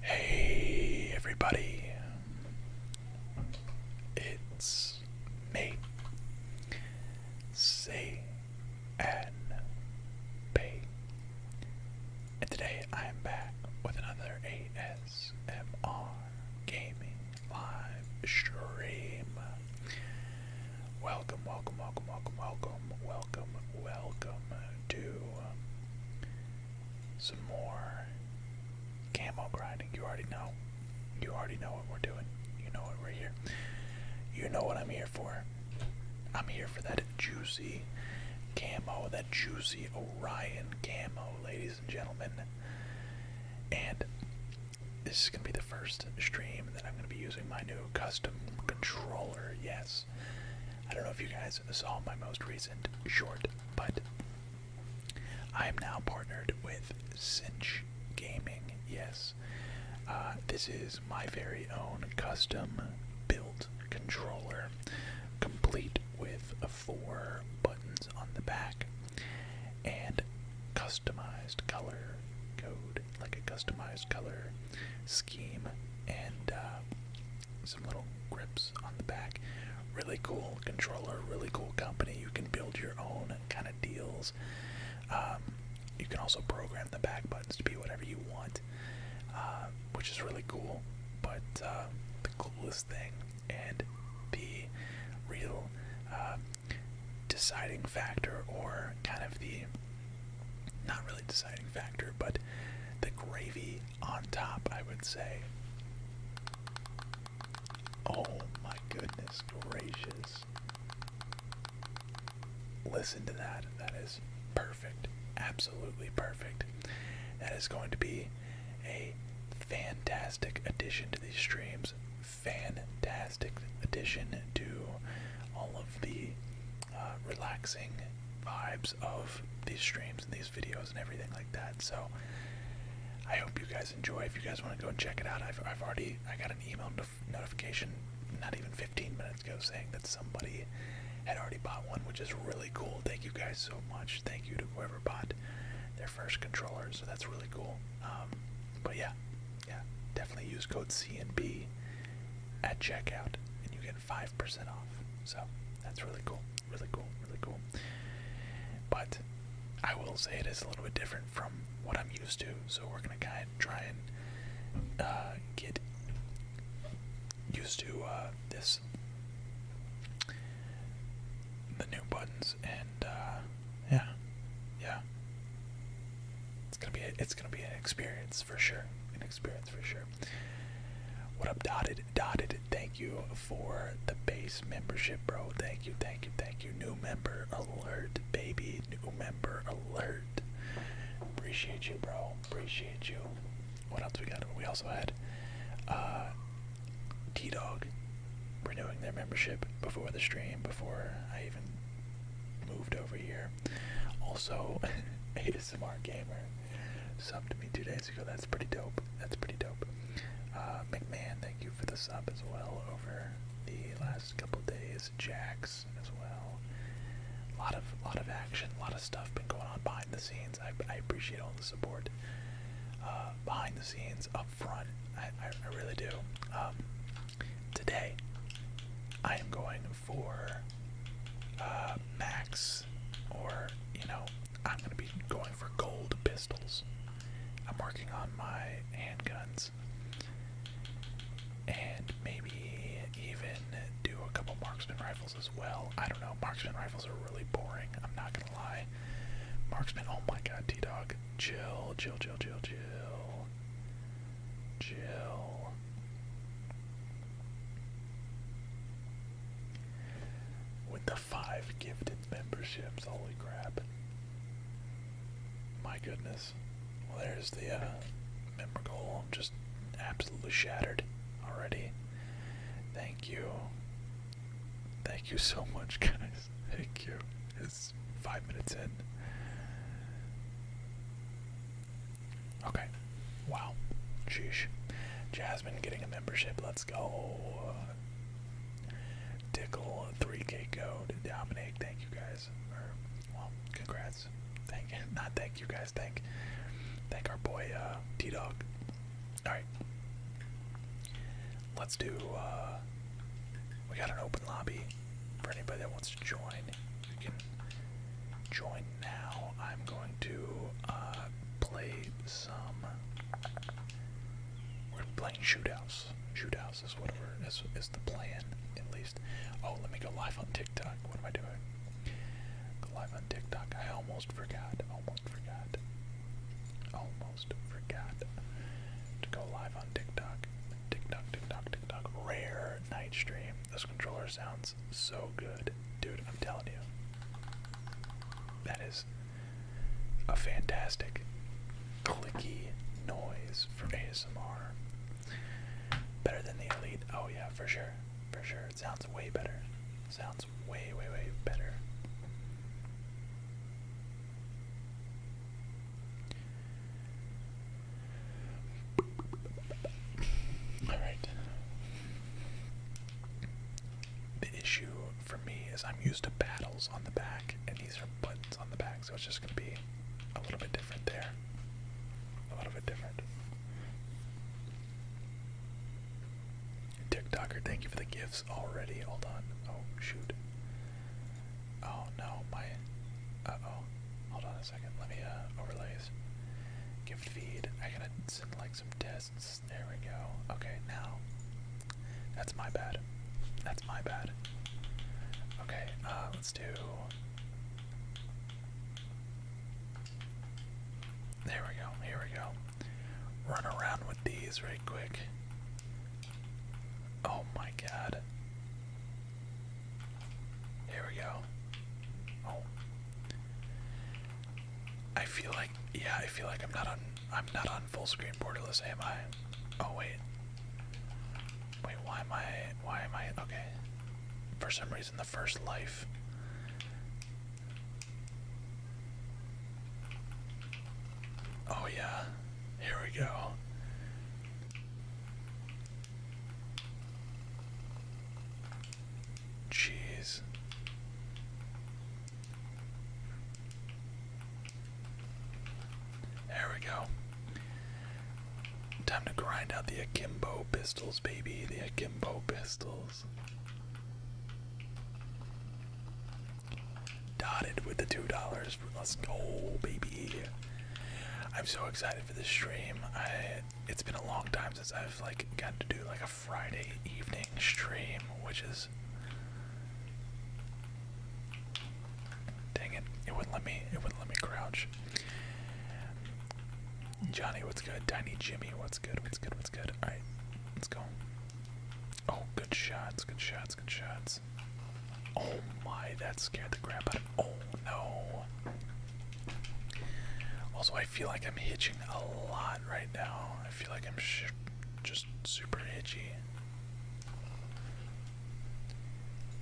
Hey everybody, it's me. Say and And today I am back with another ASMR gaming live stream. Welcome, welcome, welcome, welcome, welcome, welcome, welcome to some more camo grinding. You already know. You already know what we're doing. You know what we're here. You know what I'm here for. I'm here for that juicy camo, that juicy Orion camo, ladies and gentlemen. And this is going to be the first stream that I'm going to be using my new custom controller. Yes. I don't know if you guys saw my most recent short, but I am now partnered with Cinch Gaming. Yes. Uh, this is my very own custom built controller, complete with four buttons on the back and customized color code, like a customized color scheme, and uh, some little grips on the back. Really cool controller, really cool company. You can build your own kind of deals. Um, you can also program the back buttons to be whatever you want. Um, which is really cool. But uh, the coolest thing and the real uh, deciding factor, or kind of the not really deciding factor, but the gravy on top, I would say. Oh my goodness gracious listen to that. That is perfect. Absolutely perfect. That is going to be a fantastic addition to these streams. Fantastic addition to all of the uh, relaxing vibes of these streams and these videos and everything like that. So I hope you guys enjoy. If you guys want to go and check it out, I've, I've already I got an email notification not even 15 minutes seconds ago saying that somebody had already bought one, which is really cool. Thank you guys so much. Thank you to whoever bought their first controller. So that's really cool. Um, but yeah, yeah, definitely use code CNB at checkout, and you get five percent off. So that's really cool. Really cool. Really cool. But I will say it is a little bit different from what I'm used to. So we're gonna kind of try and uh, get used to uh, this the new buttons and uh, yeah, yeah. It's gonna be it's gonna be an experience for sure. An experience for sure. What up, dotted? Dotted. Thank you for the base membership, bro. Thank you, thank you, thank you. New member alert, baby. New member alert. Appreciate you, bro. Appreciate you. What else we got? We also had uh, T Dog renewing their membership before the stream, before I even moved over here. Also, ASMR Gamer subbed to me two days ago. That's pretty dope. That's pretty dope. Uh, McMahon, thank you for the sub as well over the last couple days. Jax as well. A lot of lot of action, a lot of stuff been going on behind the scenes. I, I appreciate all the support uh, behind the scenes, up front. I, I, really do. Um, today, I am going for uh, max, or you know, I'm gonna be going for gold pistols. I'm working on my handguns. And maybe even do a couple marksman rifles as well. I don't know. Marksman rifles are really boring. I'm not gonna lie. Marksman. Oh my God, T Dog. Chill, chill, chill, chill, chill, chill. With the five gifted memberships, holy crap! My goodness. Well, there's the uh, memorable. I'm just absolutely shattered already. Thank you. Thank you so much, guys. Thank you. It's five minutes in. Okay. Wow. Sheesh. Jasmine getting a membership. Let's go. Tickle, 3K code. dominate. thank you guys. well, congrats. Thank not thank you guys. Thank thank our boy uh T Dog. Alright. Let's do uh, we got an open lobby for anybody that wants to join. You can join now. I'm going to uh, play some we're playing shootouts. Shootouts is whatever is the plan at least. Oh, let me go live on TikTok. What am I doing? Go live on TikTok. I almost forgot. Almost forgot. Almost forgot to go live on TikTok. TikTok, TikTok, TikTok. Rare night stream. This controller sounds so good. Dude, I'm telling you. That is a fantastic clicky noise for ASMR. Better than the Elite. Oh, yeah, for sure. For sure. It sounds way better. Sounds way, way, way better. Alright. The issue for me is I'm used to battles on the back, and these are buttons on the back, so it's just going to be a little bit different there. A little bit different. TikToker, thank you for the gifts already. Hold on. Oh, shoot. Oh, no. My. Uh oh. Hold on a second. Let me uh, overlays. Gift feed. I gotta send like some tests. There we go. Okay, now. That's my bad. That's my bad. Okay, uh, let's do. There we go. Here we go. Run around with these right quick. Oh my god. Here we go. Oh. I feel like yeah, I feel like I'm not on I'm not on full screen borderless, am I? Oh wait. Wait, why am I why am I okay. For some reason the first life Oh, yeah, here we go. Jeez. There we go. Time to grind out the akimbo pistols, baby. The akimbo pistols. Dotted with the two dollars. Let's go, baby. I'm so excited for this stream. it's been a long time since I've like gotten to do like a Friday evening stream, which is Dang it, it wouldn't let me it wouldn't let me crouch. Johnny, what's good? Tiny Jimmy, what's good? What's good? good. right, let's go. Oh, good shots, good shots, good shots. Oh my, that scared the crap out of me. Oh no. Also, I feel like I'm hitching a lot right now. I feel like I'm just super itchy.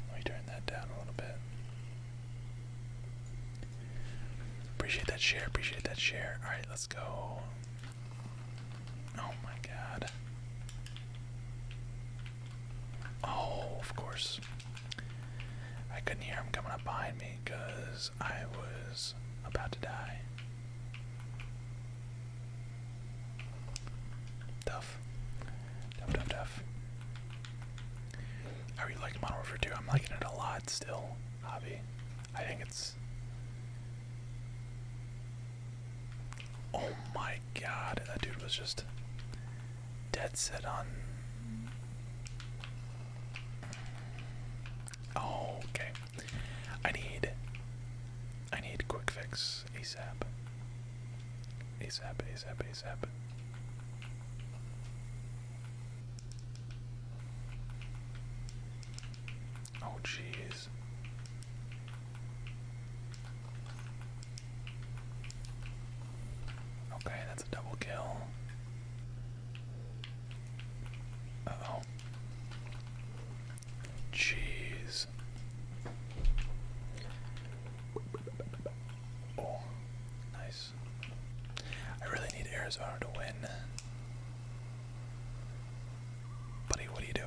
Let me turn that down a little bit. Appreciate that share. Appreciate that share. All right, let's go. Oh my God. Oh, of course. I couldn't hear him coming up behind me because I was about to die. Tough. Tough, tough, tough. I really like Modern Warfare 2. I'm liking it a lot still hobby. I think it's. Oh my god, that dude was just dead set on. Oh, okay. I need. I need quick fix ASAP. ASAP, ASAP, ASAP. Oh, jeez. Okay, that's a double kill. Uh oh. Jeez. Oh, nice. I really need Arizona to win. Buddy, what are you doing?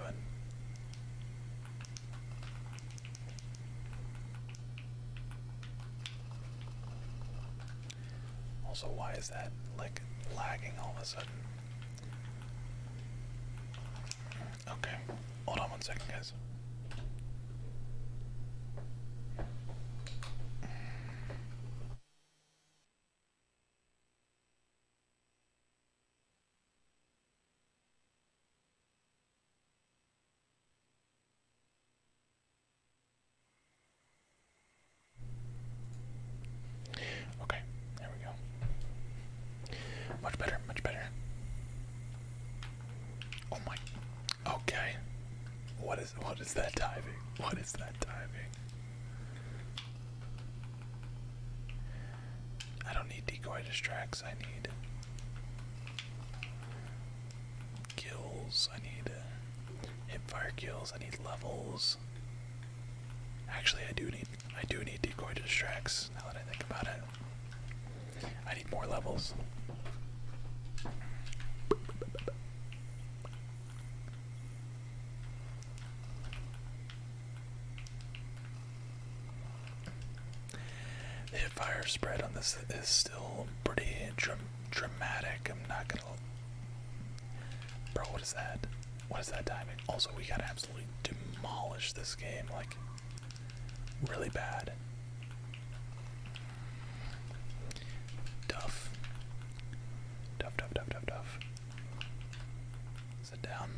Also, why is that like lagging all of a sudden? Okay, hold on one second, guys. Okay, there we go. Much better, much better. Oh my. Okay. What what is that diving? What is that diving? I don't need decoy distracts. I need kills. I need uh, hipfire kills. I need levels. Actually, I do need I do need decoy distracts. Now that I think about it, I need more levels. The fire spread on this is still pretty dramatic. I'm not gonna. Bro, what is that? What is that timing? Also, we gotta absolutely demolish this game, like, really bad. Duff. Duff, duff, duff, duff, duff. Sit down.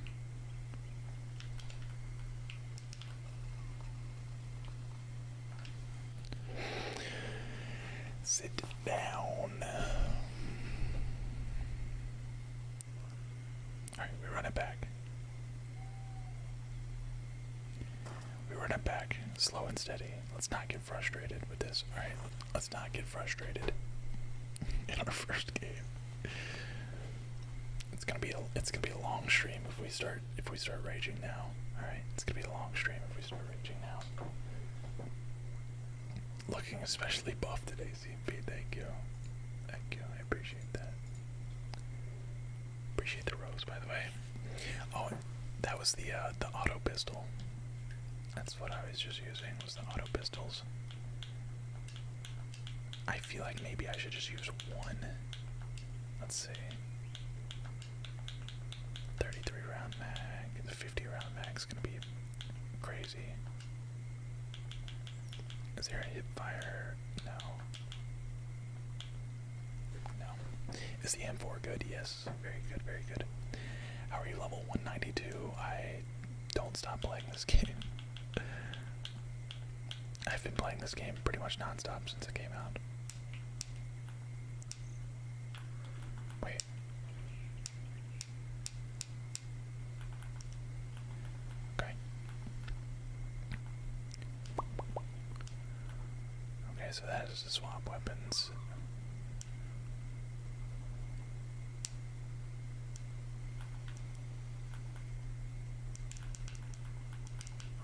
Sit down. Alright, we run it back. We run it back, slow and steady. Let's not give frustrated with this. All right, let's not get frustrated in our first game. It's gonna be a it's gonna be a long stream if we start if we start raging now. All right, it's gonna be a long stream if we start raging now. Looking especially buff today, CMP. Thank you, thank you. I appreciate that. Appreciate the rose, by the way. Oh, that was the uh, the auto pistol what I was just using, was the auto pistols. I feel like maybe I should just use one. Let's see. 33 round mag, the 50 round mag is gonna be crazy. Is there a hip fire? No. No. Is the M4 good? Yes. Very good, very good. How are you level 192? I don't stop playing this game. I've been playing this game pretty much non-stop since it came out. Wait. Okay. Okay, so that is the swap weapons.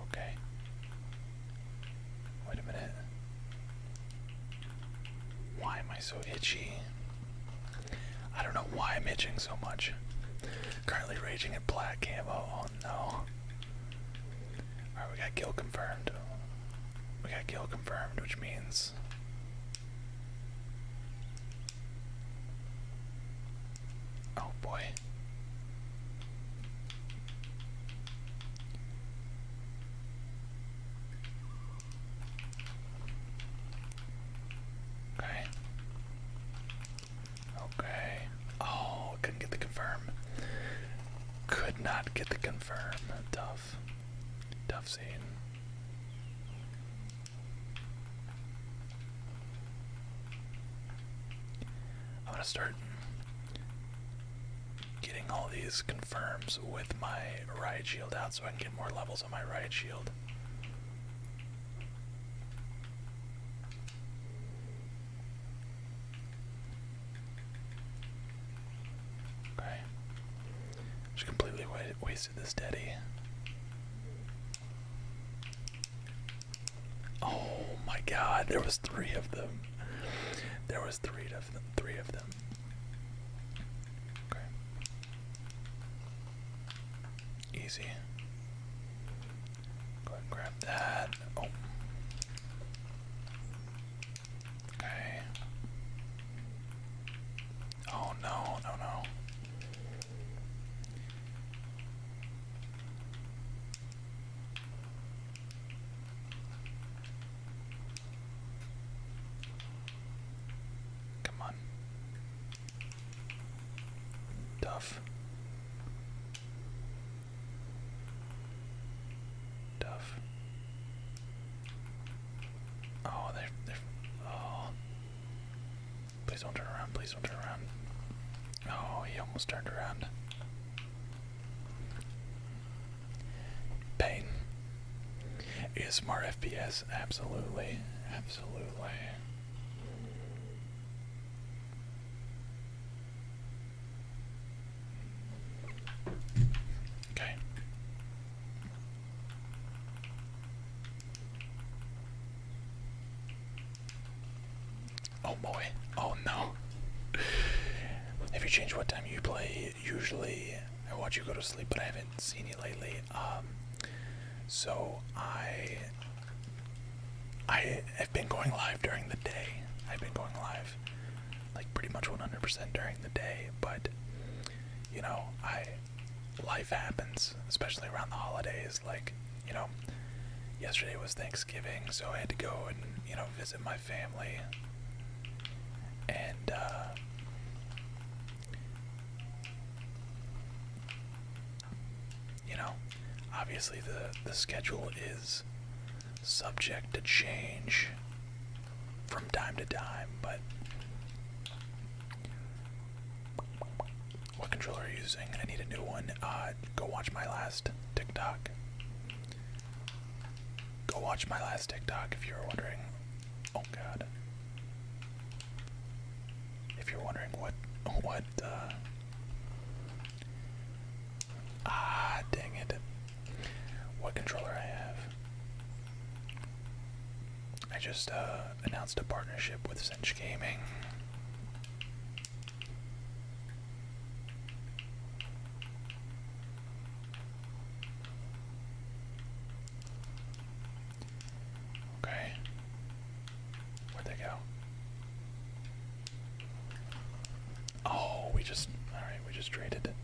Okay. Wait a minute. Why am I so itchy? I don't know why I'm itching so much. Currently raging at black camo. Oh no. Alright, we got kill confirmed. We got kill confirmed, which means Oh boy. Okay. Okay. Oh, couldn't get the confirm. Could not get the confirm. Tough tough. scene. I'm gonna start getting all these confirms with my riot shield out so I can get more levels on my riot shield. Okay. Just completely wasted this Daddy. Oh my god, there was three of them. There was three of them. Three of them. Okay. Easy. Go ahead and grab that. Oh. Okay. Oh no, no, no. Come on. Tough. Tough. Oh, they're, they're. Oh. Please don't turn around. Please don't turn around. Oh, he almost turned around. Pain. Is more FPS? Absolutely. Absolutely. Okay. Oh boy. Oh no. Have you changed what time you play? Usually I watch you go to sleep, but I haven't seen you lately. Um so I I have been going live during the day. I've been going live like pretty much 100% during the day, but you know, I life happens, especially around the holidays. Like, you know, yesterday was Thanksgiving, so I had to go and you know visit my family, and uh, you know, obviously the the schedule is subject to change from time to time, but what controller are you using? I need a new one. Uh, go watch my last TikTok. Go watch my last TikTok if you're wondering. Oh God. If you're wondering what, what, uh, ah, dang it what controller I have. I just uh, announced a partnership with Cinch Gaming. Okay. Where'd they go? Oh, we just all right. We just traded.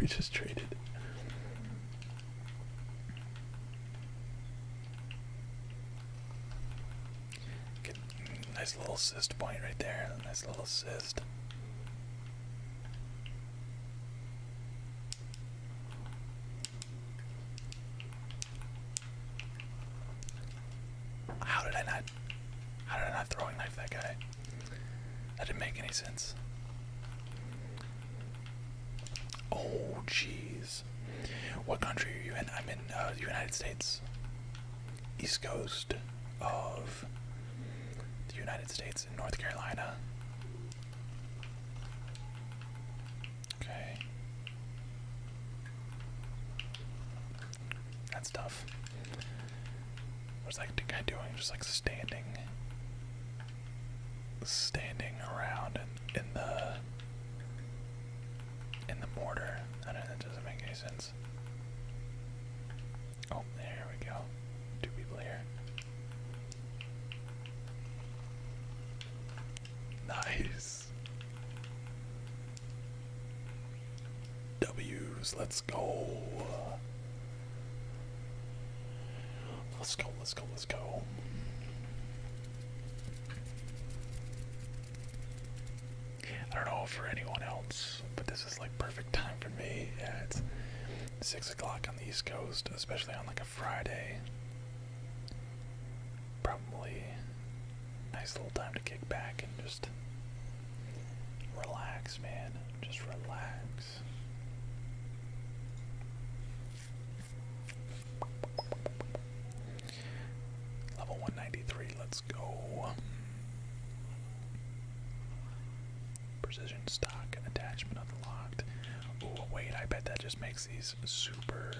We just traded. Nice little cyst point right there. Nice little cyst. How did I not? How did I not throwing knife that guy? That didn't make any sense. Oh, jeez. What country are you in? I'm in uh, the United States. East coast of the United States in North Carolina. Okay. That's tough. What's that guy doing? Just like standing standing around in, in the in the mortar. I don't know, that doesn't make any sense. Oh, there we go. Two people here. Nice. W's, let's go. Let's go, let's go, let's go. I don't know for anyone else, but this is like perfect time for me. Yeah, it's six o'clock on the East Coast, especially on like a Friday. Probably nice little time to kick back and just relax, man. Just relax. Level 193, let's go. Precision stock attachment unlocked. Oh, wait, I bet that just makes these super,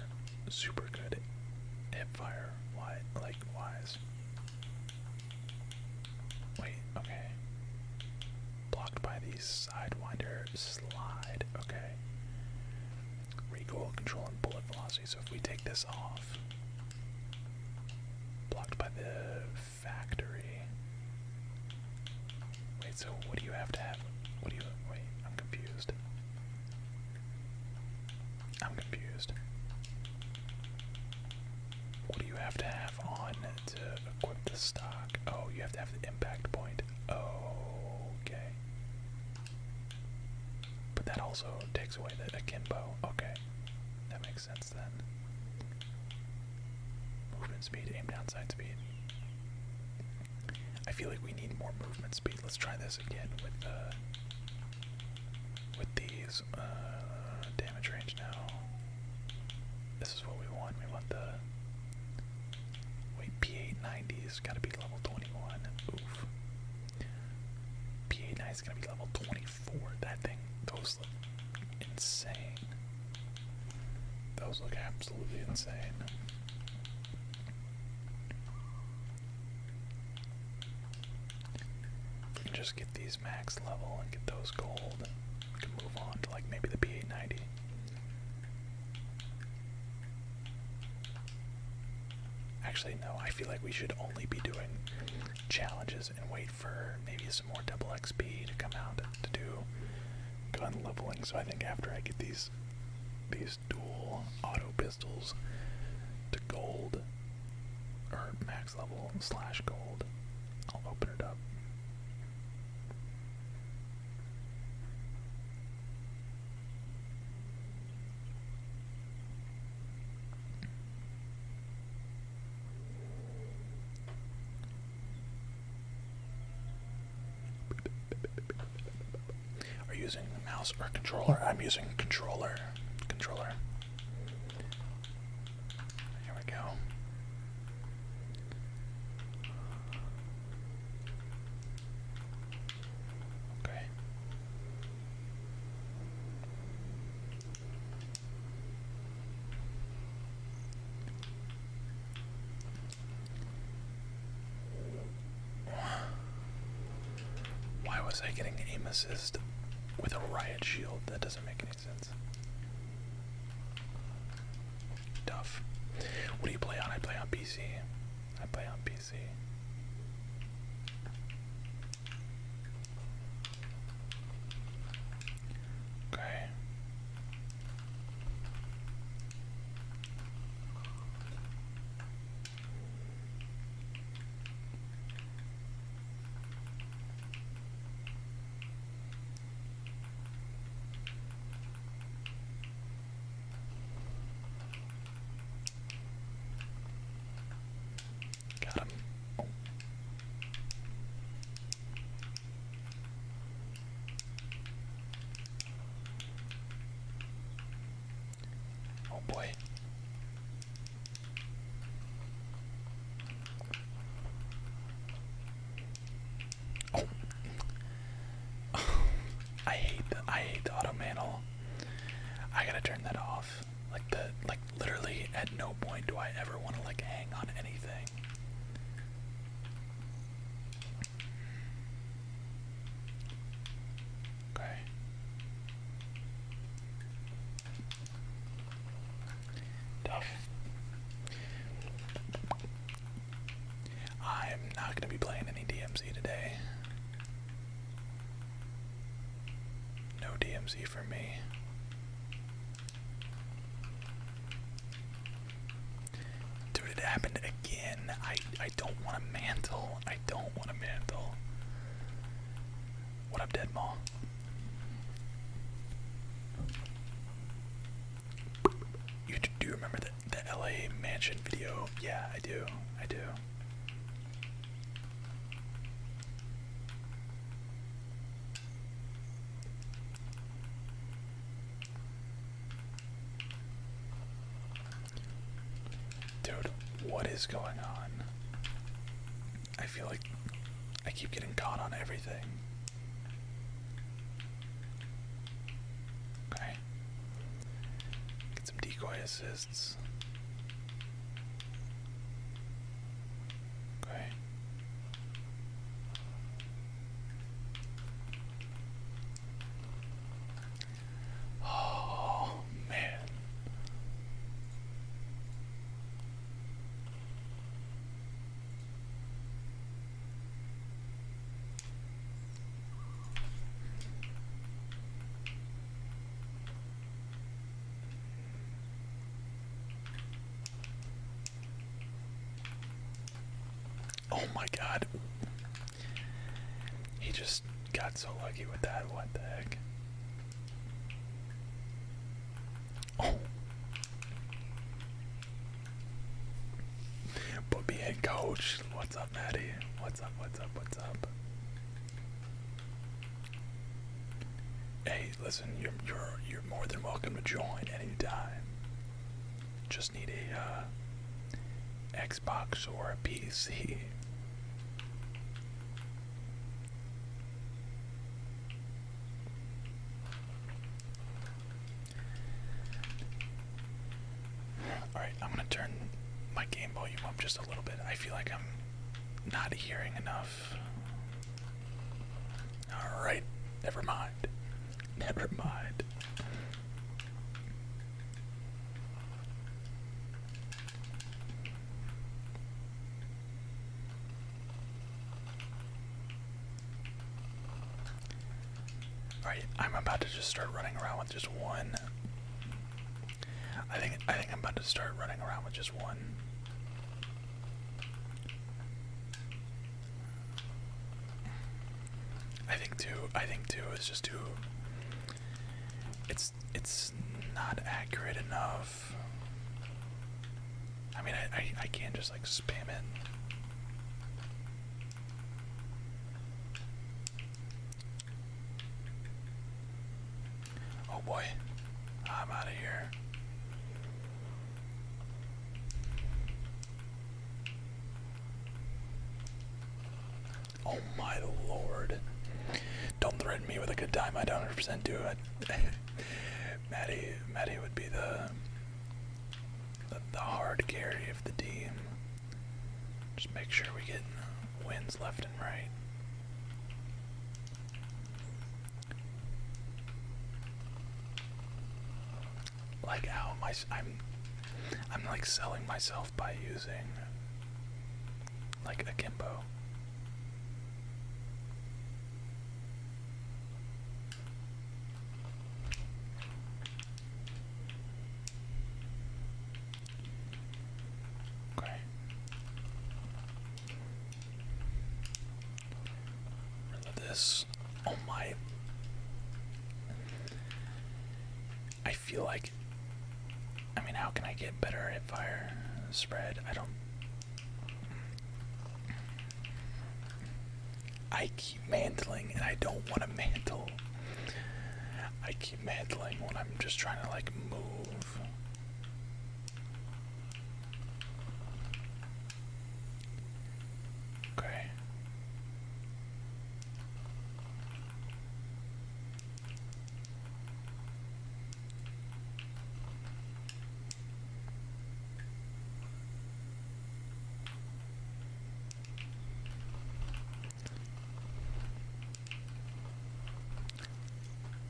super good hip fire wide, like Wait, okay. Blocked by these Sidewinder, Slide. Okay. Recoil control and bullet velocity. So if we take this off, blocked by the factory. Wait. So what do you have to have? What do you? Wait. I'm confused. I'm confused. What do you have to have on to uh, equip the stock, oh, you have to have the impact point. Okay. But that also takes away the akimbo. Okay. That makes sense then. Movement speed, aim down, side speed. I feel like we need more movement speed. Let's try this again with uh, with these uh, damage range damage This is what we want. We want the wait P890 is gotta be level 21. Oof. P890 is gonna be level 24. That thing, those look insane. Those look absolutely insane. just get these max level and get those gold. We can move on to like maybe the P890. Actually, no, I feel like we should only be doing challenges and wait for maybe some more double XP to come out to do gun leveling. So I think after I get these these dual auto pistols to gold or max level slash gold, I'll open it up. Are you using the mouse or controller? I'm using controller. Controller. Here we go. Why was I getting aim assist with a riot shield? That doesn't make any sense. Tough. What do you play on? I play on PC. I play on PC. Okay. Got him. Oh boy. Oh. I hate the I hate the auto mantle. I gotta turn that off. Like the like literally at no point do I ever want to like hang on anything. Okay. Tough. I'm not going to be playing any DMZ today. No DMZ for me. Dude, it happened again. I, I don't want to mantle. I don't want to mantle. What up, Dead you do remember the, the LA mansion video? Yeah, I do. I do. Dude, what is going on? I feel like I keep getting caught on everything. Okay. Get some decoy assists. Okay. Oh man. Oh my god. He just got so lucky with that. What the heck? Oh. Put me in, coach. What's up, Maddie? What's up? What's up? What's up? Hey, listen. You're you're you're more than welcome to join anytime. Just need a uh, Xbox or a PC. Alright, I'm gonna turn my game volume up just a little bit. I feel like I'm not hearing enough. Alright, never mind. Never mind. Alright, I'm about to just start running around with just one. I think I think I'm about to start running around with just one. I think two I think two is just too it's it's not accurate enough. I mean I I, I can't just like spam it. Oh boy, I'm out of here. Oh my lord. Don't threaten me with a good time, I don't 100% do it. Maddie, Maddie would be the the, hard carry of the team. Just make sure we get wins left and right. Like how my I'm I'm like selling myself by using like a Kimbo. Okay. this. Oh my. I feel like. I mean, how can I get better at fire spread? I don't. I keep mantling and I don't want to mantle. I keep mantling when I'm just trying to like move. Okay.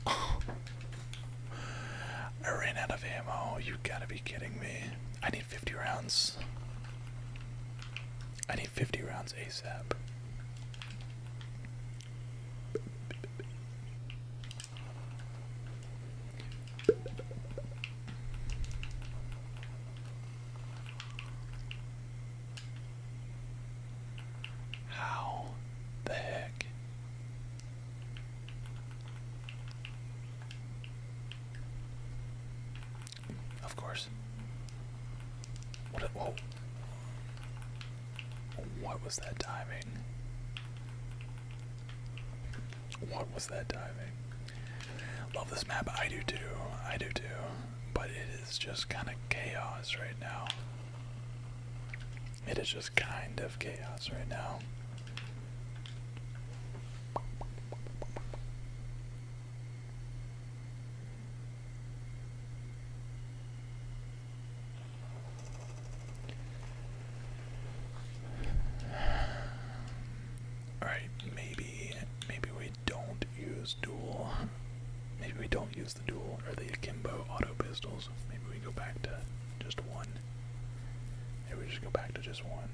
I ran out of ammo. You gotta be kidding me. I need 50 rounds. I need 50 rounds ASAP. How the heck? Of course. What? whoa! What was that diving? What was that timing? Love this map. I do too. I do too. But it is just kind of chaos right now. It is just kind of chaos right now. All right, maybe maybe we don't use dual. Maybe we don't use the dual or the akimbo auto pistols. Maybe we go back to just one. Maybe we just go back to just one.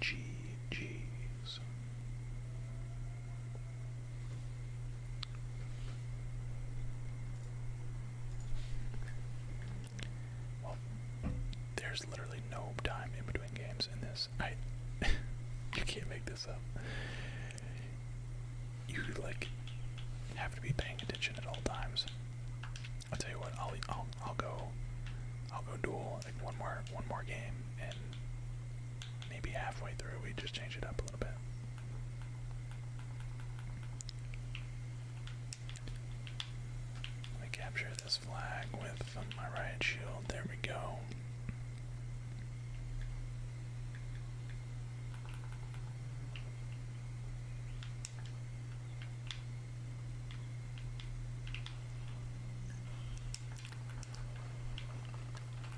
GG's. Well, there's literally no time in between games in this, I you can't make this up. You like have to be paying attention at all times. I'll tell you what, I'll I'll I'll go I'll go duel like one more one more game and maybe halfway through we just change it up a little bit. Let me capture this flag with my riot shield. There we go.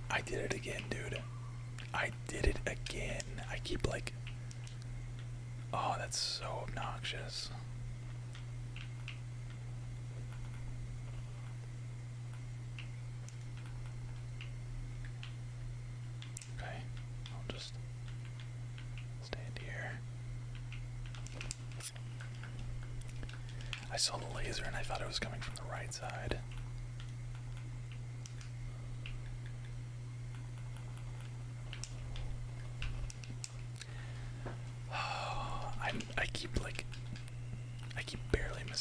I did it again, dude. I did it again. I keep like. Oh, that's so obnoxious. Okay, I'll just stand here. I saw the laser and I thought it was coming from the right side. i I keep like, I keep barely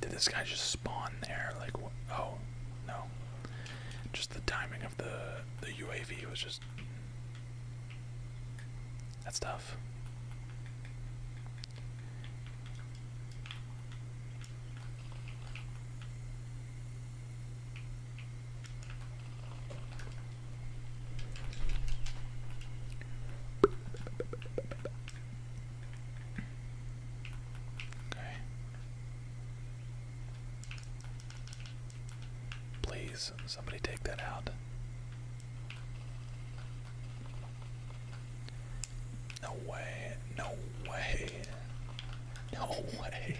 Did this guy just spawn there? Like, oh, no. Just the timing of the the UAV was just. That's tough. Please, somebody take that out. No way, no way, no way.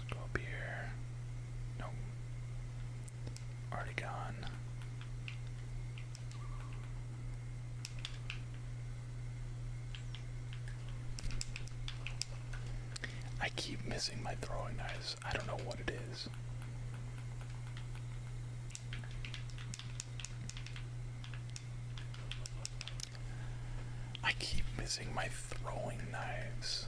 Let's go up here. Nope. Already gone. I keep missing my throwing knives. I don't know what it is. I keep missing my throwing knives.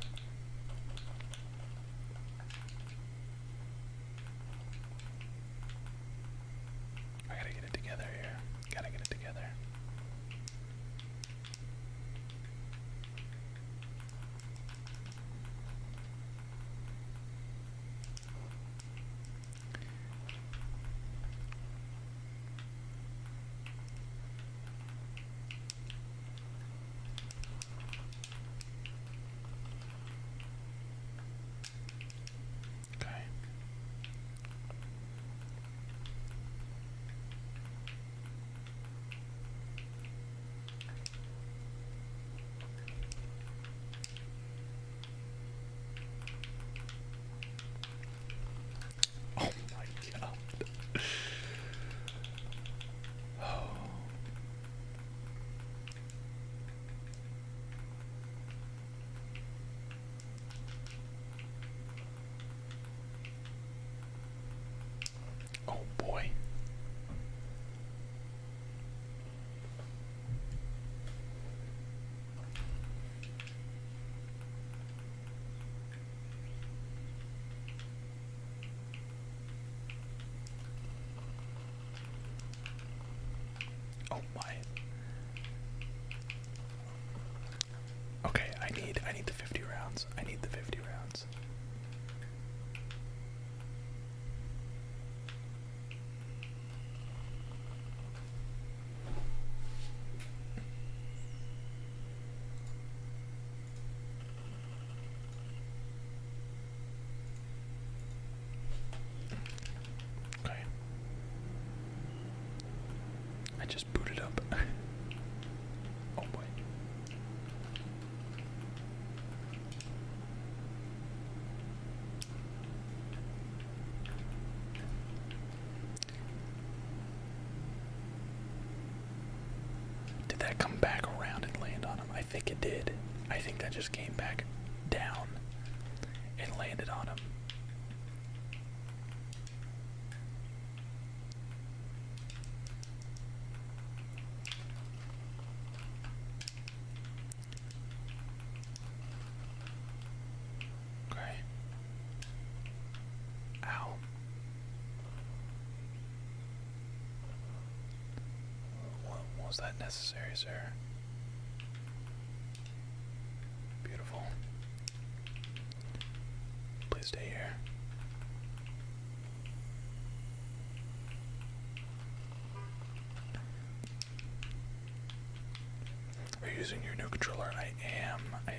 I gotta get it together here. Gotta get it together. Oh my god. oh. Oh boy. Oh my. Okay, I need I need the 50 rounds. I need the 50 rounds. Okay. I just booted up. oh boy. Did that come back around and land on him? I think it did. I think that just came back down and landed on him. Okay. Ow. Was that necessary, sir? Beautiful. Please stay here. Are using your new controller? I am. I am.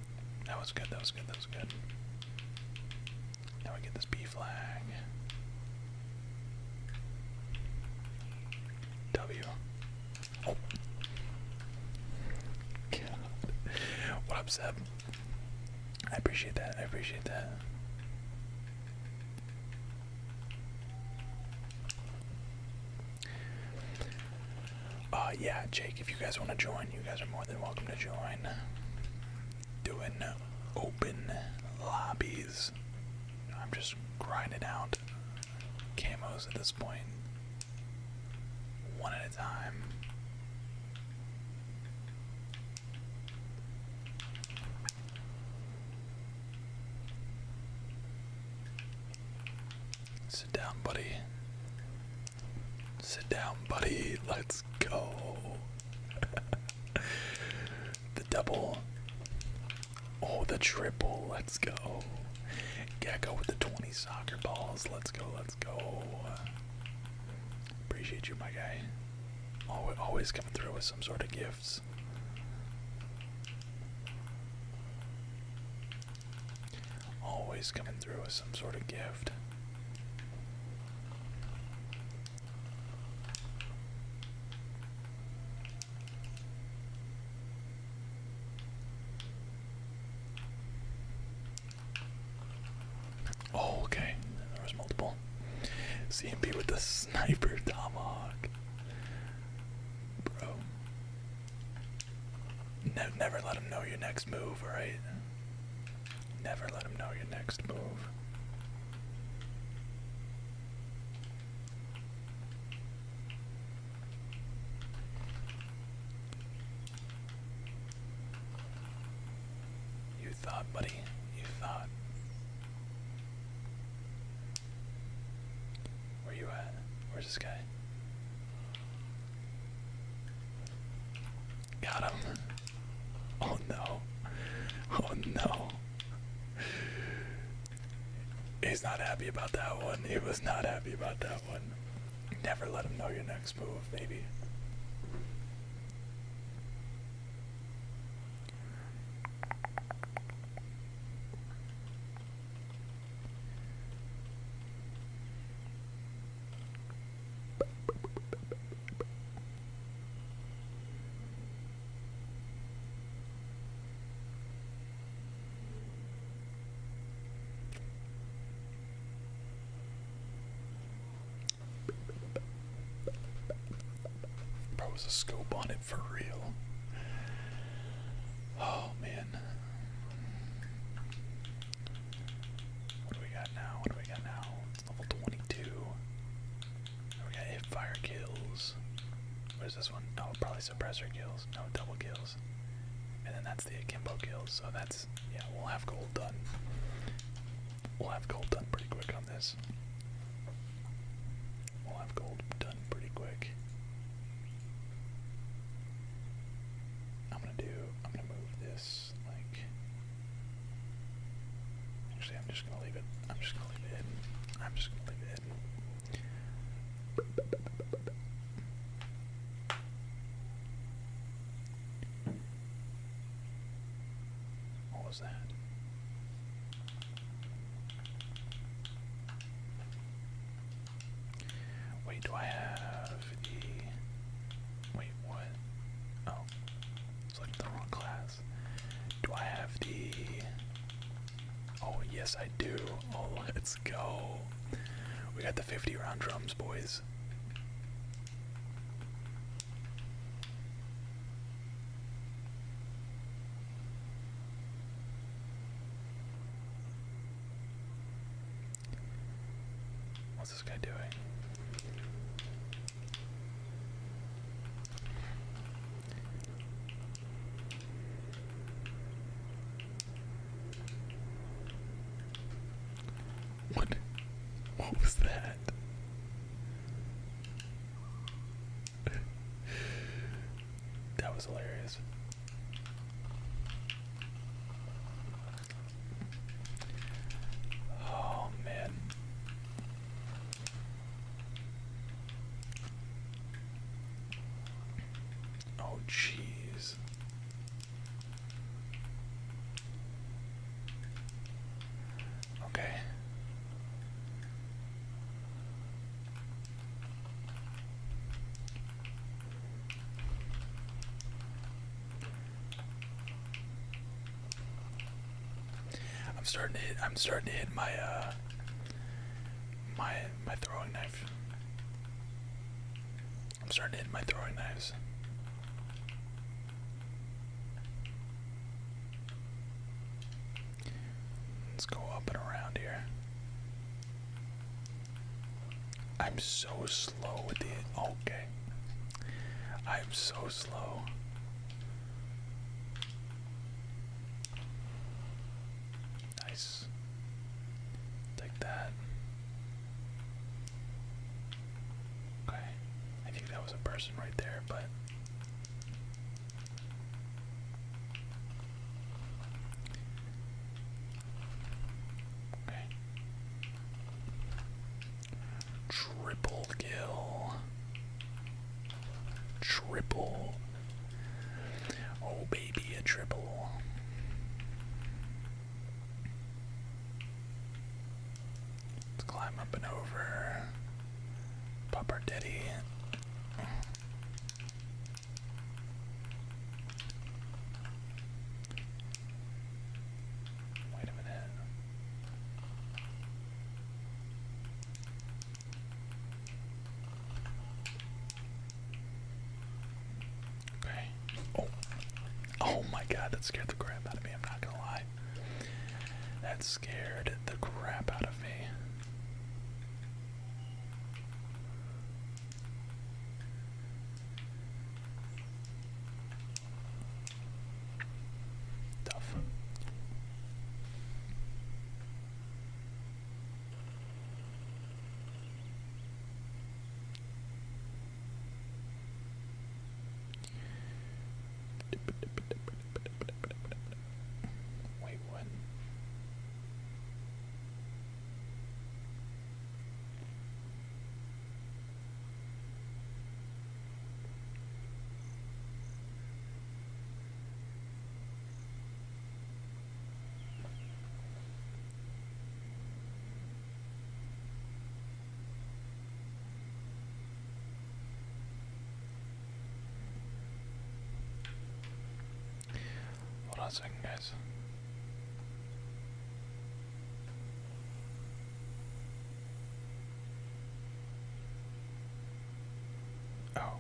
That was good, that was good, that was good. Now we get this B flag. W. What up, Seb? I appreciate that, I appreciate that. Uh, yeah, Jake, if you guys want to join, you guys are more than welcome to join. Doing open lobbies. I'm just grinding out camos at this point, one at a time. Sit down, buddy. Sit down, buddy. Let's go. the double. Oh, the triple. Let's go. Gecko with the 20 soccer balls. Let's go. Let's go. Appreciate you, my guy. Always coming through with some sort of gifts. Always coming through with some sort of gift. Oh, okay. There was multiple. CMP with the sniper tomahawk. Bro. Ne never let him know your next move, All right. Never let him know your next move. You thought, buddy. You thought. Where you at? Where's this guy? Got him. Oh no. Oh no. He's not happy about that one. He was not happy about that one. Never let him know your next move, baby. Bro, was a scope on it for real. Oh man. What do we got now? What do we got now? It's level 22. We got hip fire kills. What is this one? Oh, probably suppressor kills. No, double kills. And then that's the akimbo kills. So that's, yeah, we'll have gold done. We'll have gold done pretty quick on this. We'll have gold done pretty quick. I'm gonna do I'm gonna move this like actually I'm just gonna leave it. I'm just gonna leave it I'm just gonna leave it What was that? Wait, do I have the... Wait, what? Oh, selected the wrong class. Do I have the... Oh, yes, I do. Oh, let's go. We got the 50 round drums, boys. What? What was that? that was hilarious. Oh man. Oh jeez. Okay. I'm starting to hit I'm starting to hit my uh my my throwing knife. I'm starting to hit my throwing knives. Let's go up and around here. I'm so slow with it. Okay. I'm so slow. Nice. Take that. Okay. I think that was a person right there, but Triple kill. Triple. Oh, baby, a triple. Let's climb up and over. Pop our daddy. Wait a minute. Okay. Oh. Oh my god, that scared the crap out of me, I'm not gonna lie. That scared the crap out of me. Tough. Wait, what? Hold on a second, guys. Oh.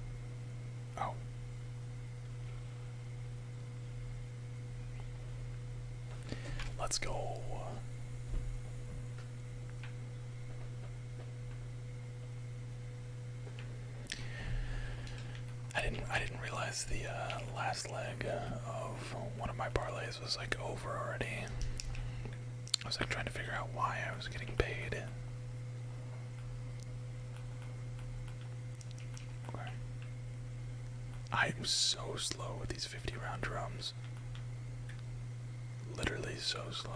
Oh. Let's go. I didn't I didn't realize the uh, last leg uh, of one of my parlays this was like over already. I was like trying to figure out why I was getting paid. I'm so slow with these 50 round drums. Literally so slow.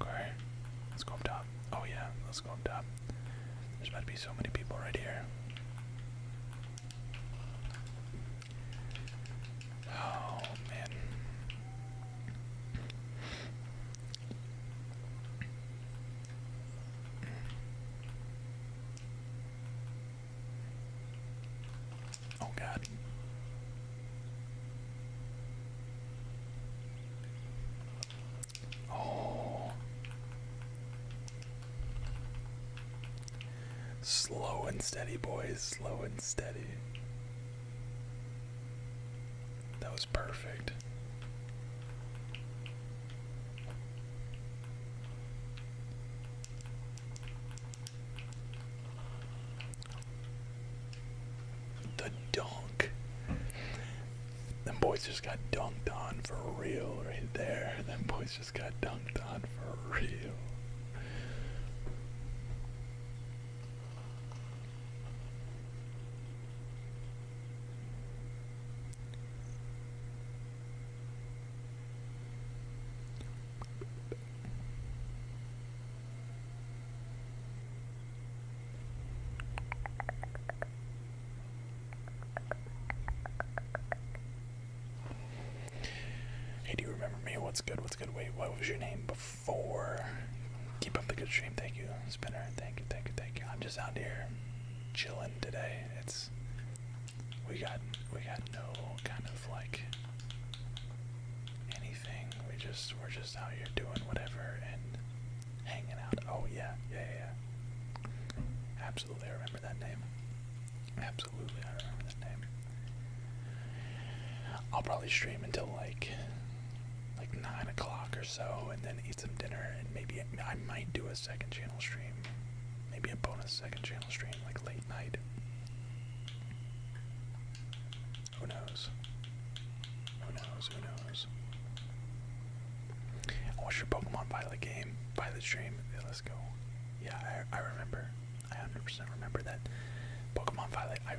Okay, let's go up top. Oh yeah, let's go up top. There's about to be so many people right here. Oh man. Oh god. Oh. Slow and steady, boys. Slow and steady. That was perfect. The dunk. Them boys just got dunked on for real right there. Them boys just got dunked on for real. Hey, do you remember me? What's good? What's good? Wait, what was your name before? Keep up the good stream. Thank you, Spinner. Thank you, thank you, thank you. I'm just out here chilling today. It's we got we got no kind of like anything. We just we're just out here doing whatever and hanging out. Oh yeah, yeah, yeah. Absolutely, I remember that name. Absolutely, I remember that name. I'll probably stream until like like nine o'clock or so, and then eat some dinner, and maybe I might do a second channel stream, maybe a bonus second channel stream like late night. Who knows? Who knows? Who knows? What's your Pokemon by game? By the stream? Yeah, let's go. Yeah, I, remember. I 100% remember that Pokemon Violet. I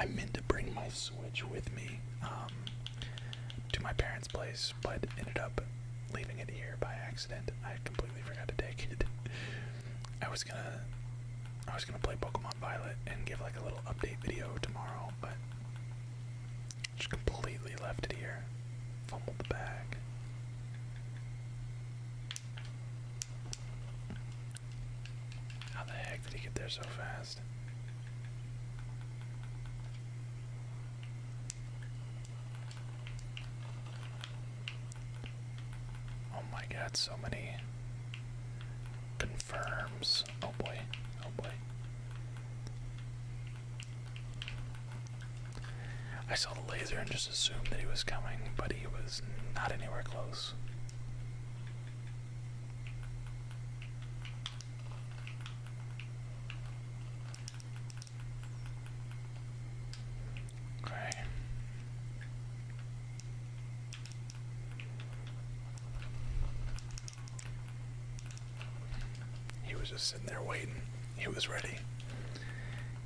I meant to bring my Switch with me um, to my parents' place, but ended up leaving it here by accident. I completely forgot to take it. I was gonna I was gonna play Pokemon Violet and give like a little update video tomorrow, but just completely left it here. Fumbled the bag. How the heck did he get there so fast? Oh my god, so many confirms. Oh boy, oh boy. I saw the laser and just assumed that he was coming, but he was not anywhere close. Okay. He was just sitting there waiting. He was ready.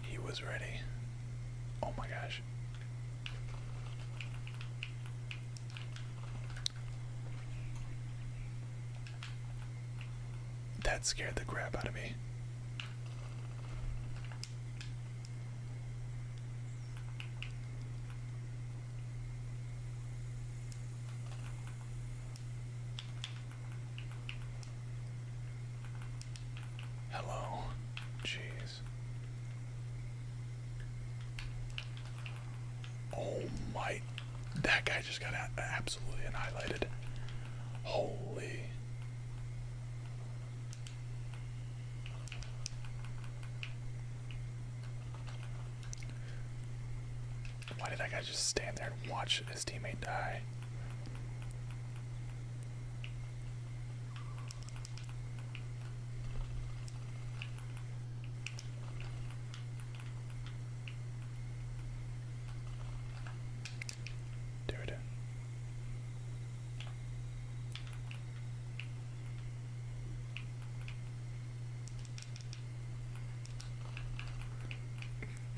He was ready. Oh my gosh. That scared the crap out of me. Hello. Jeez. Oh my. That guy just got absolutely annihilated. Holy. Why did that guy just stand there and watch his teammate die? Dude.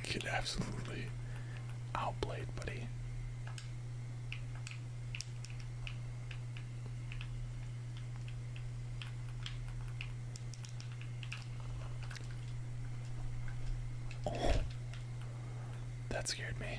Get absolutely outplayed, buddy. Oh, that scared me.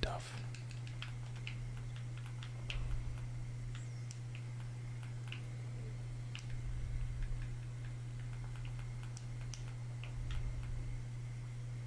Tough.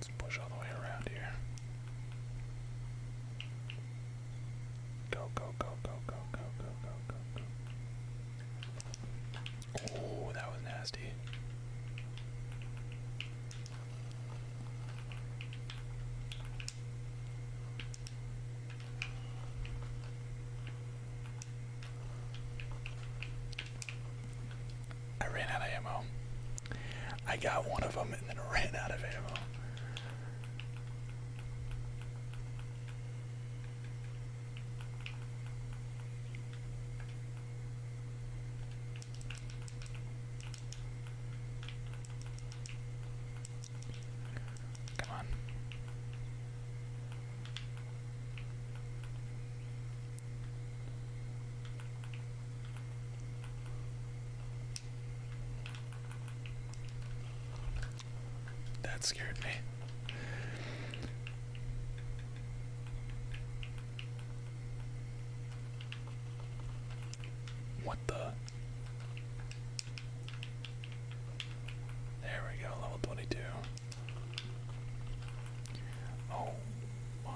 Let's push all the way around here. Go, go, go, go, go, go, go, go, go, Oh, that was nasty. I ran out of ammo. I got one of them and then ran out of ammo. Come on. That scared me. What the? There we go, level 22. Oh my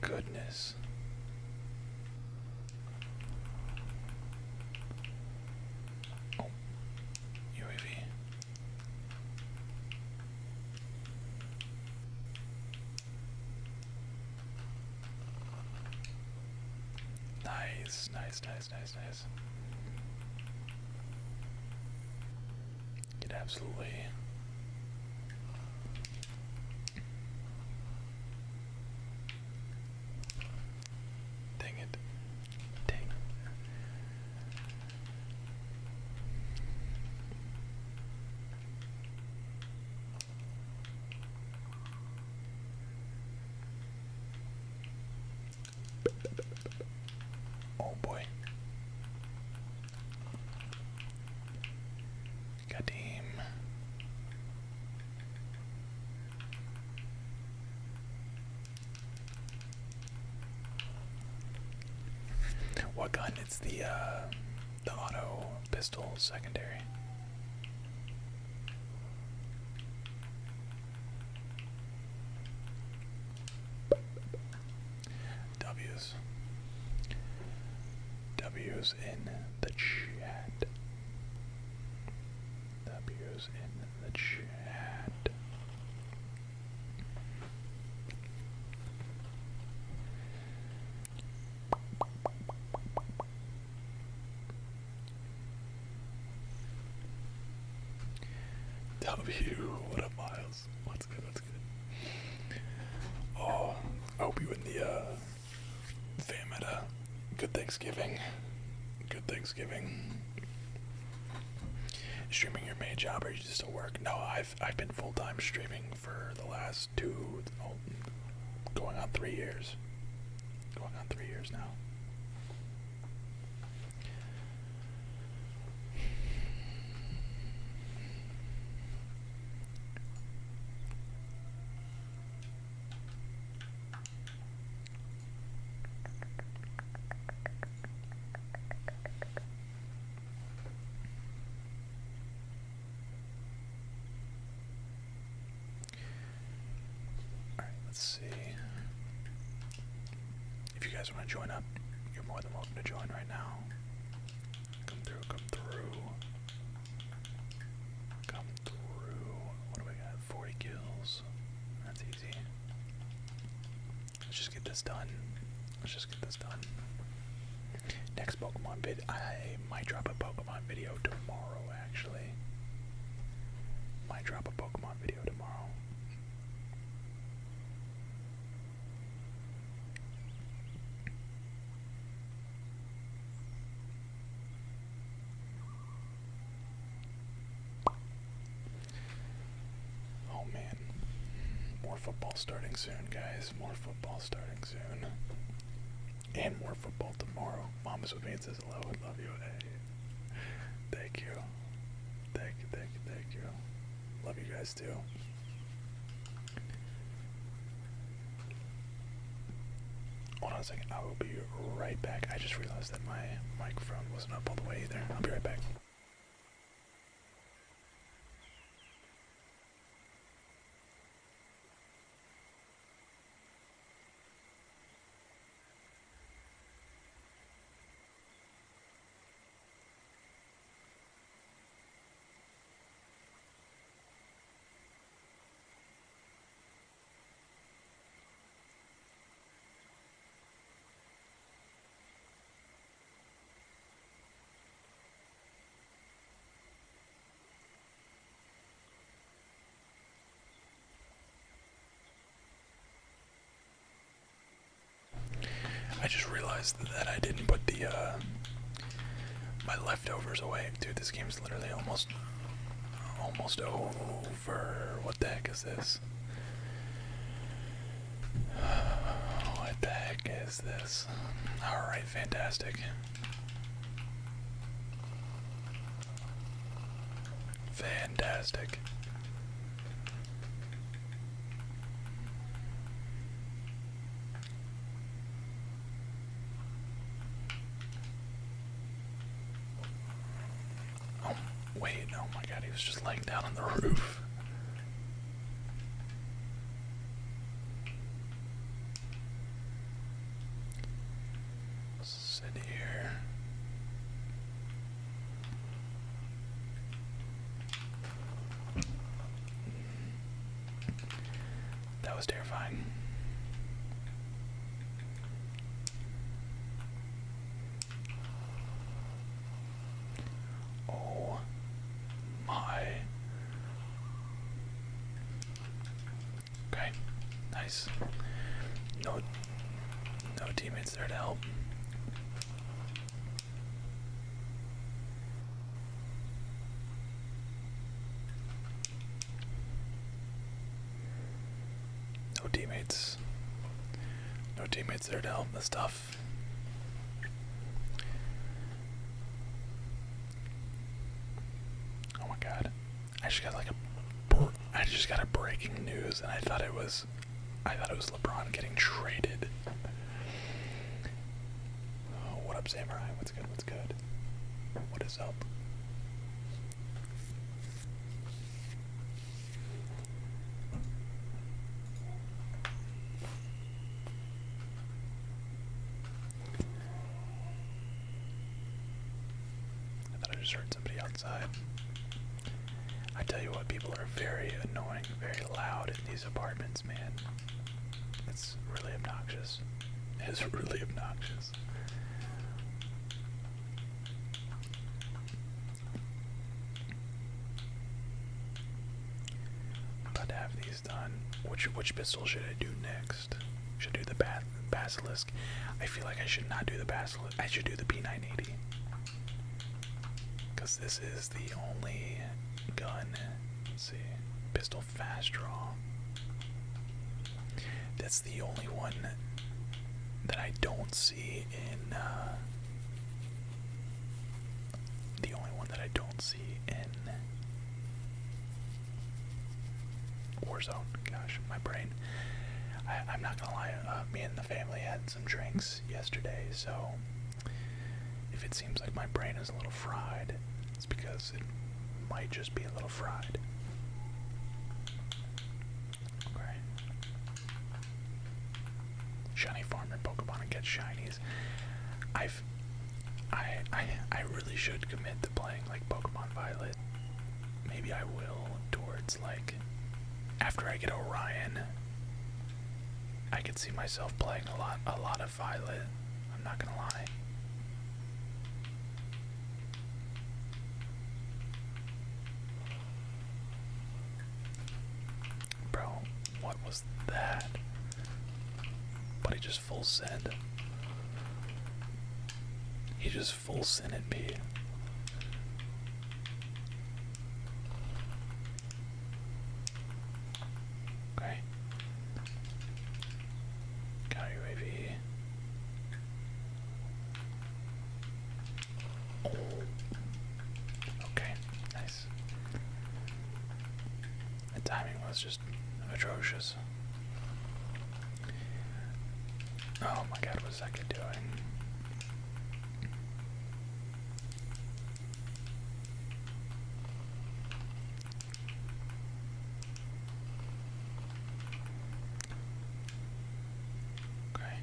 goodness. UAV. Nice, nice, nice, nice, nice. Get absolutely Dang it. Dang. Oh boy. What gun? It's the uh, the auto pistol secondary. W's. W's in the chat. W's in the chat. W, what up, Miles? What's good? What's good? Oh, I hope you and the uh, Fam good Thanksgiving. Good Thanksgiving. Streaming your main job, are you just at work? No, I've I've been full time streaming for the last two, oh, going on three years. Going on three years now let's see. If you guys want to join up, you're more than welcome to join right now. Come through, come through. Come through. What do we got? 40 kills. That's easy. Let's just get this done. Let's just get this done. Next Pokemon vid. I might drop a Pokemon video tomorrow, actually. Might drop a Pokemon video tomorrow. Oh man. More football starting soon, guys. More football starting soon. And more football tomorrow. Mama's with me and says hello. I love you. Hey. Thank you. Thank you, thank you, thank you. Love you guys too. Hold on a second. I will be right back. I just realized that my microphone wasn't up all the way either. I'll be right back. I just realized that I didn't put the uh, my leftovers away. Dude, this game is literally almost almost over. What the heck is this? What the heck is this? Alright, fantastic. Fantastic. Oh, wait, oh my god, he was just laying down on the roof. Sit here. That was terrifying. Oh my. Okay, nice. No no teammates there to help. No teammates. No teammates there to help with stuff. Oh my god. I just got like a I just got a breaking news and I thought it was I thought it was LeBron getting traded. Oh, what up, Samurai? what's good, what's good? What is up? I thought I just heard somebody outside. I tell you what, people are very annoying, very loud in these apartments, man. It's really obnoxious. It's really obnoxious about to have these done. Which which pistol should I do next? Should I do the basilisk? I feel like I should not do the basilisk. I should do the P980. Cause this is the only gun. Let's see, pistol. Fast Draw. That's the only one that I don't see in. Uh, the only one that I don't see in Warzone. Gosh, my brain. I, am not gonna lie. Uh, me and the family had some drinks yesterday, so if it seems like my brain is a little fried, it's because it might just be a little fried. Okay. Shiny farmer Pokemon and get shinies. I've I I I really should commit to playing like Pokemon Violet. Maybe I will towards like after I get Orion. I could see myself playing a lot a lot of Violet. I'm not gonna lie. Bro, what was that? But he just full send. He just full sended me. Okay. Got UAV. Okay, nice. The timing was just atrocious. Oh my god, what's that kid doing? Okay.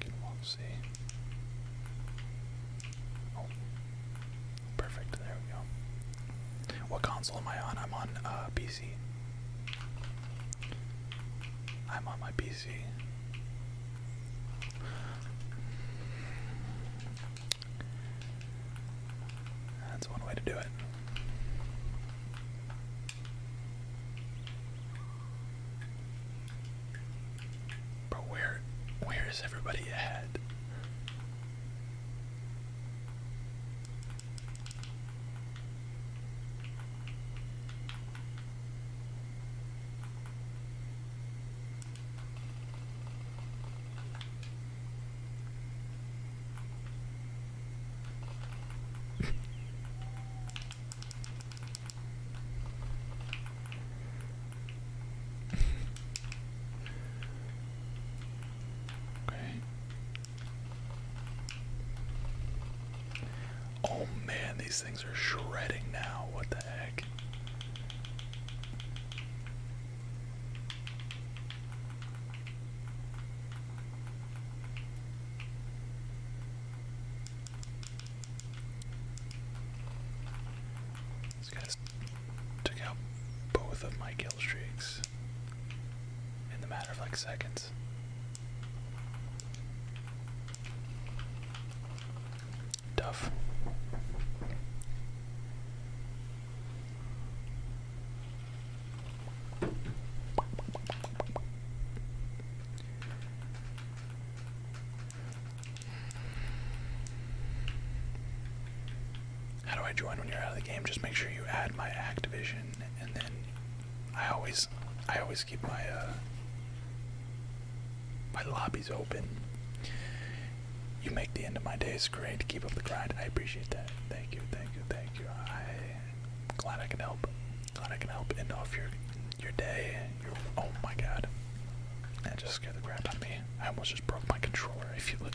Can walk see. Oh. Perfect, there we go. What console am I on? I'm on uh PC. I'm on my PC. That's one way to do it. But where where is everybody at? okay. Oh man, these things are shredding now. What the heck? These guys took out both of my kill streaks in the matter of like seconds. Duff. How do I join when you're out of the game? Just make sure you add my Activision and then I always I always keep my uh, my lobby's open. You make the end of my days great. Keep up the grind. I appreciate that. Thank you, thank you, thank you. I'm glad I can help. Glad I can help end off your your day. Your, oh my god. That just scared the crap out of me. I almost just broke my controller if you look.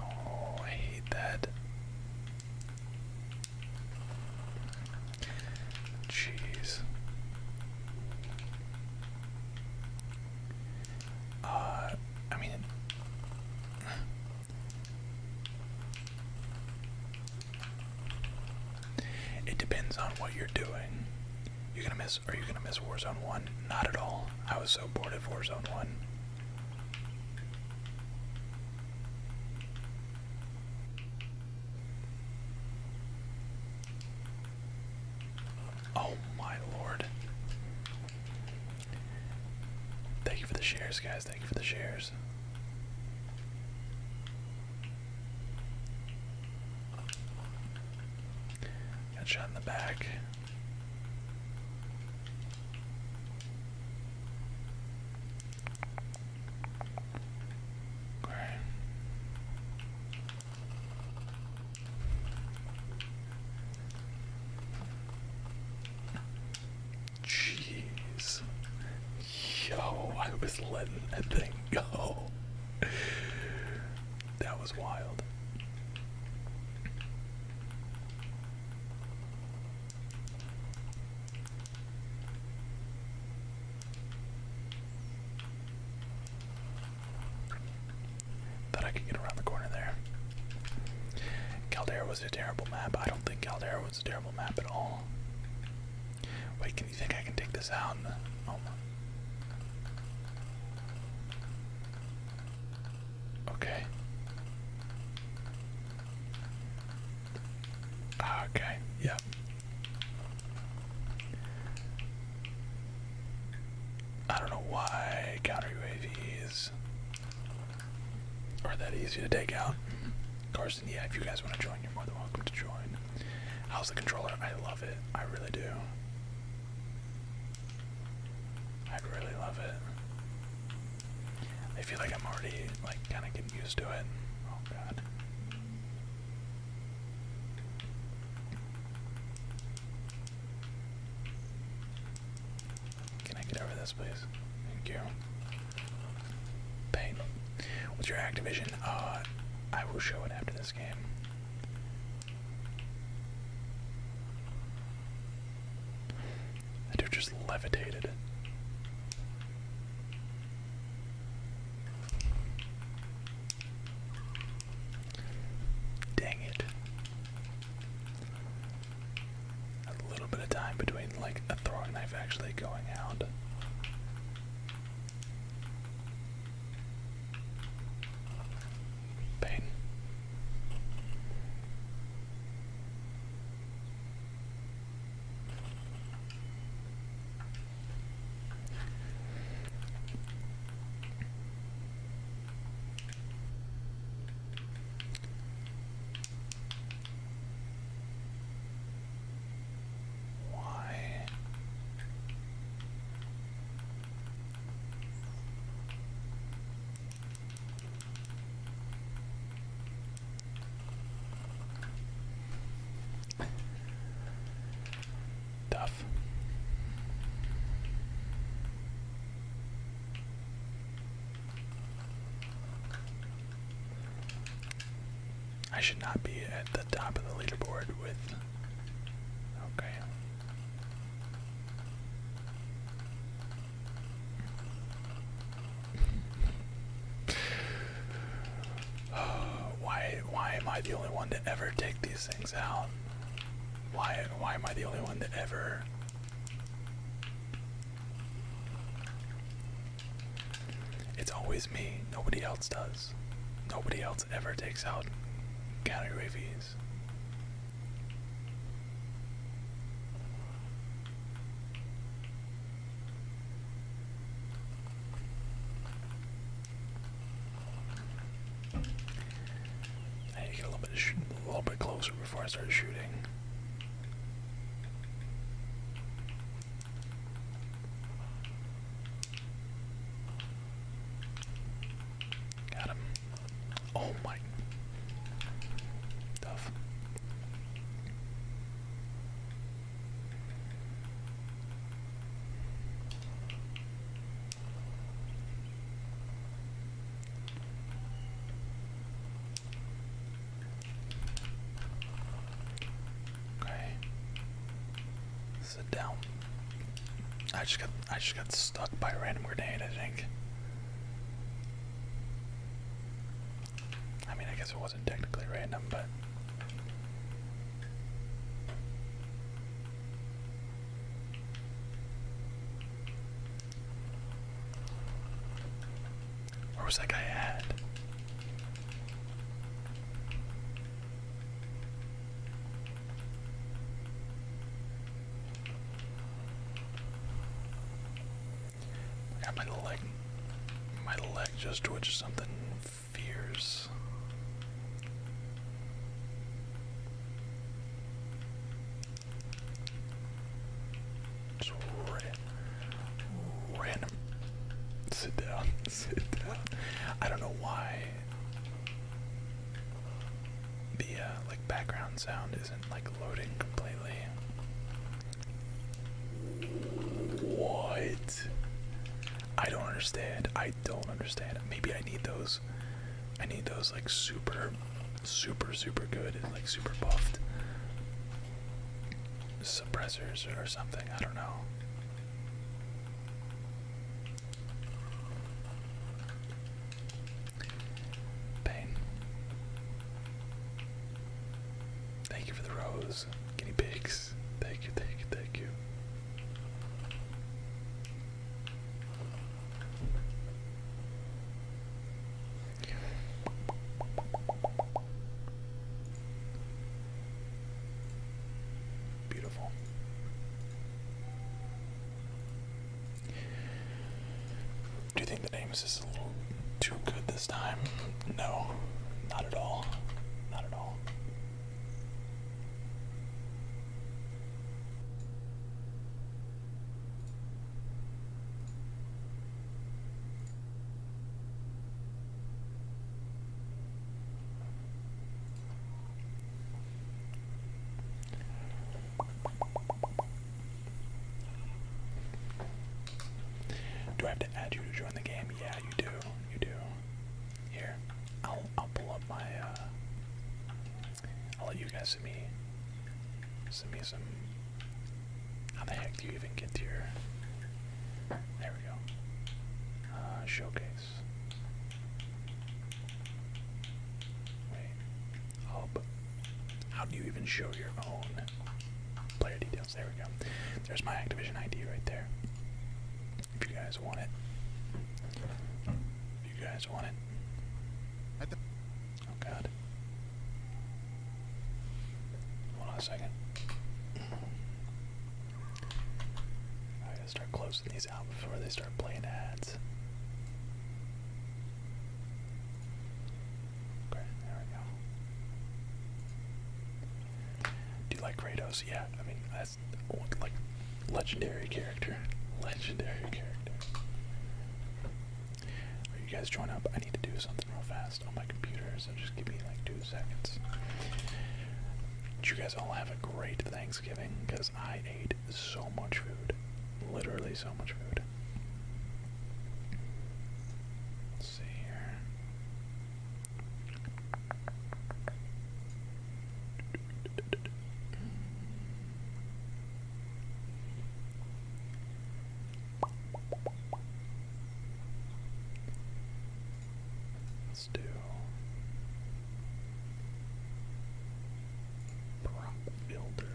Oh, I hate that. Jeez. Uh, I mean, it depends on what you're doing. You're gonna miss. Are you gonna miss Warzone 1? Not at all. I was so bored of Warzone 1. Oh my lord. Thank you for the shares, guys. Thank you for the shares. Got shot in the back. Jeez. Yo, I was letting that thing go. That was wild. Thought I could get around the corner there. Caldera was a terrible map. I don't think Caldera was a terrible map at all. Wait, can you think I can take this out? Okay. Ah, okay, yep. I don't know why counter UAVs are that easy to take out. Carson, yeah, if you guys want to join, you're more than welcome to join. How's the controller? I love it. I really do. I'd really love it. I feel like I'm already like kind of getting used to it. Oh god. Can I get over this, please? Thank you. Pain. What's your Activision? Uh, I will show it after this game. That dude just levitated. Dang it. A little bit of time between like a throwing knife actually going out pain. Why? Tough. I should not be at the top of the leaderboard with. Okay. why why am I the only one to ever take these things out? Why why am I the only one to ever It's always me. Nobody else does. Nobody else ever takes out counter UAVs. I had a little bit, closer before I start shooting. Got him. Oh my. Tough. Okay. Sit down. I just got I just got stuck by random grenade, I think. I mean, I guess it wasn't technically random, but. Where was that guy at? my leg, my leg just twitched something fierce. random. Sit down, sit down. I don't know why the uh, like background sound isn't like loading completely. What? I don't understand. I don't understand. Maybe I need those. I need those like super, super, super good like super buffed suppressors or something. I don't know. Pain. Thank you for the rose. Guinea pigs. Thank you, thank you, thank you. Beautiful. Do you think the names is a little too good this time? No, not at all. Not at all. Do I have to add you to join the game? Yeah, you do. You do. Here, I'll I'll pull up my. Uh, I'll let you guys send me. Send me some. How the heck do you even get to your? There we go. Uh, showcase. Wait. Oh, how do you even show your own player details? There we go. There's my Activision ID right there. If you guys want it. If you guys want it. Oh god. Hold on a second. I gotta start closing these out before they start playing ads. Do you like Kratos? Yeah, I mean that's like legendary character. Legendary character. Are you guys join up? I need to do something real fast on my computer, so just give me like two seconds. you guys all have a great Thanksgiving because I ate so much food. Literally so much food. Let's see here. Let's do builder.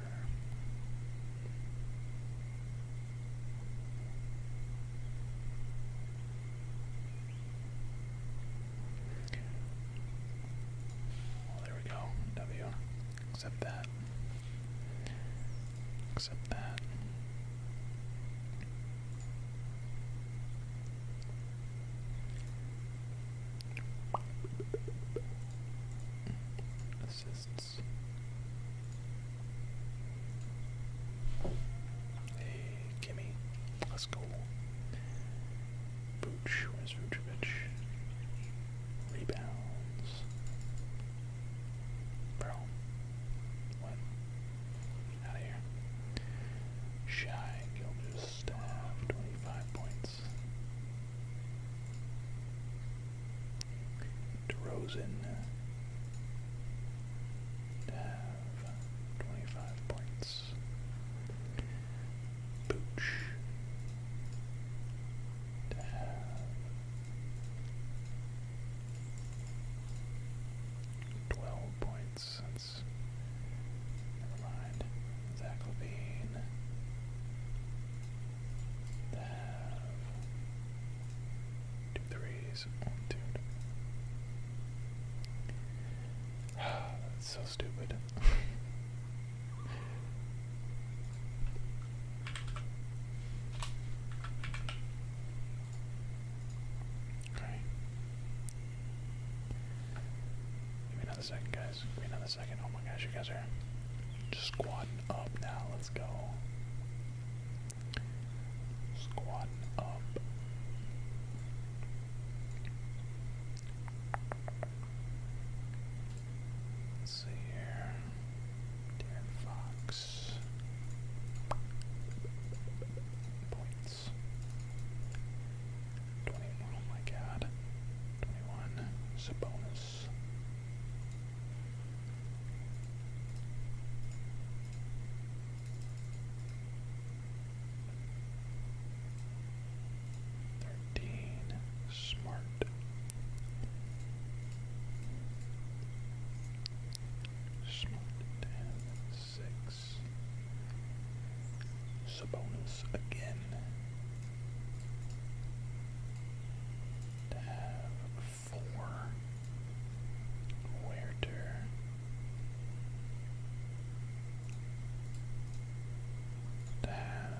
there we go. W. Accept that. Accept that. Assist minutes. Hey, Kimmy, let's go. Booch, Vucevic? Rebounds. Bro. What? Out of here. Shy Gilbert staff, 25.9. DeRozan uh, have 25 points. Booch have 12 points. That's, never mind. Zach Levine two threes, one, two. That's so stupid. Give me another second, guys second. Oh my gosh, you guys are just squatting up now. Let's go. Squatting up. Let's see here. Darren Fox. Points. 21, oh my god. 21. Sabonis this. Thirteen smart. Smart six. Sabonis again to have four Werder. To have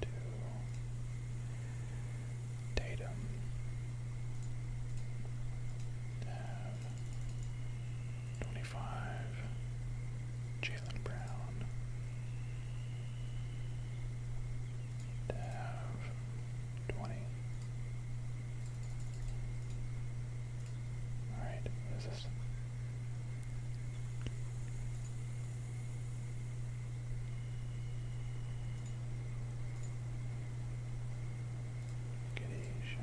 two Tatum. To have twenty-five. Jalen Brown. They have 20. Alright, what is this? Giddy, Shy,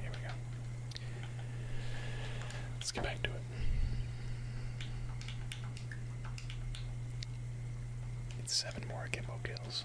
here we go. Let's get back to it. It's seven more Akimbo kills.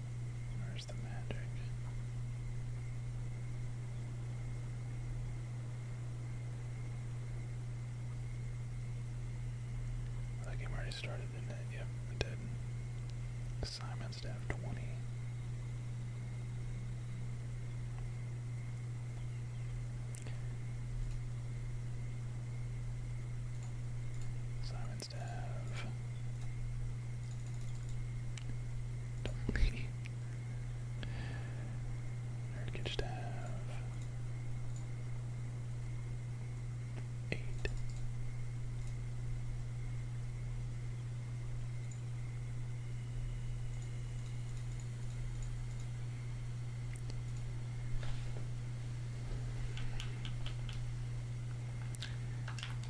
Where's the magic? game already started, didn't it? Yep, it did. Simon's to have 20. Simon wants to have donkey. Nerd gets to have eight.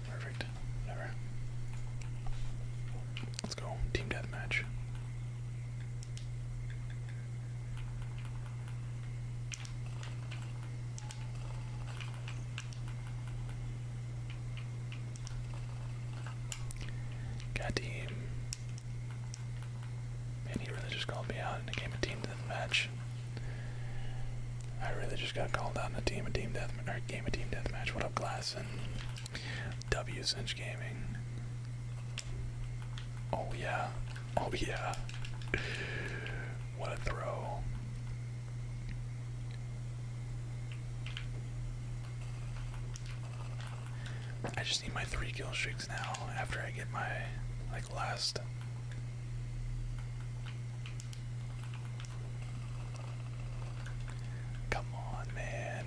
Perfect. Whatever. Let's go. Team deathmatch. God team. Man, he really just called me out in a game of team deathmatch. I really just got called out in a team, of team death, game, of team deathmatch. What up, Glass and W Cinch Gaming? Oh yeah, oh yeah. What a throw! I just need my three kill streaks now. After I get my like last Come on, man.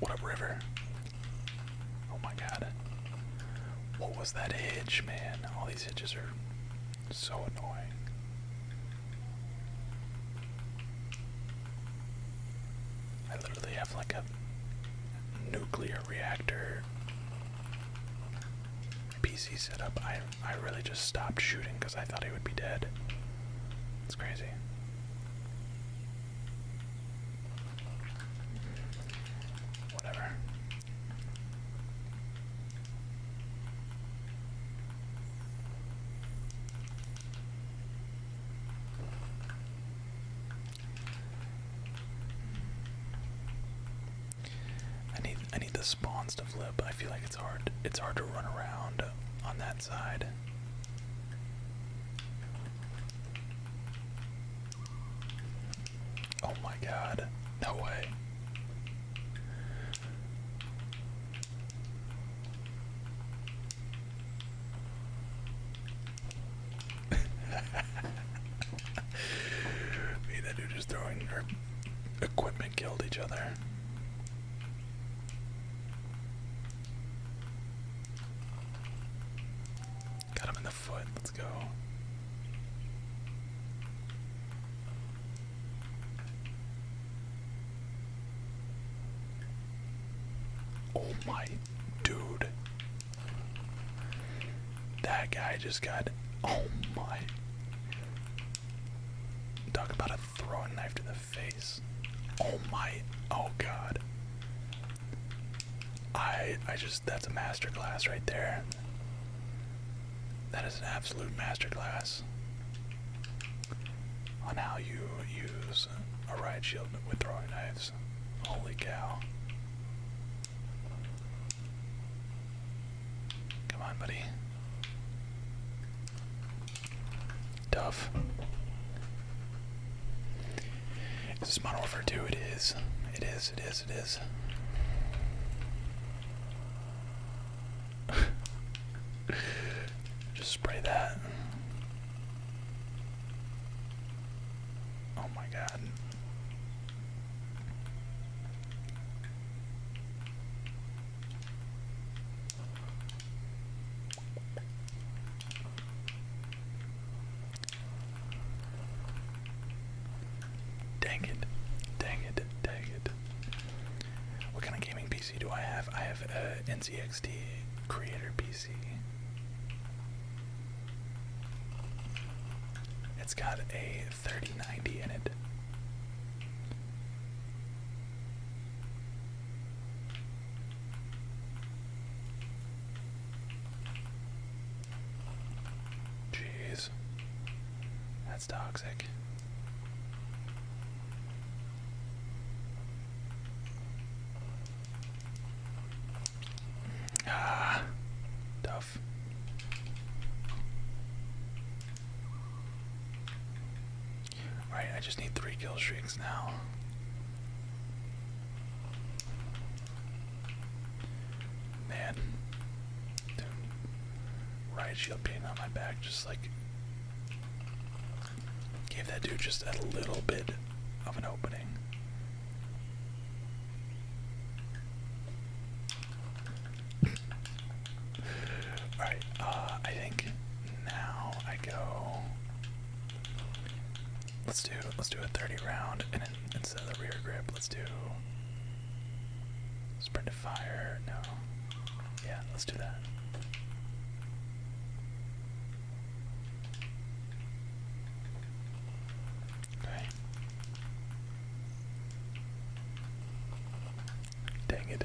What up, River? Oh my god. What was that hitch, man? All these hitches are so annoying. I literally have like a nuclear reactor PC setup. I I really just stopped shooting because I thought he would be dead. It's crazy. Whatever. I need I need the spawns to flip. I feel like it's hard it's hard to run around on that side. Oh my god. No way. Me that dude is throwing their equipment killed each other. Got him in the foot. Let's go. Oh my dude. That guy just got oh my Talk about a throwing knife to the face. Oh my oh god. I I just that's a masterclass right there. That is an absolute masterclass on how you use a riot shield with throwing knives. Holy cow. Come on, buddy. Tough. Is this Modern 2? It is. It is, it is, it is. Just spray that. Oh my god. Dang it, dang it, dang it. What kind of gaming PC do I have? I have a NCXT creator PC. It's got a 3090 in it. Jeez. That's toxic. Ah, tough. Right, I just need three kill streaks now. Man, riot shield paint on my back just like gave that dude just a little bit of an opening. Alright, uh, I think now I go. Let's do let's do a 30 round and instead of the rear grip, let's do sprint fire? No. Yeah, let's do that. Okay. Dang it.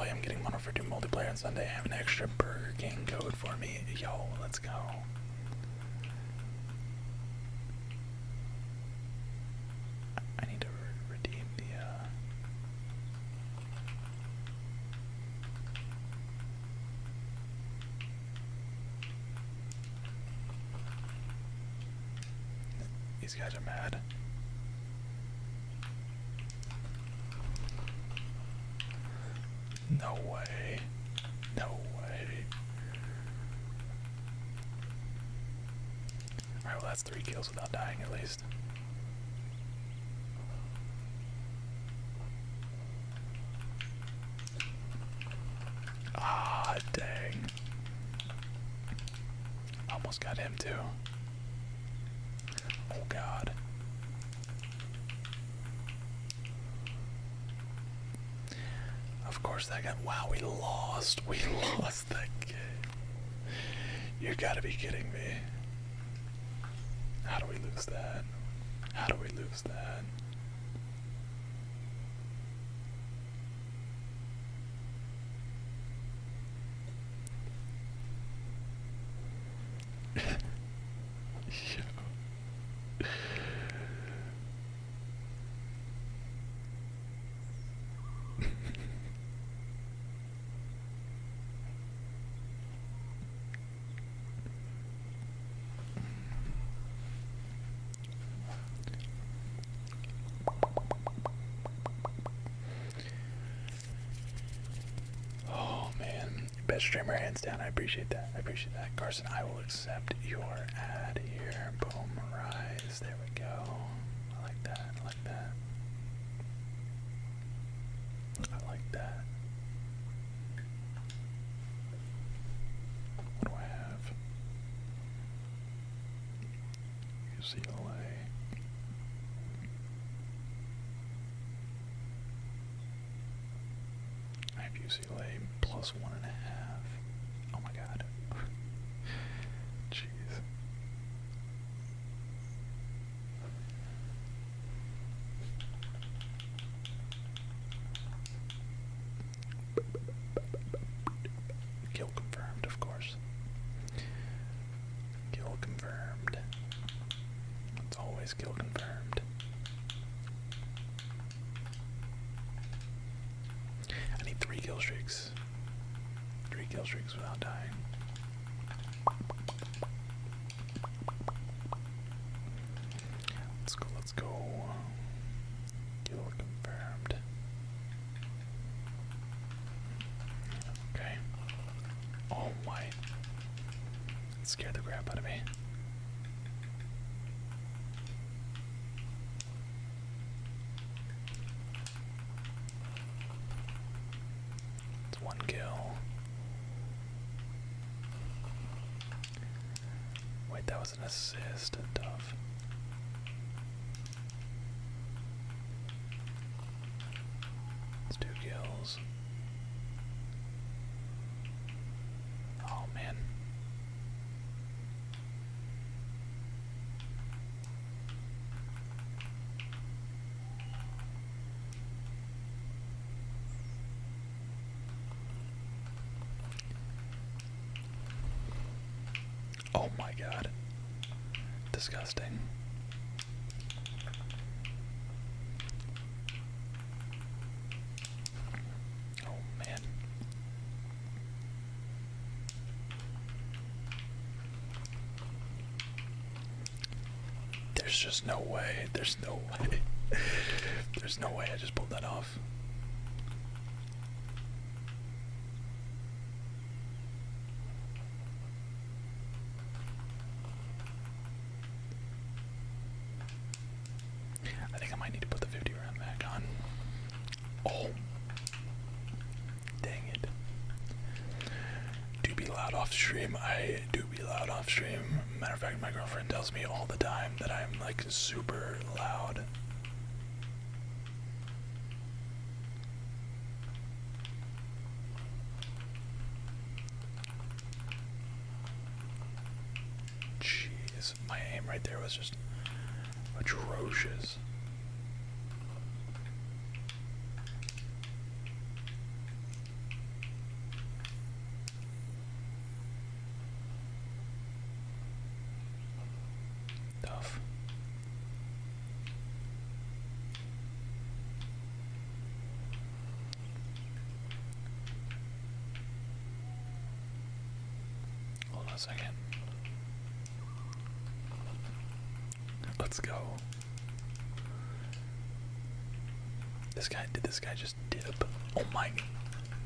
I'm getting mono for two multiplayer on Sunday. I have an extra Burger King code for me. Yo, let's go. I need to redeem the. Uh, these guys are mad. No way. No way. Alright, well, three kills without dying at least. Ah, dang. Almost got him too. Oh god. Of course that got wow, we lost. We lost you gotta be kidding me. How do we lose that? How do we lose that? oh man, best streamer hands down. I appreciate that. I appreciate that, Carson. I will accept your ad here. Boom, rise. There we go. I like that. I like that. What do I have? UCLA. I have UCLA plus one and a half. Oh my god. Jeez. Kill confirmed, of course. Kill confirmed. It's always kill confirmed. I need three kill streaks. Three kill streaks without dying. Let's go, let's go. Kill confirmed. Okay. Oh my. scared the crap out of me. It's one kill. Wait, that was an assist. Tough. It's two kills. Oh man. Oh, my God, disgusting. Oh, man. There's just no way. There's no way. There's no way I just pulled that off. I think I might need to put the 50 round back on. Oh. Dang it. Do be loud off stream. I do be loud off stream. Matter of fact, my girlfriend tells me all the time that I'm like super loud. Jeez, my aim right there was just atrocious this. Tough. Hold on a second. Let's go. This guy did this guy just dip. Oh my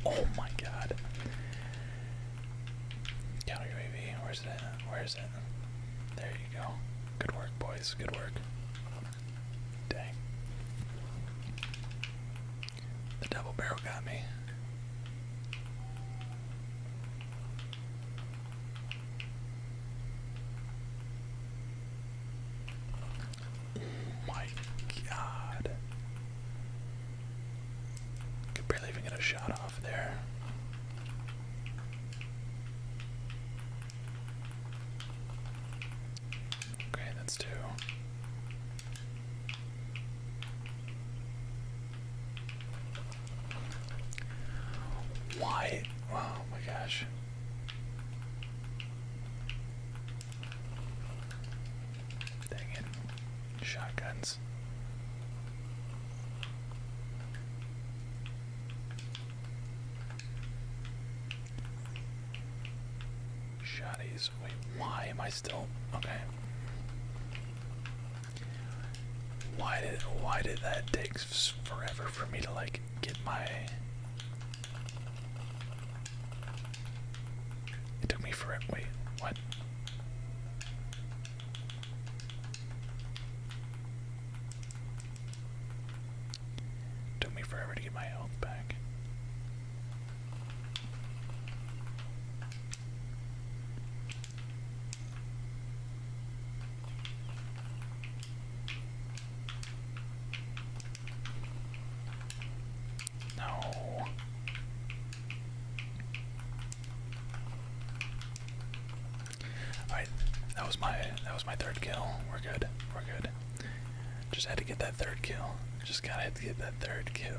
Oh my god. Counter UAV, where's it? Where is it? There you go. Good work, boys. Good work. Dang. The double barrel got me. Oh my god. Could barely even get a shot off there. Okay, that's two. Why? Oh my gosh. Dang it. Shotguns. Shotties. Wait, why am I still. Okay. Why did why did that take forever for me to like get my? It took me forever. Wait, what? took me forever to get my health back. No. Alright, that was my that was my third kill. We're good. We're good. Just had to get that third kill. Just gotta have to get that third kill.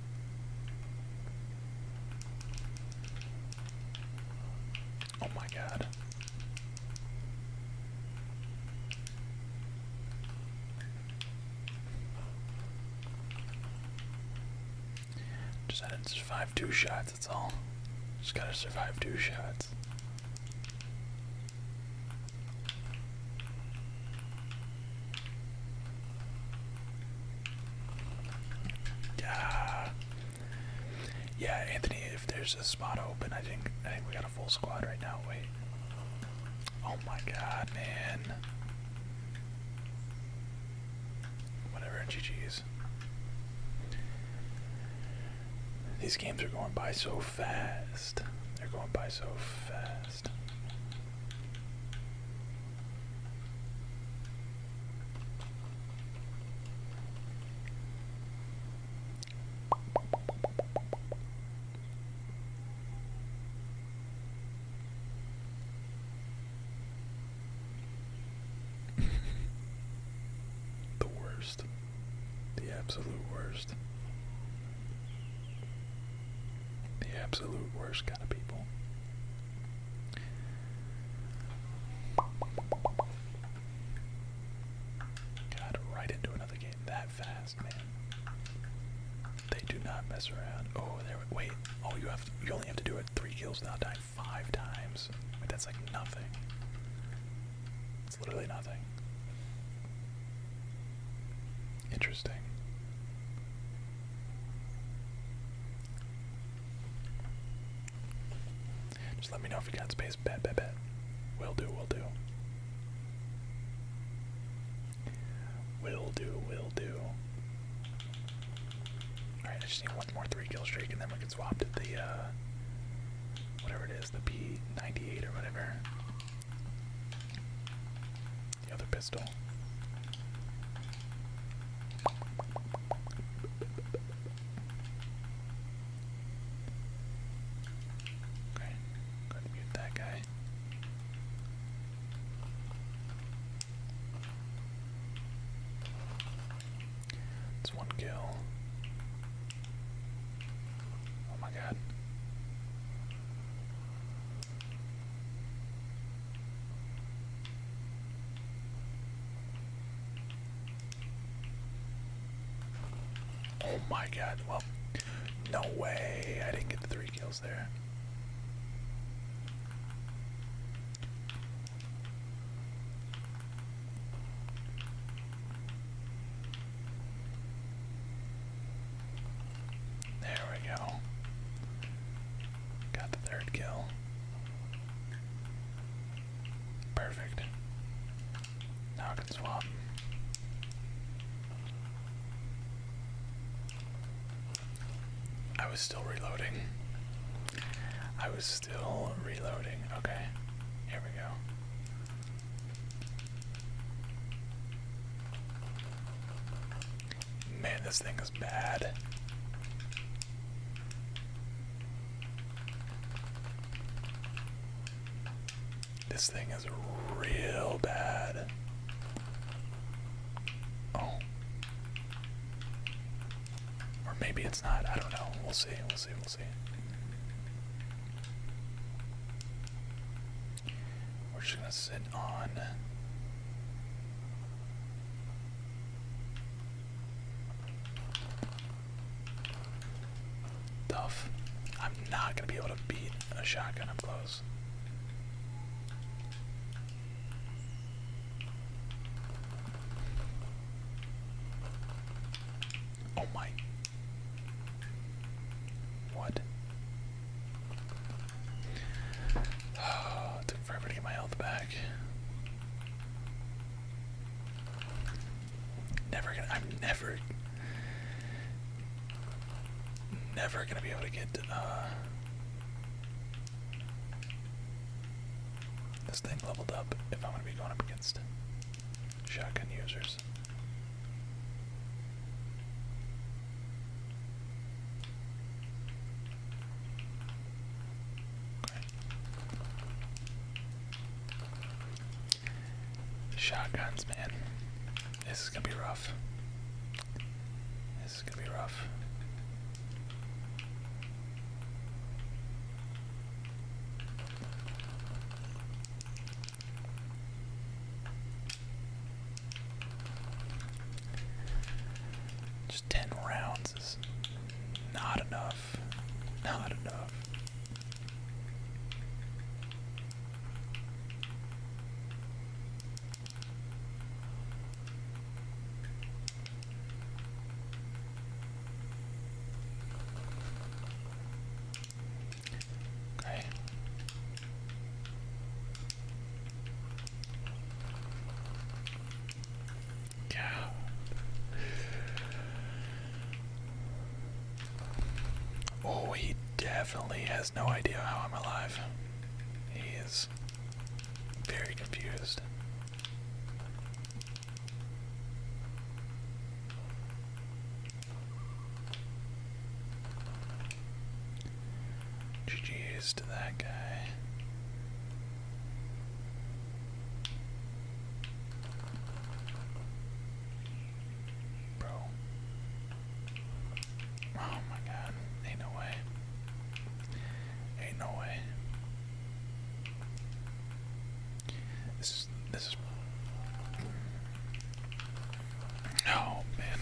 Oh my god. Just had to survive two shots, that's all. Just gotta survive two shots. Yeah. Uh, yeah, Anthony, if there's a spot open, I think I think we got a full squad right now. Wait. Oh my god, man. Whatever, GG's. These games are going by so fast. They're going by so fast. the worst. The absolute worst. The absolute worst kind of people. Got right into another game that fast, man. They do not mess around. Oh, there. wait. Oh, you have. To, you only have to do it three kills now. Die five times. But that's like nothing. It's literally nothing. Interesting. Just let me know if you got space. Bet, bet, bet. Will do, will do. Will do, will do. Alright, I just need one more three kill streak and then we can swap to the, uh, whatever it is, the P98 or whatever. The other pistol. Okay, mute that guy. It's one kill. Oh my god. Oh my god, well, no way. I didn't get the three kills there. There we go. Got the third kill. Perfect. Now I can swap. I was still reloading. I was still reloading. Okay, here we go. Man, this thing is bad. This thing is real bad. Oh. Or maybe it's not. I don't know. We'll see. We'll see. We'll see. We're just going to sit on. Tough. I'm not going to be able to beat a shotgun up close. Oh my. What? forever to get my health back. Never gonna. I'm never. Never gonna be able to get uh, this thing leveled up if I'm gonna be going up against shotgun users. Shotguns, man. This is gonna be rough. This is gonna be rough. 10 rounds is not enough. Not enough. Okay. Yeah. Oh, he definitely has no idea how I'm alive. He is very confused. GG's to that guy. Bro. Oh my god. Ain't no way. Ain't no way. This is this is Oh man.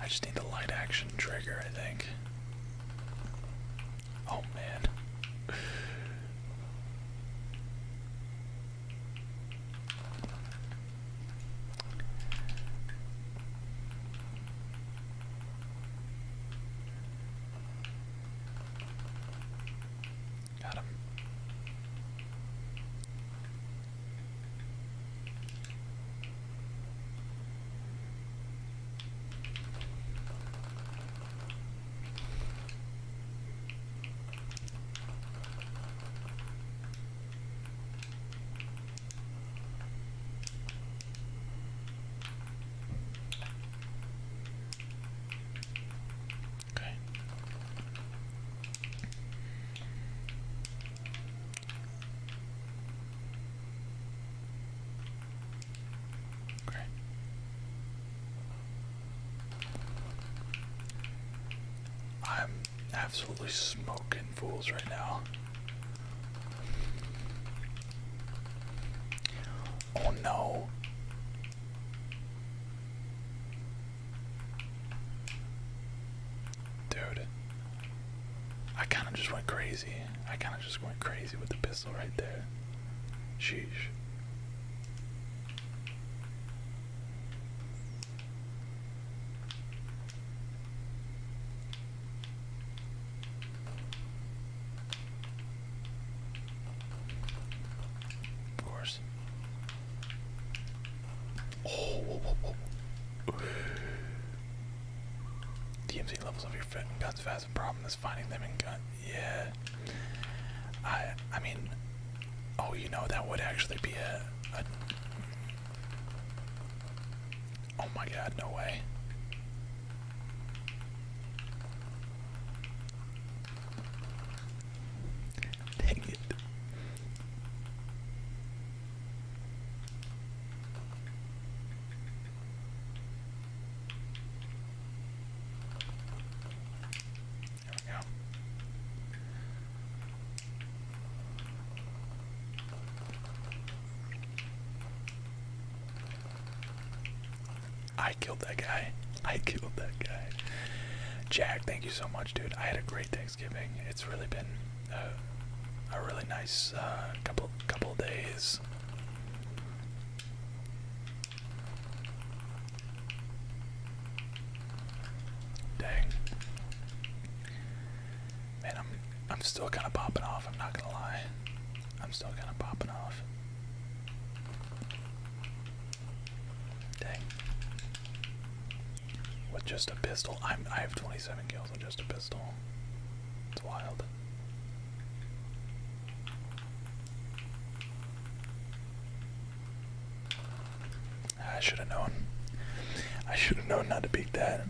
I just need the light action trigger, I think. Oh man. Got him. Okay. Okay. I'm absolutely smoking fools right now. Oh no. Dude, I kind of just went crazy. I kind of just went crazy with the pistol right there. Sheesh. Of course. Oh. DMZ levels of your fit guns fast. problem is finding them in gun. Yeah. I. I mean. Oh, you know that would actually be a oh my God! No way. Dang it. There we go. I killed that guy. I killed that guy. Jack, thank you so much, dude. I had a great Thanksgiving. It's really been a, really nice uh, couple couple days. Dang. Man, I'm I'm still kind of popping off. I'm not gonna lie. I'm still kind of popping off. Dang. With just a pistol. I'm I have 27 kills with just a pistol. It's wild. I should have known. I should have known not to beat that.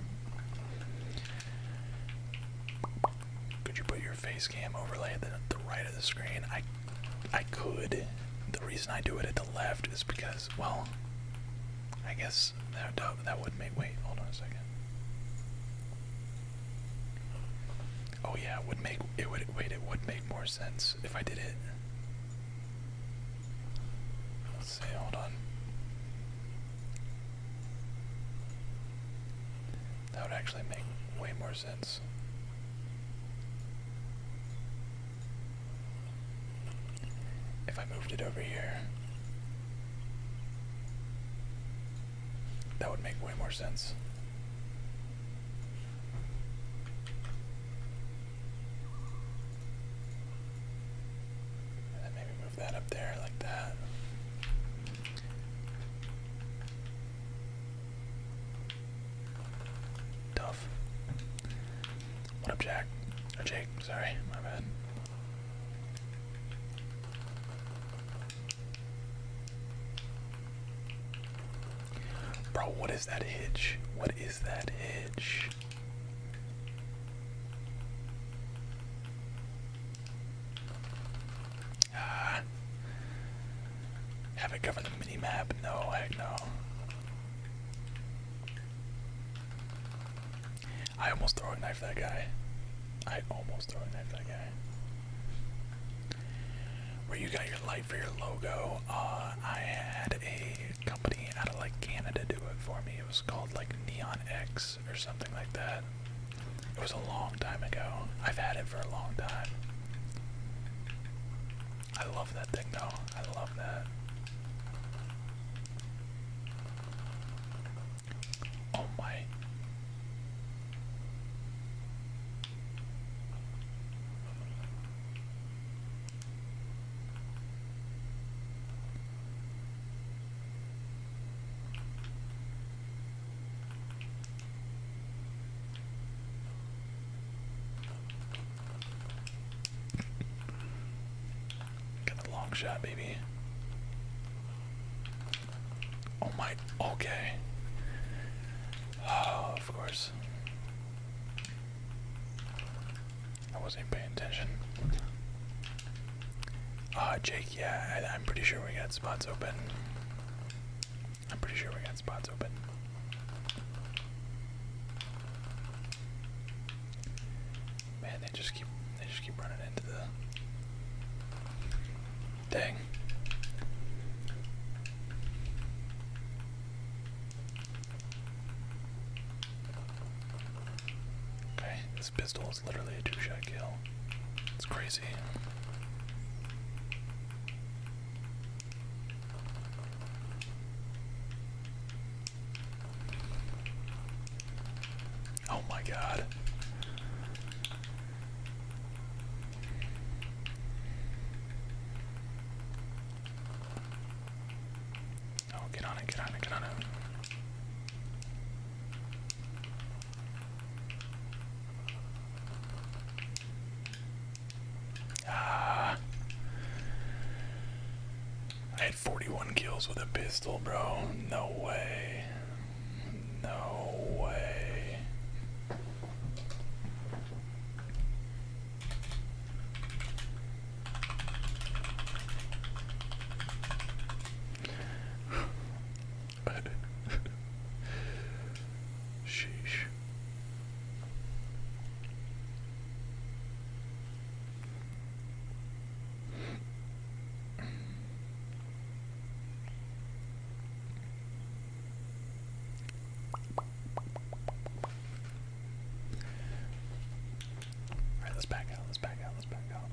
Could you put your face cam overlay the, right of the screen? I could. The reason I do it at the left is because, well, I guess that, that would make. Wait, hold on a second. Oh yeah, it would make it would wait. It would make more sense if I did it. Let's see. Hold on. That would actually make way more sense. If I moved it over here, that would make way more sense. And then maybe move that up there like that. Tough. What up, Jack? Or oh, Jake, sorry, my bad. Bro, what is that edge? What is that hitch? Ah. Have it cover the mini-map? No, no. I almost throw a knife that guy. I almost throw a knife that guy. Where you got your light for your logo, uh, I had a company out of like Canada do it for me. It was called like Neon X or something like that. It was a long time ago. I've had it for a long time. I love that thing though. I love that. Oh my. Got the long shot, baby. Oh my, okay. Oh, of course. I wasn't paying attention. Uh, Jake, yeah, I'm pretty sure we got spots open. I'm pretty sure we got spots open. Man, they just keep they just keep running into the Dang. Okay, this pistol is literally a two-shot kill. It's crazy. Oh my god. Oh, get on it, get on it, get on it. Ah. I had 41 kills with a pistol, bro. No way. No way. Sheesh. Alright, let's back out, let's back out, let's back out.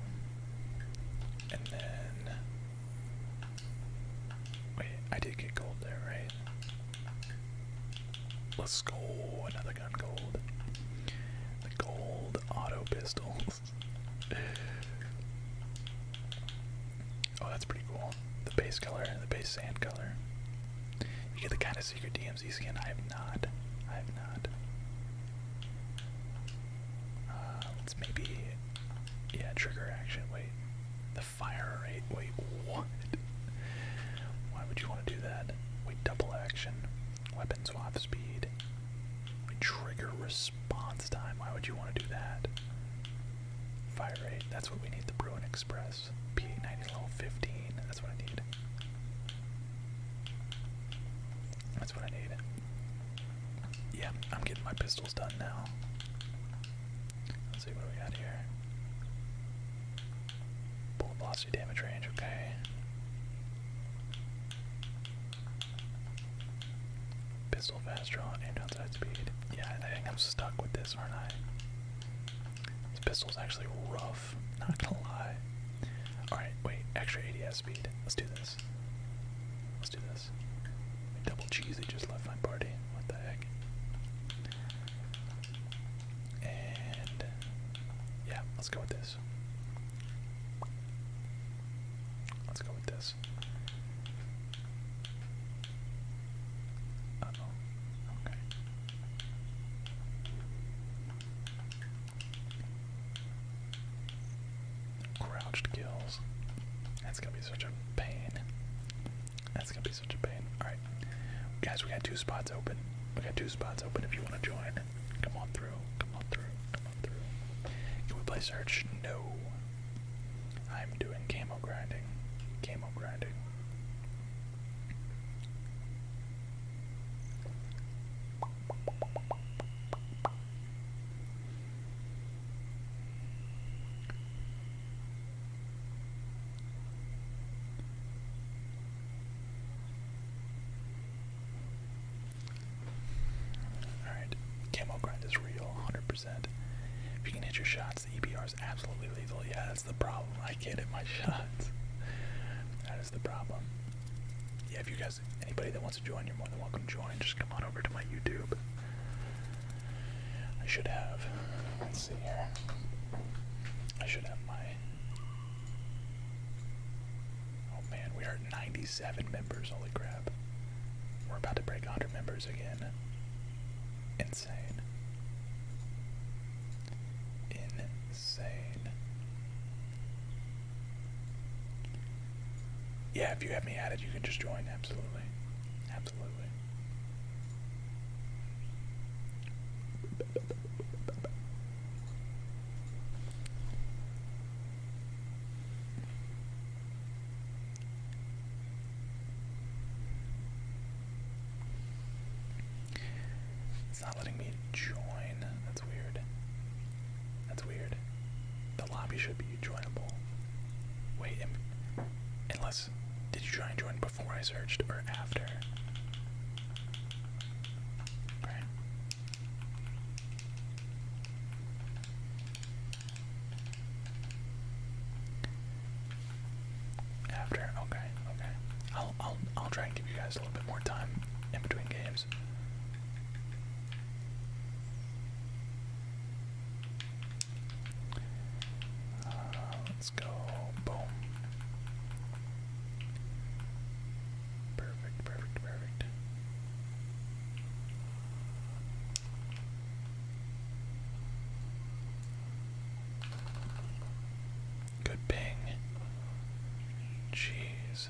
And then. Wait, I did get gold there, right? Let's go. Another gun gold. The gold auto pistols. oh, that's pretty cool. The base color, the base sand color. You get the kind of secret DMZ skin. I have not. I have not. Uh, let's maybe. Yeah, trigger action. Wait. The fire rate. Wait, what? Why would you want to do that? We double action, weapon swap speed, we trigger response time. Why would you want to do that? Fire rate, that's what we need. The Bruin Express, P890 level 15, that's what I need. That's what I need. Yeah, I'm getting my pistols done now. Let's see what we got here. Bullet velocity damage range, okay. Pistol fast draw, and downside speed. Yeah, I think I'm stuck with this, aren't I? This pistol's actually rough, not gonna lie. Alright, wait, extra ADS speed. Let's do this. Let's do this. Double They just left my party. What the heck? And yeah, let's go with this. Let's go with this. Okay. Crouched kills. That's gonna be such a pain. That's gonna be such a pain. Alright. Guys, we got two spots open. We got two spots open if you want to join. Come on through. Come on through. Come on through. Can we play search? No. I'm doing camo grinding. Camo grinding. Alright, camo grind is real, 100%. If you can hit your shots, the EBR is absolutely lethal. Yeah, that's the problem. I can't hit my shots. That is the problem. Yeah, if you guys, anybody that wants to join, you're more than welcome to join. Just come on over to my YouTube. I should have, let's see here. I should have my Oh man, we are at 97 members, holy crap. We're about to break 100 members again. Insane. Insane. Yeah, if you have me added, you can just join, absolutely. Absolutely. It's not letting me join. That's weird. That's weird. The lobby should be joinable. Wait, unless. Did you try and join before? before I searched or after. After, okay, okay. I'll I'll I'll try and give you guys a little bit more time in between games. Uh, let's go. Boom. Perfect, perfect, perfect. Good ping. Jeez.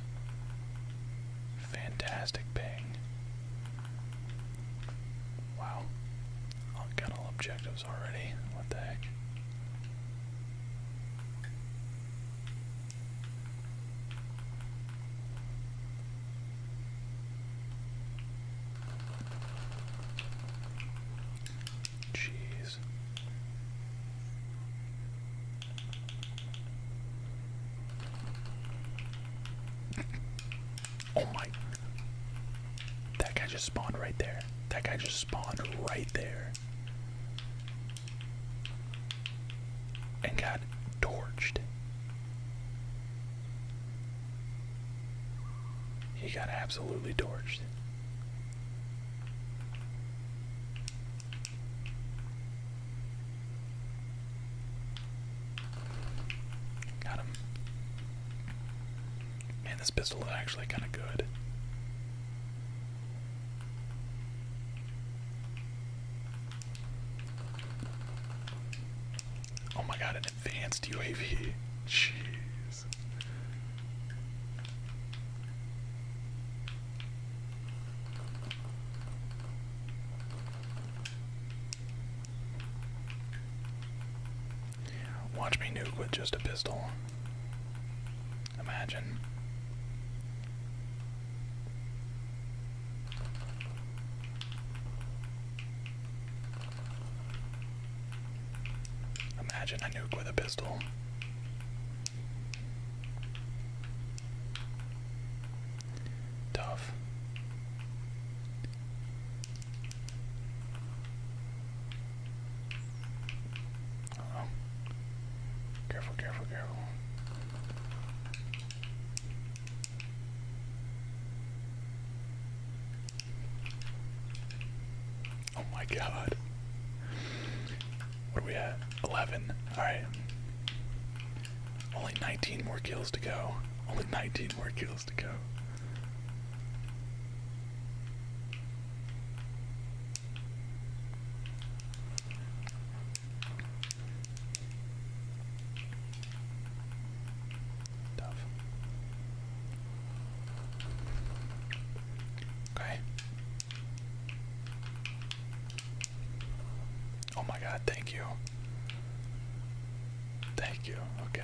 Fantastic ping. Wow. On gunnel objective already. What the heck? Jeez. Oh my. That guy just spawned right there. That guy just spawned right there and got torched. He got absolutely torched. Got him. Man, this pistol is actually kind of good. Oh my god, an advanced UAV. Jeez. Watch me nuke with just a pistol. Imagine. Imagine a nuke with a pistol. Tough oh. Careful, careful, careful. Oh my god. What are we at? 11. Alright. Only 19 more kills to go. Only 19 more kills to go. Okay. Oh my god, thank you. Thank you. Okay.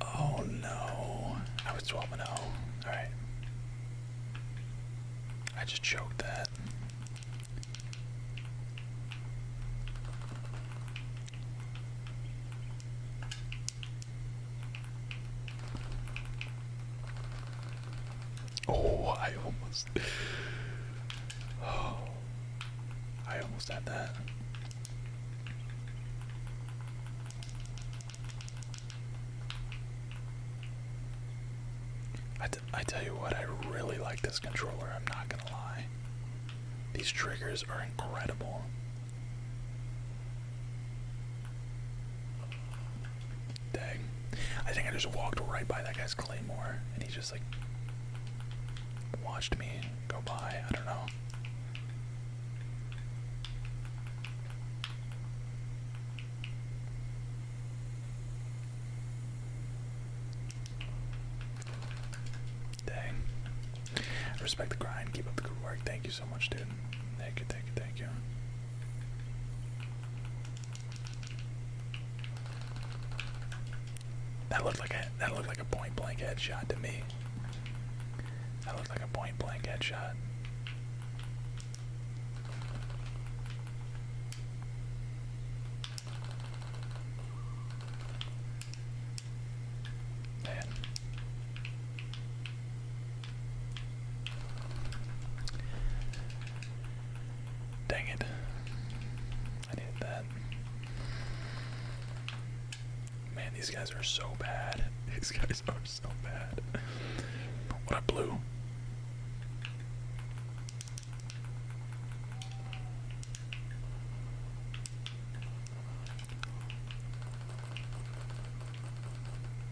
Oh no. I was 12 and 0. Alright. I just choked that. Oh, I almost. Oh, I almost had that. I tell you what, I really like this controller, I'm not gonna lie. These triggers are incredible. Dang. I think I just walked right by that guy's claymore and he just like watched me go by. I don't know. Dang. I respect the grind. Keep up the good work. Thank you so much, dude. Thank you, thank you, thank you. That looked like a that looked like a point blank headshot to me. That looked like a point blank headshot. Man. Dang it. I needed that. Man, these guys are so bad. These guys are so bad. What a blue.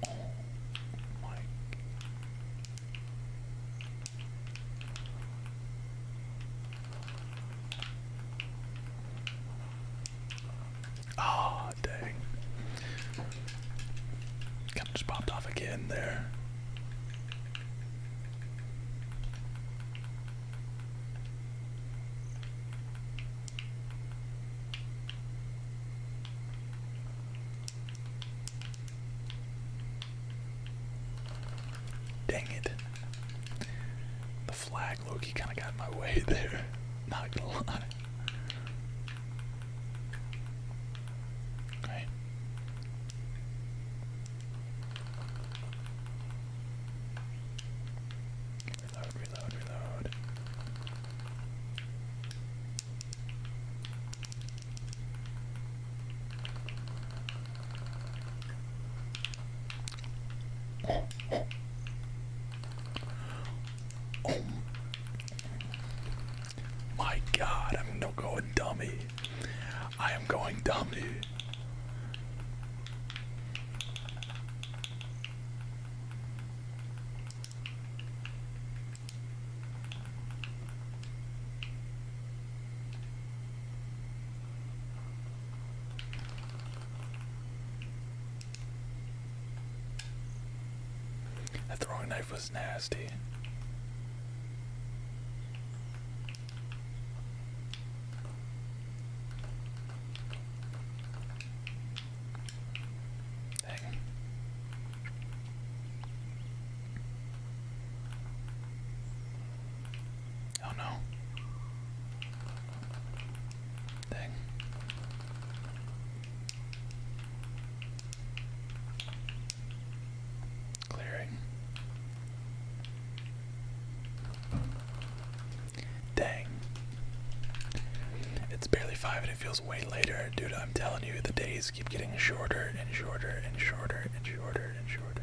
Oh my. Oh, dang. Kind of just popped off again there. Dang it. The flag flag Loki kind of got my way there. Not gonna lie. Reload, reload, reload. Oh my god, I'm no going dummy. I am going dummy. That throwing knife was nasty. Oh no. Clearing. Dang. It's barely five and it feels way later. Dude, I'm telling you, the days keep getting shorter and shorter and shorter and shorter and shorter.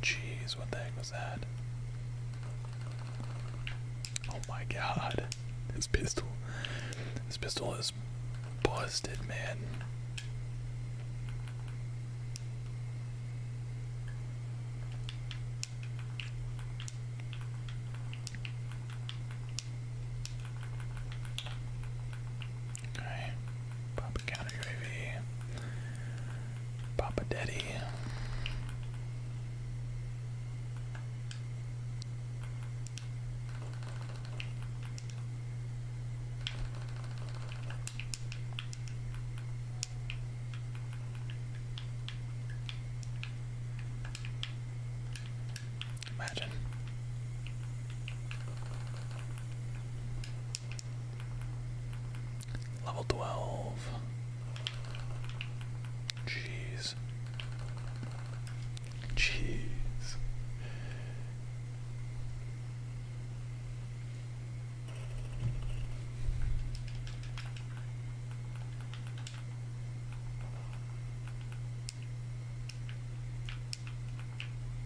Jeez, what the heck was that? Oh my god. This pistol. This pistol is busted, man. Okay. Papa counter Papa Daddy. Imagine. Level 12. Jeez. Jeez.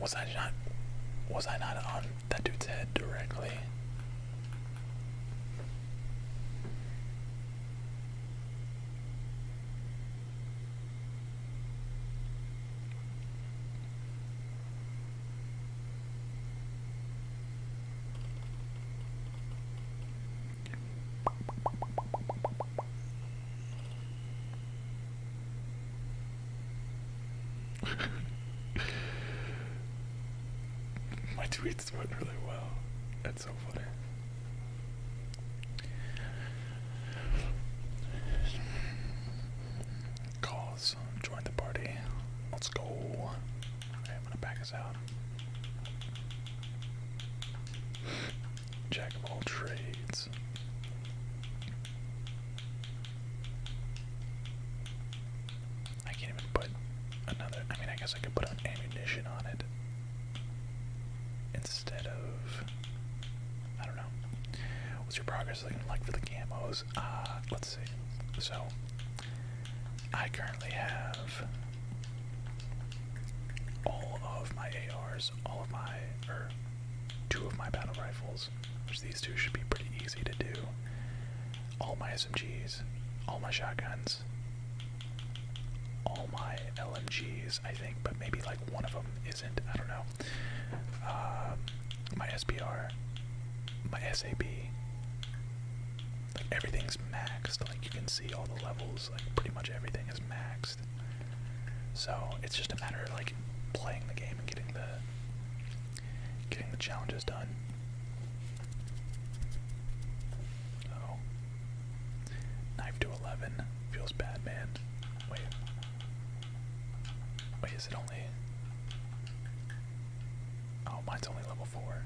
Was I not? Was I not on that dude's head directly? My tweets went really well. That's so funny. Calls, join the party. Let's go. I'm gonna back us out. Jack of all trades. I can't even put another. I mean, I guess I could put an ammunition on it instead of. I don't know. What's your progress looking like for the camos? Uh, let's see. So, I currently have all of my ARs, all of my, or two of my battle rifles, which these two should be pretty easy to do, all my SMGs, all my shotguns, all my LMGs, I think, but maybe like one of them isn't, I don't know. Um, my SPR, my SAB, everything's maxed, like you can see all the levels, like pretty much everything is maxed. So it's just a matter of like playing the game and getting the getting the challenges done. Oh. Knife to eleven. Feels bad, man. Wait. Wait, is it only Oh, mine's only level four.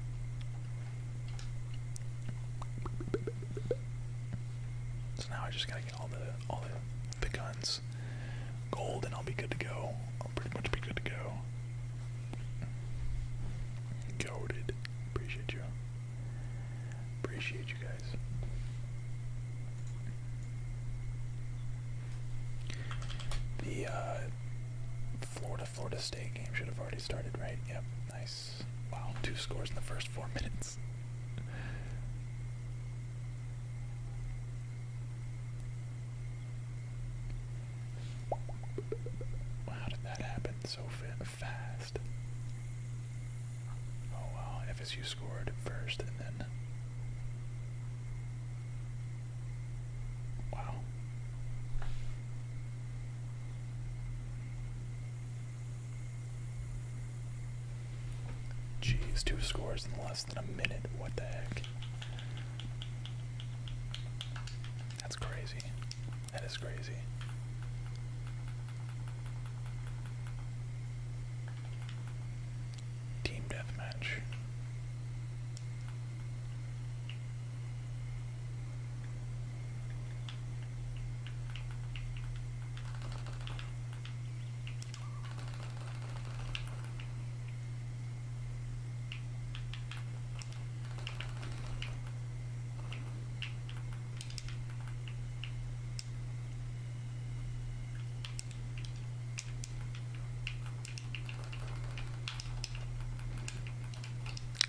So now I just gotta get all the all the, the guns gold, and I'll be good to go. I'll pretty much be good to go. Goaded. Appreciate you. Appreciate you guys. The uh, Florida Florida State game should have already started, right? Yep, nice. Wow, two scores in the first four minutes. How did that happen so fast? Oh wow, FSU scored first and then. Wow. Jeez, two scores in less than a minute. What the heck? That's crazy. That is crazy. Team deathmatch.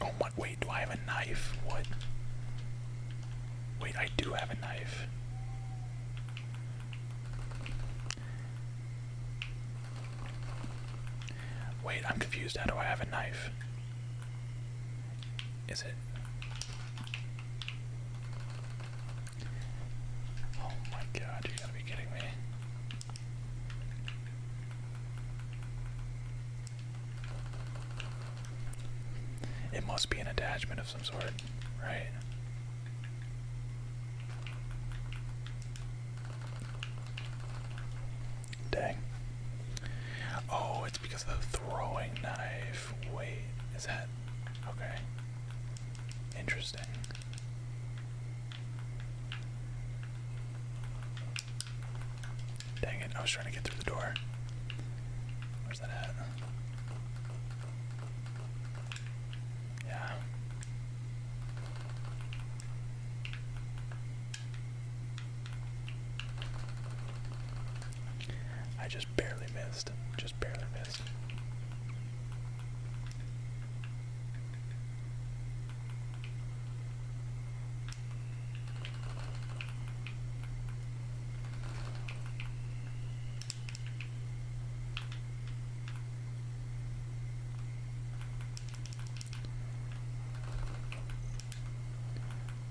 Oh my, wait, do I have a knife? What? Wait, I do have a knife. Wait, I'm confused. How do I have a knife? Is it? Oh my god, you gotta be kidding me. It must be an attachment of some sort, right? Dang. Oh, it's because of the throwing knife. Wait, is that. Okay. Interesting. Dang it, I was trying to get through the door. Yeah. I just barely missed. Just barely missed.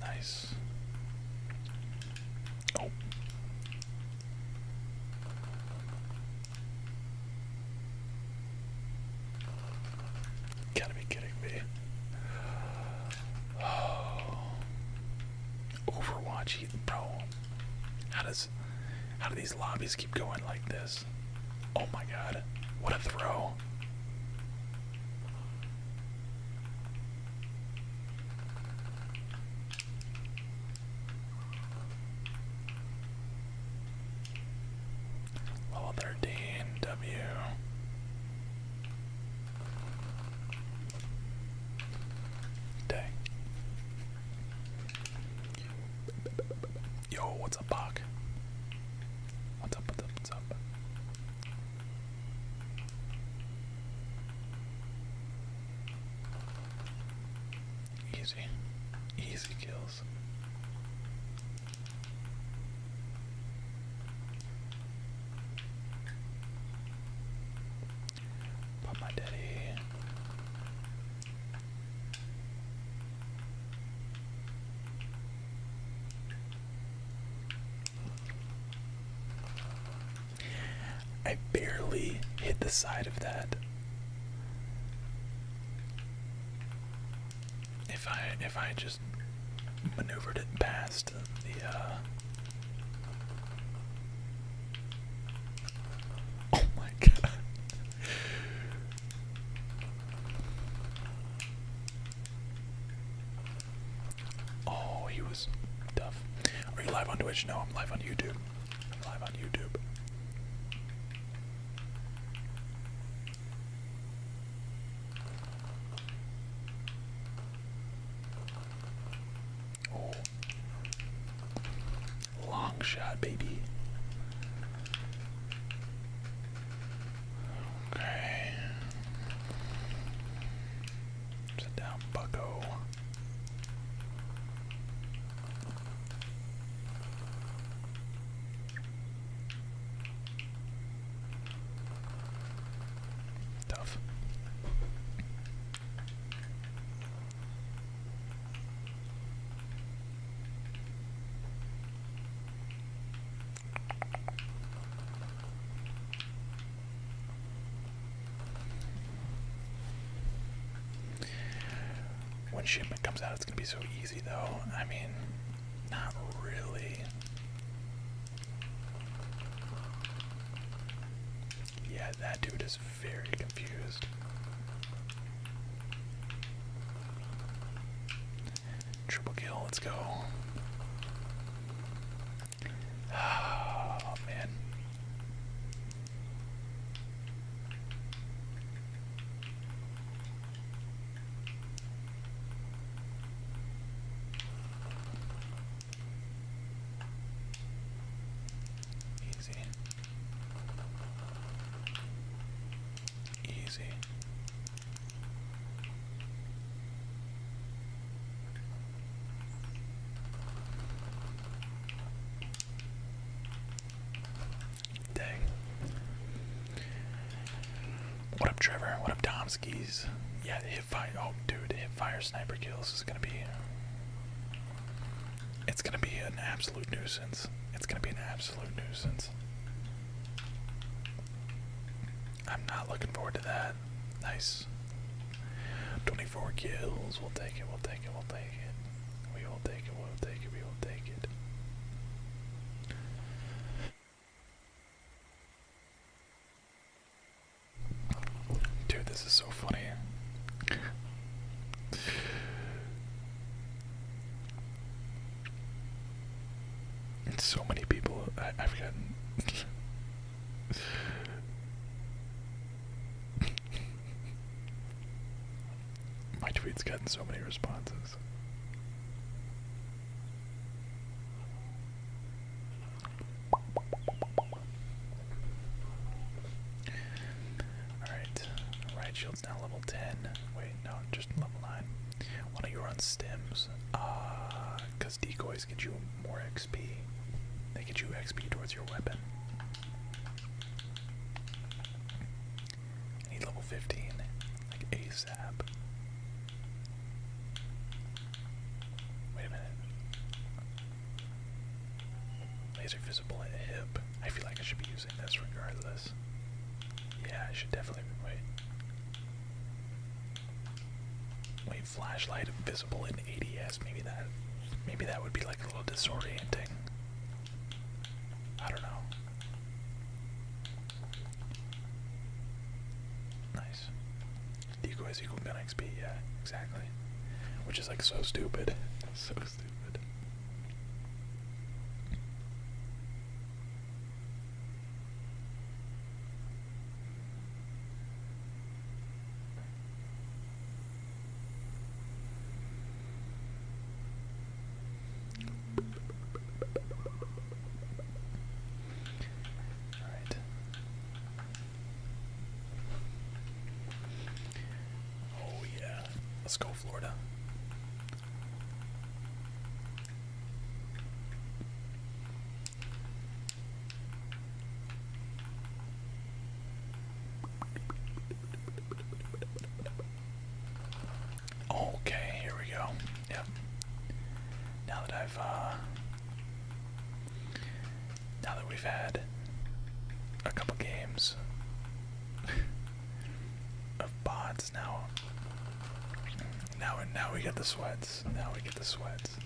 Nice. Oh. Gotta be kidding me. Oh. Overwatch, bro. How does how do these lobbies keep going like this? Oh my god. What a throw. Level 13, W. Dang. Yo, what's up, Bach? What's up, what's up, what's up? Easy. Easy kills. But my daddy. I barely hit the side of that. If I if I just maneuvered it past the uh, Oh my god. Oh, he was tough. Are you live on Twitch? No, I'm live on YouTube. I'm live on YouTube. Long shot, baby. Okay. Sit down, bucko. Tough. When shipment comes out, it's gonna be so easy, though. I mean, not really. Yeah, that dude is very confused. Triple kill, let's go. Oh, man. Easy. Easy. Dang. What up, Trevor? What up, Domskis? Yeah, Oh, dude, hit fire sniper kills is gonna be. It's gonna be an absolute nuisance. It's gonna be an absolute nuisance. I'm not looking forward to that. Nice. 24 kills. We'll take it. We'll take it. We'll take it. We will take it. We'll take it. We will take it. Dude, this is so funny. so many people I, have gotten. My tweet's gotten so many responses. Alright, uh, right shield's now level 10. Wait, no, just level 9. Why don't you run stems? Ah, uh, because decoys get you more XP. They get you XP towards your weapon. need level 15, like ASAP. Wait a minute. Laser visible at hip. I feel like I should be using this regardless. Yeah, I should definitely wait. Wait, flashlight visible in ADS. Maybe that, maybe that would be like a little disorienting. I don't know. Nice decoy is equal to min yeah, exactly. Which is like so stupid. so stupid. All right. Oh, yeah. Let's go, Florida. Okay, here we go. Yep. Now that I've uh, now that we've had a couple games of bots now now now we get the sweats now we get the sweats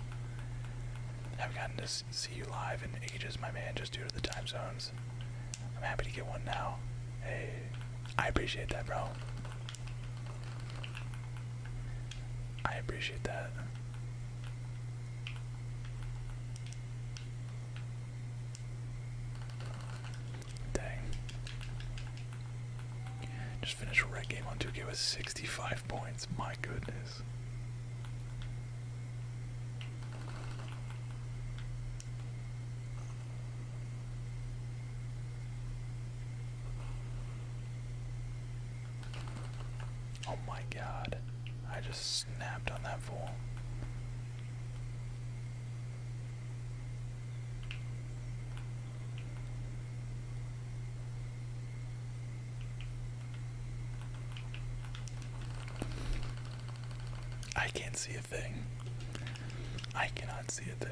I've gotten to see you live in ages my man just due to the time zones I'm happy to get one now hey I appreciate that bro I appreciate that Dang. Just finished a red game on 2K with 65 points. My goodness. Oh my god. I just snapped on that fool. I can't see a thing. I cannot see a thing.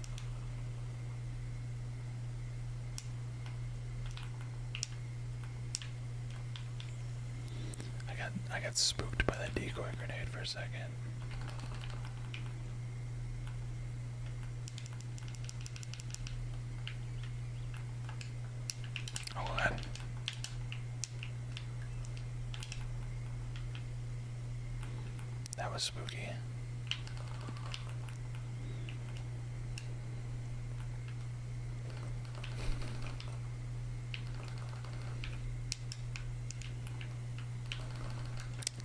I got I got spooked by that decoy grenade for a second. Hold on. That was spooky.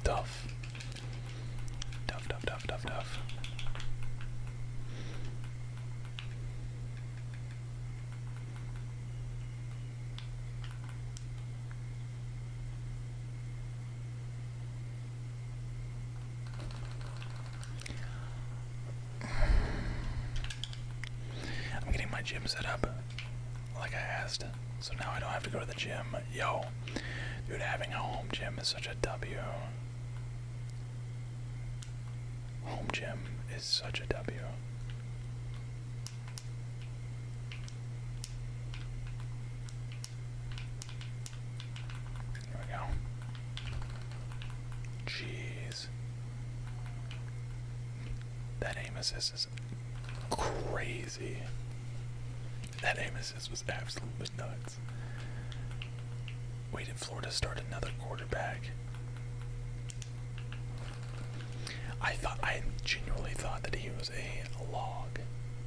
Tough. Tough, tough, tough, tough, I'm getting my gym set up like I asked, so now I don't have to go to the gym. Yo, dude, having a home gym is such a W. Home gym is such a W. There we go. Jeez. That aim is crazy. That aim was absolutely nuts. Waited Floor to start another quarterback. I thought I genuinely thought that he was a log.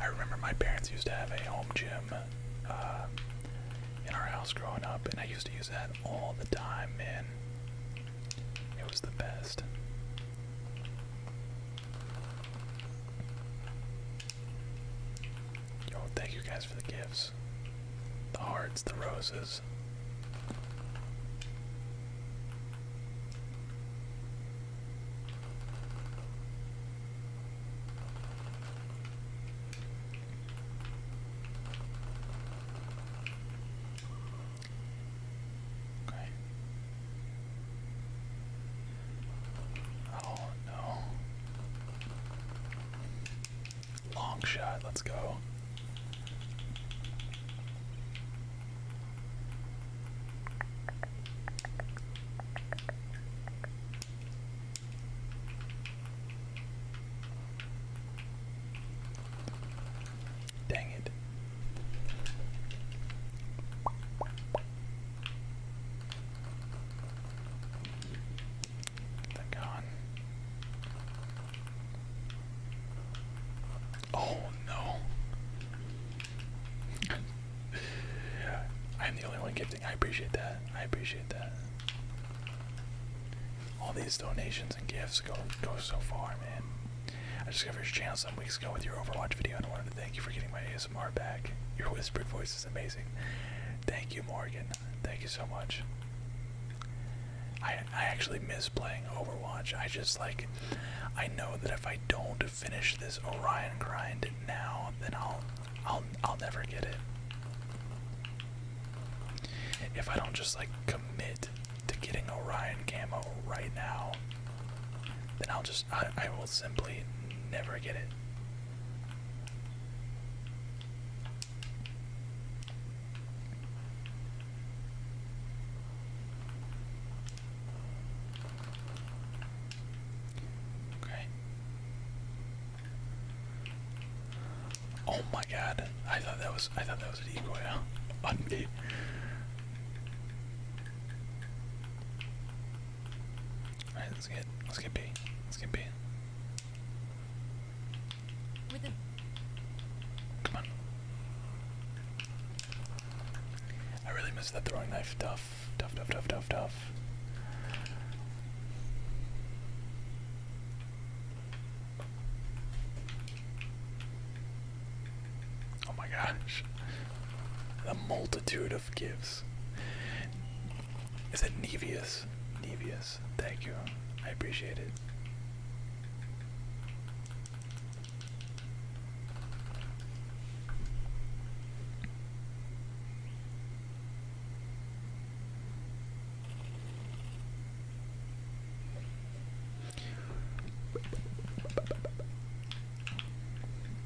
I remember my parents used to have a home gym uh, in our house growing up, and I used to use that all the time, man. It was the best. Yo, thank you guys for the gifts. The hearts, the roses. Oh no. Long shot, let's go. Dang it. They're gone. Oh no. I'm the only one gifting. I appreciate that. I appreciate that. All these donations and gifts go go so far, man. I discovered your channel some weeks ago with your Overwatch video, and I wanted to thank you for getting my ASMR back. Your whispered voice is amazing. Thank you, Morgan. Thank you so much. I I actually miss playing Overwatch. I just like I know that if I don't finish this Orion grind now, then I'll I'll I'll never get it. If I don't just like commit to getting Orion camo right now, then I'll just I, I will simply never get it. Okay. Oh my god. I thought that was I thought that was an ecoil on me. Alright, let's get let's get B. Let's get B. a Come on. I really miss that throwing knife. Duff. Duff, Duff, Duff, Duff, tough. Oh my gosh. The multitude of gifts. Is it Nevius? Nevius. Thank you. I appreciate it.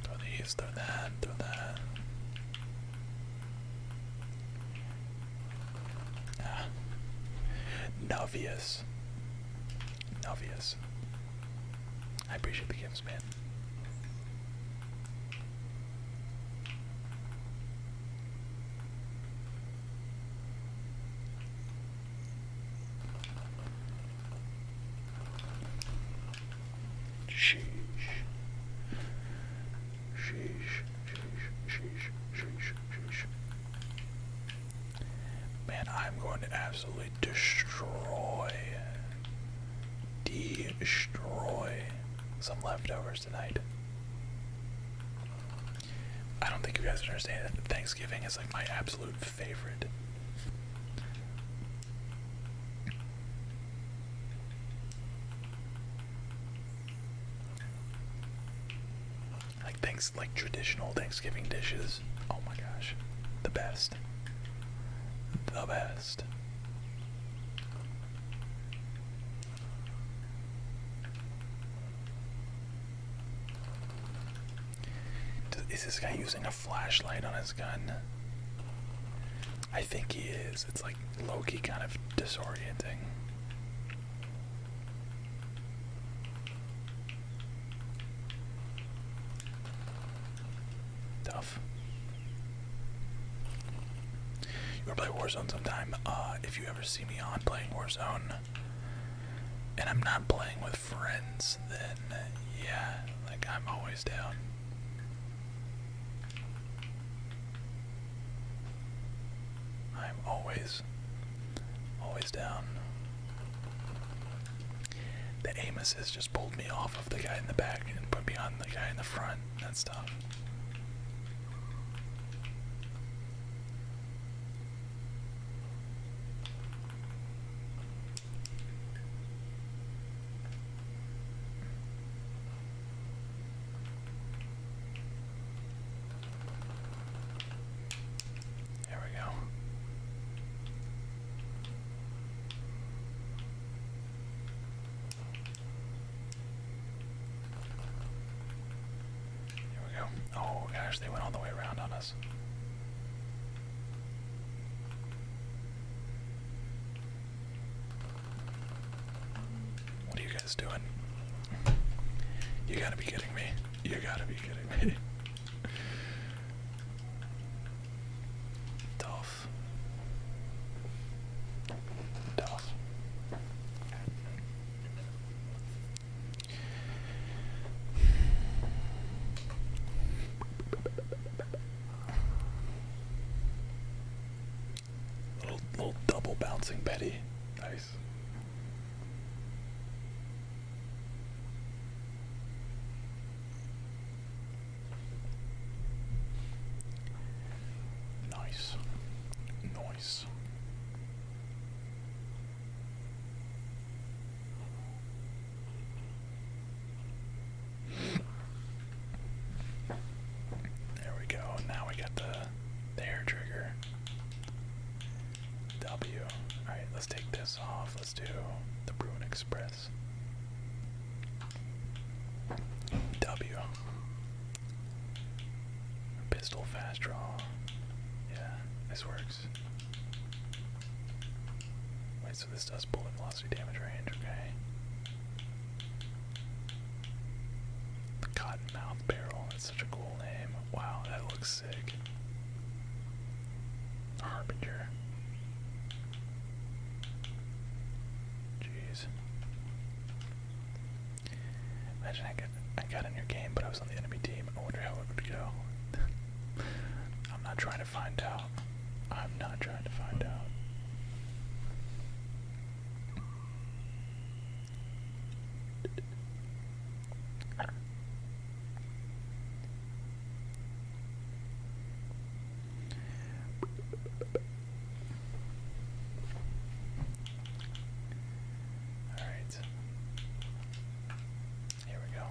Throw these, throw that, throw that. Ah. Novius. Novius. I appreciate the gifts, man. Sheesh. Sheesh, sheesh, sheesh, sheesh, sheesh. Man, I'm going to absolutely destroy, destroy some leftovers tonight. I don't think you guys understand that Thanksgiving is like my absolute favorite. Like things like traditional Thanksgiving dishes. Oh my gosh, the best. The best. Is this guy using a flashlight on his gun? I think he is. It's like Loki kind of disorienting. Tough. You want play Warzone sometime? Uh, if you ever see me on playing Warzone, and I'm not playing with friends, then yeah, like I'm always down. I'm always, always down. The aim assist just pulled me off of the guy in the back and put me on the guy in the front. That's tough. There we go. Here we go. Oh gosh, they went all the way around on us. What are you guys doing? You gotta be kidding me. You gotta be kidding me. Tough. Tough. Little, little double bouncing Betty. Nice. Nice. Nice. There we go. Now we got the hair trigger. W. Alright, let's take this off. Let's do the Bruin Express. W. Pistol fast draw. Yeah, this works. Wait, so this does bullet velocity damage range, okay. Cottonmouth Barrel, that's such a cool name. Wow, that looks sick. Harbinger. Jeez. Imagine I got, I got in your game, but I was on the enemy team. I wonder how it would go. I'm not trying to find out. I'm not trying to find out. All right. Here we go.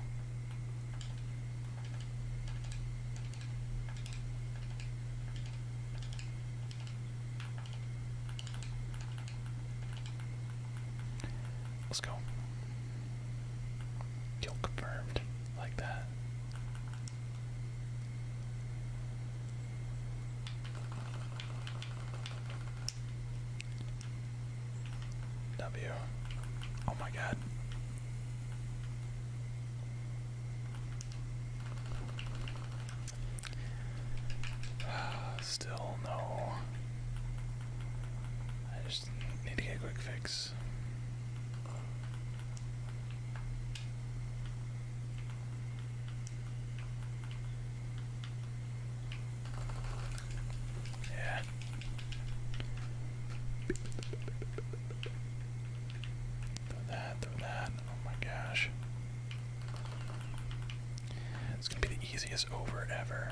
Let's go. Kill confirmed like that. W. Oh my god. Still no. I just just need to get a quick fix. Yeah. Throw that, throw that. Oh my gosh. It's gonna be the easiest over ever.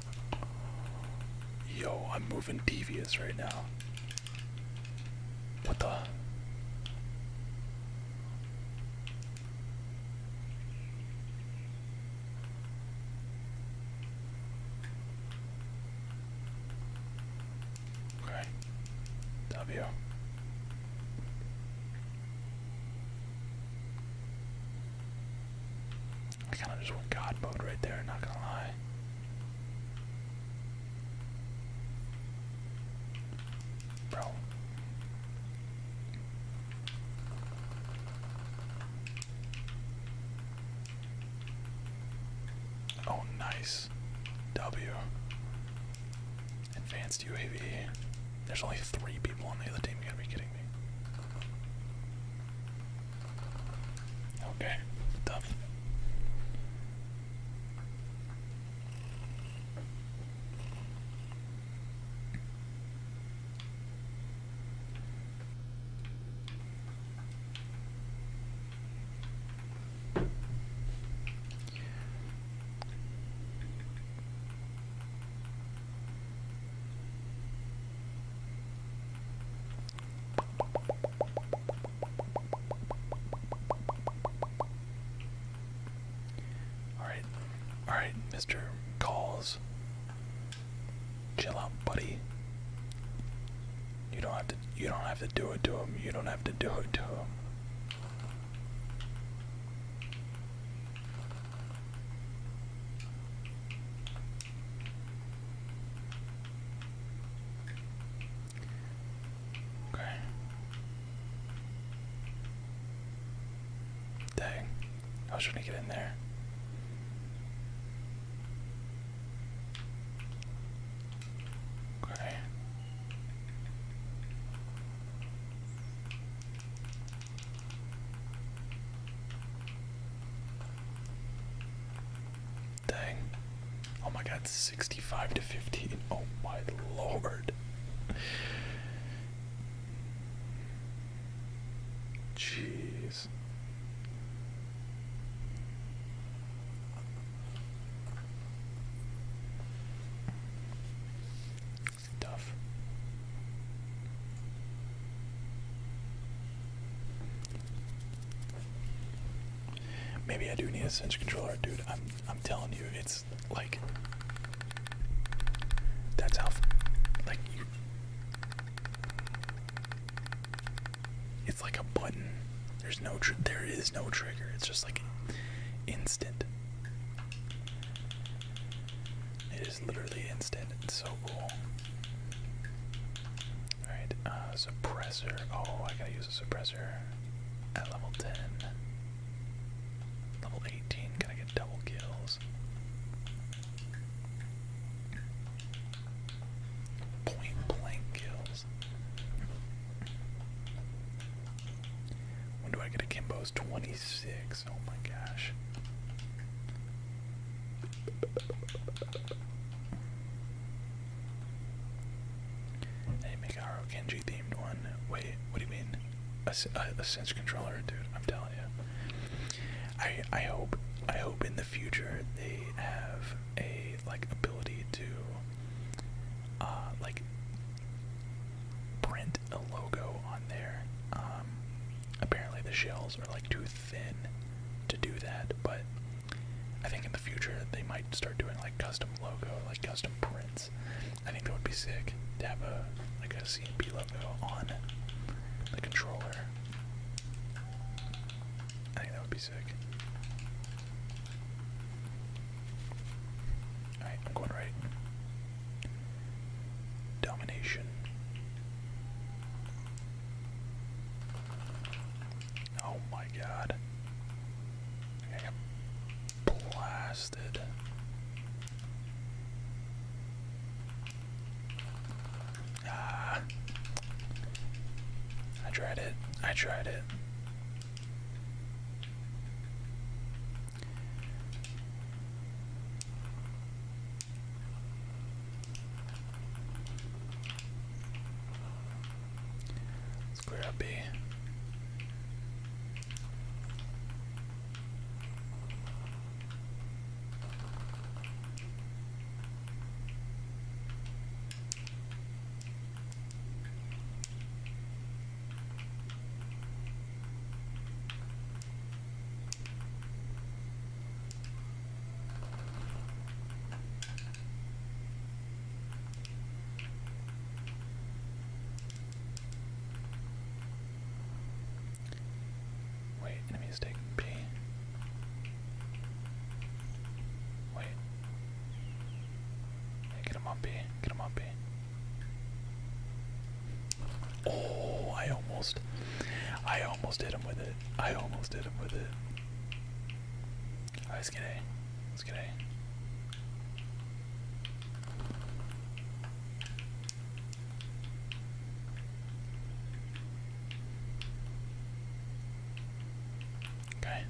Yo, I'm moving devious right now. What the? Okay. W. I kind of just went God mode right there, not gonna lie. Bro. Oh, nice. W. Advanced UAV. There's only three people on the other team. You gotta be kidding Okay, tough. Alright, alright, Mr. Calls. Chill out, buddy. You don't have to you don't have to do it to him. You don't have to do it to him. Okay. Dang. I was trying to get in there. Okay. Dang. Oh my god, 65 to 15. Oh my lord. Jeez. Tough. Maybe I do need a cinch controller, dude. I'm I'm telling you, it's like that's how like It's like a button. There's no tr there is no trigger. It's just like instant. It it's literally instant. It's so cool. Alright, uh, suppressor. Oh, I gotta use a suppressor at level 10. Level 18, gotta get double kills. Point blank kills. When do I get a Kimbo's 26? Oh my gosh. Hey, make our Kenji themed one. Wait, what do you mean? A, a, a controller, dude. I'm telling you. I I hope I hope in the future they have a like ability to uh like print a logo on there. Um, apparently the shells are like two thin to do that, but I think in the future they might start doing like custom logo, like custom prints. I think that would be sick to have a like and P logo on the controller. I think that would be sick. Alright, I'm going right. Domination. Oh my god. blasted. Ah. I tried it. I tried it. Square up B. Wait, enemy is taking B. Wait. get him on B. Get him on B. Oh, I almost I almost hit him with it. I almost did him with it. Alright, let's get A. Let's get it. Okay,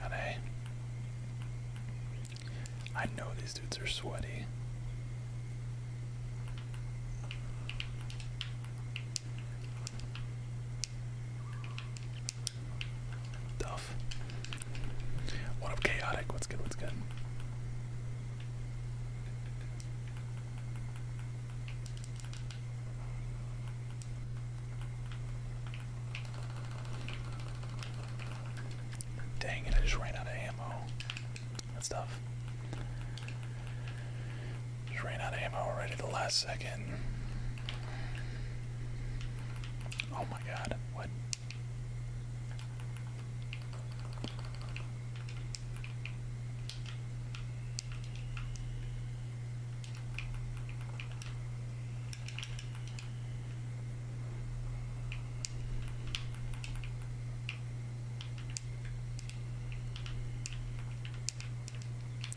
got A. I know these dudes are sweaty. Tough. What up, chaotic? What's good? What's good? Dang it, I just ran out of ammo. That's tough. Just ran out of ammo already the last second. Oh my god, what?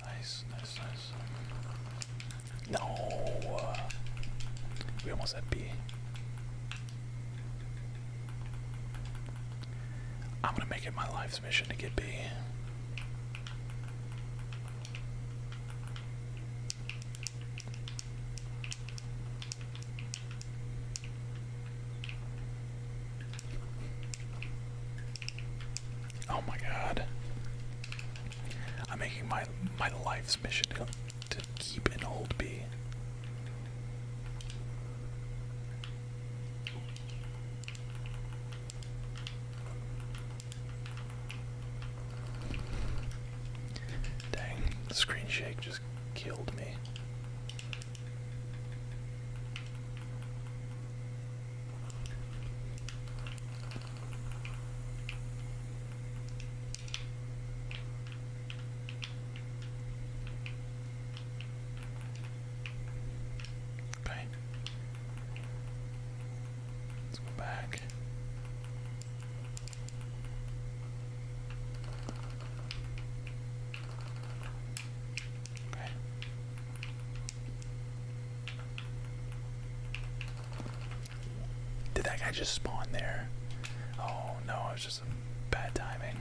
Nice, nice, nice. No! We almost had B. I'm gonna make it my life's mission to get B. Oh my god. I'm making my my life's mission to keep an old bee. Dang, the screen shake just killed me. Okay. Let's go back. Did that guy just spawn there? Oh no, it was just bad timing.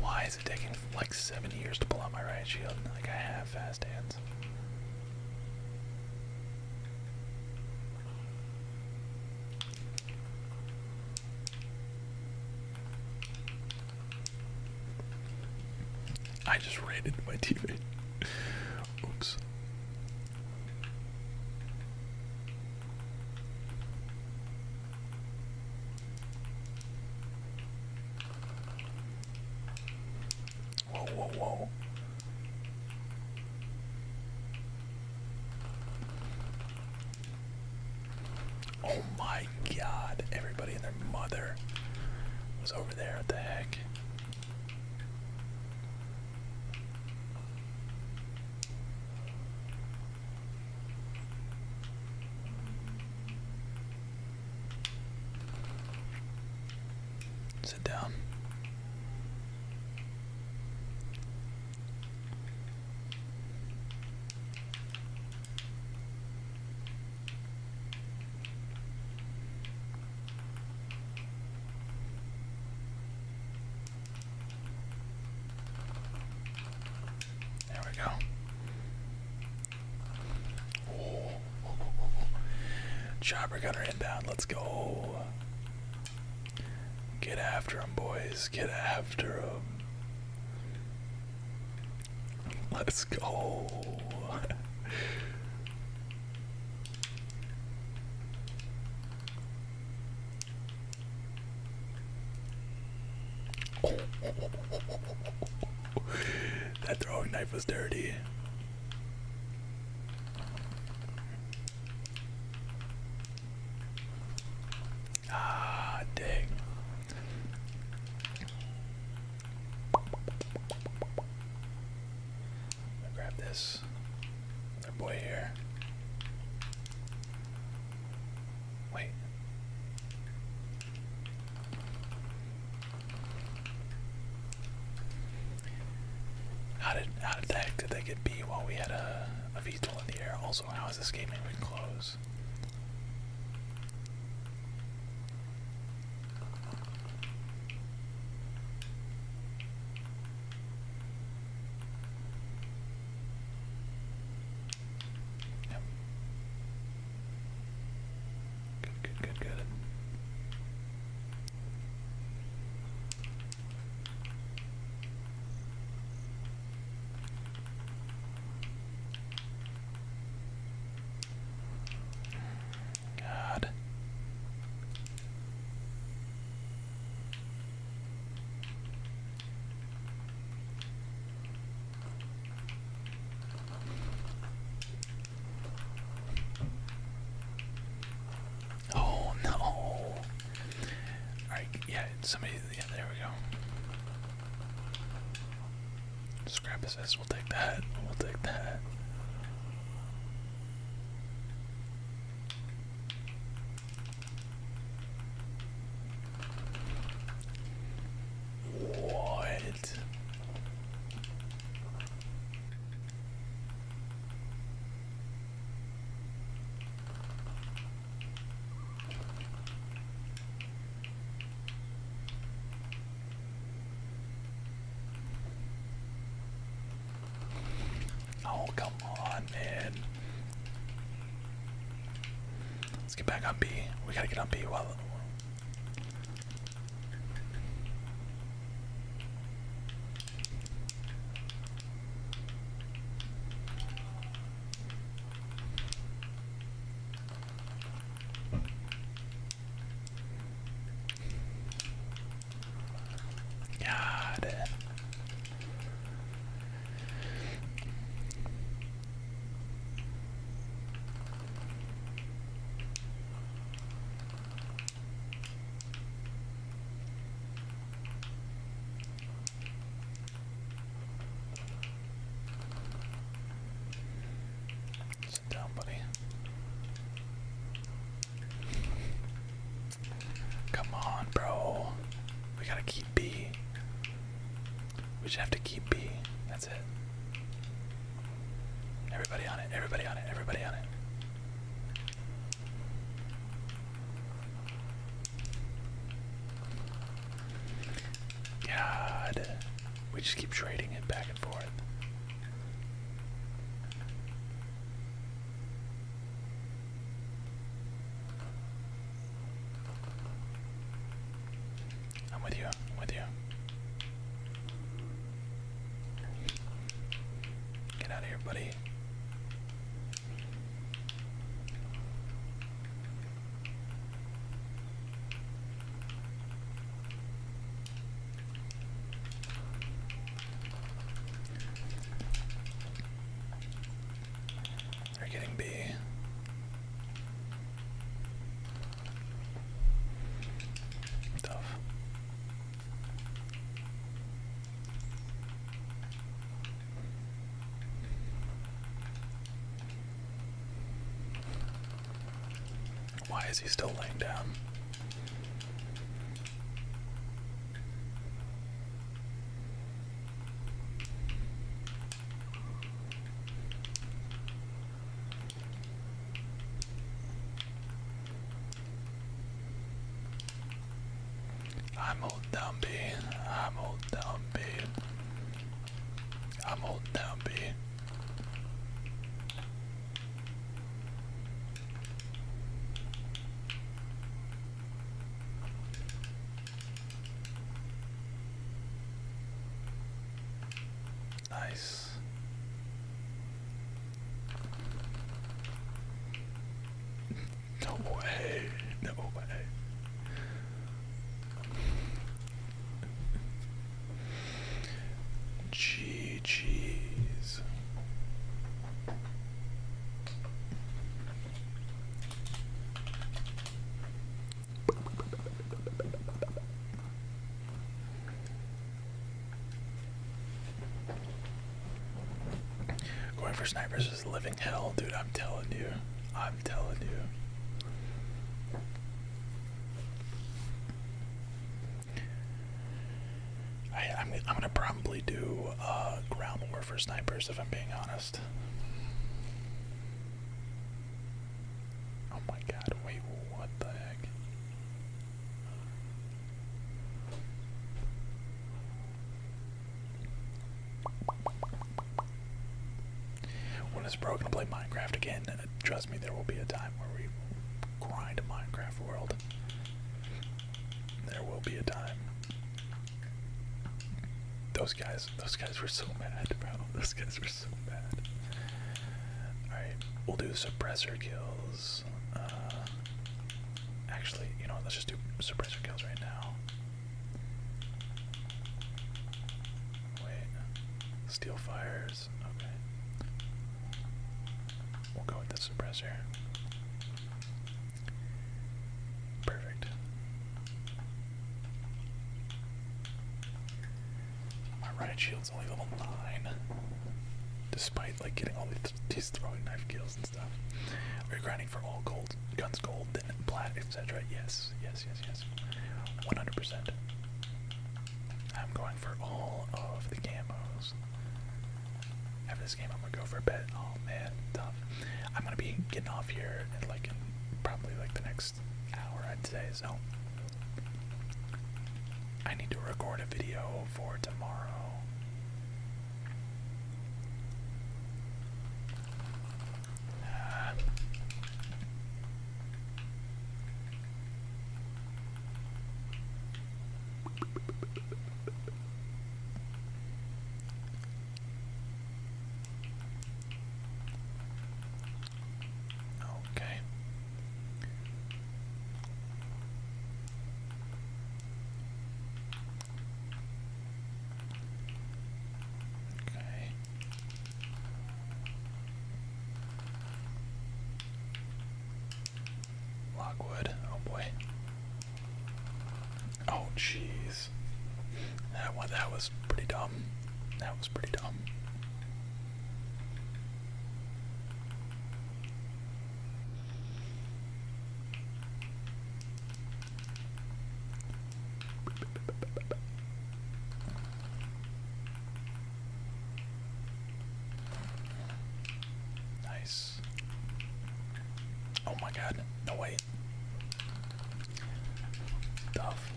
Why is it taking like seven years to pull out my right shield? Like I have fast hands. I just raided my TV. Oops. Whoa, whoa, whoa. Oh my god, everybody and their mother was over there. What the heck? Sit down. There we go. Oh, oh, oh, oh, oh. Chopper gunner inbound. Let's go. Get after him, boys. Get after him. Let's go that throwing knife was dirty. Ah, dang. I'll grab this. Another boy here. Wait. How did how did the heck did they get B while we had a a VTOL in the air? Also, how is this game even Yep. Good, good, good, good. God. Oh no! All right, yeah, somebody. Yeah, there we go. Scrap assist. We'll take that. We'll take that. What? Oh, come on, man. Let's get back on B. We gotta get on B while. God. Sit down, buddy. Come on, bro. We gotta keep B. We should have to keep B. Everybody on it, everybody on it, everybody on it. God. We just keep trading it back and forth. I'm with you. I'm with you. Get out of here, buddy. They're getting B. Tough. Why is he still laying down? I'm old Dumpy. I'm old Dumpy. I'm old Dumpy. Nice. No way. No way. Gee, geez. Going for snipers is living hell, dude. I'm telling you. I'm telling you. I, I'm, am i gonna probably do uh, ground war for snipers if I'm being honest. Oh my god, wait, what the heck? When it's broken to play Minecraft again, trust me, there will be a time where we grind a Minecraft world. There will be a time. Those guys, those guys were so mad, bro. Those guys were so bad. Alright, we'll do suppressor kills. Uh, actually, you know Let's just do suppressor kills right now. Wait. Steel fires. Okay. We'll go with the suppressor. Perfect. My riot shield's only level 9. Despite like getting all these, throwing knife kills and stuff. We're grinding for all gold, guns gold, then plat, etc. Yes, yes, yes, yes. 100%. I'm going for all of the camos. After this game, I'm gonna go for a bet. Oh man, tough. I'm gonna be getting off here in like probably like the next hour, I'd say. So I need to record a video for tomorrow. Okay. Okay. Lockwood. Oh boy. Oh jeez. That one that was pretty dumb. That was pretty dumb. Nice. Oh my god, no way. Tough.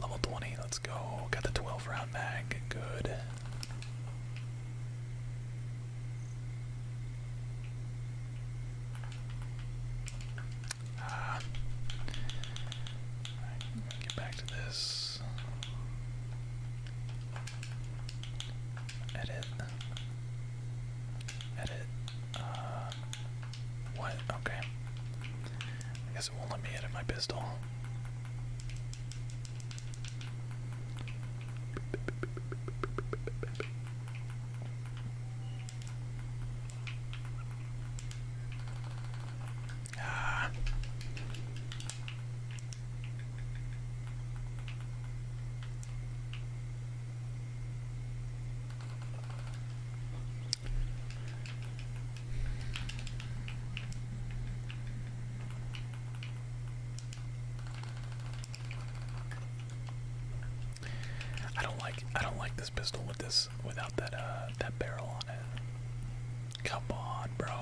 Level 20, let's go. Got the 12 round mag, good. Ah. get back to this. Edit. Edit. Uh, what? Okay. I guess it won't let me edit my pistol. Ah. I don't like I don't like this pistol with this without that uh that barrel on it. Come on, bro.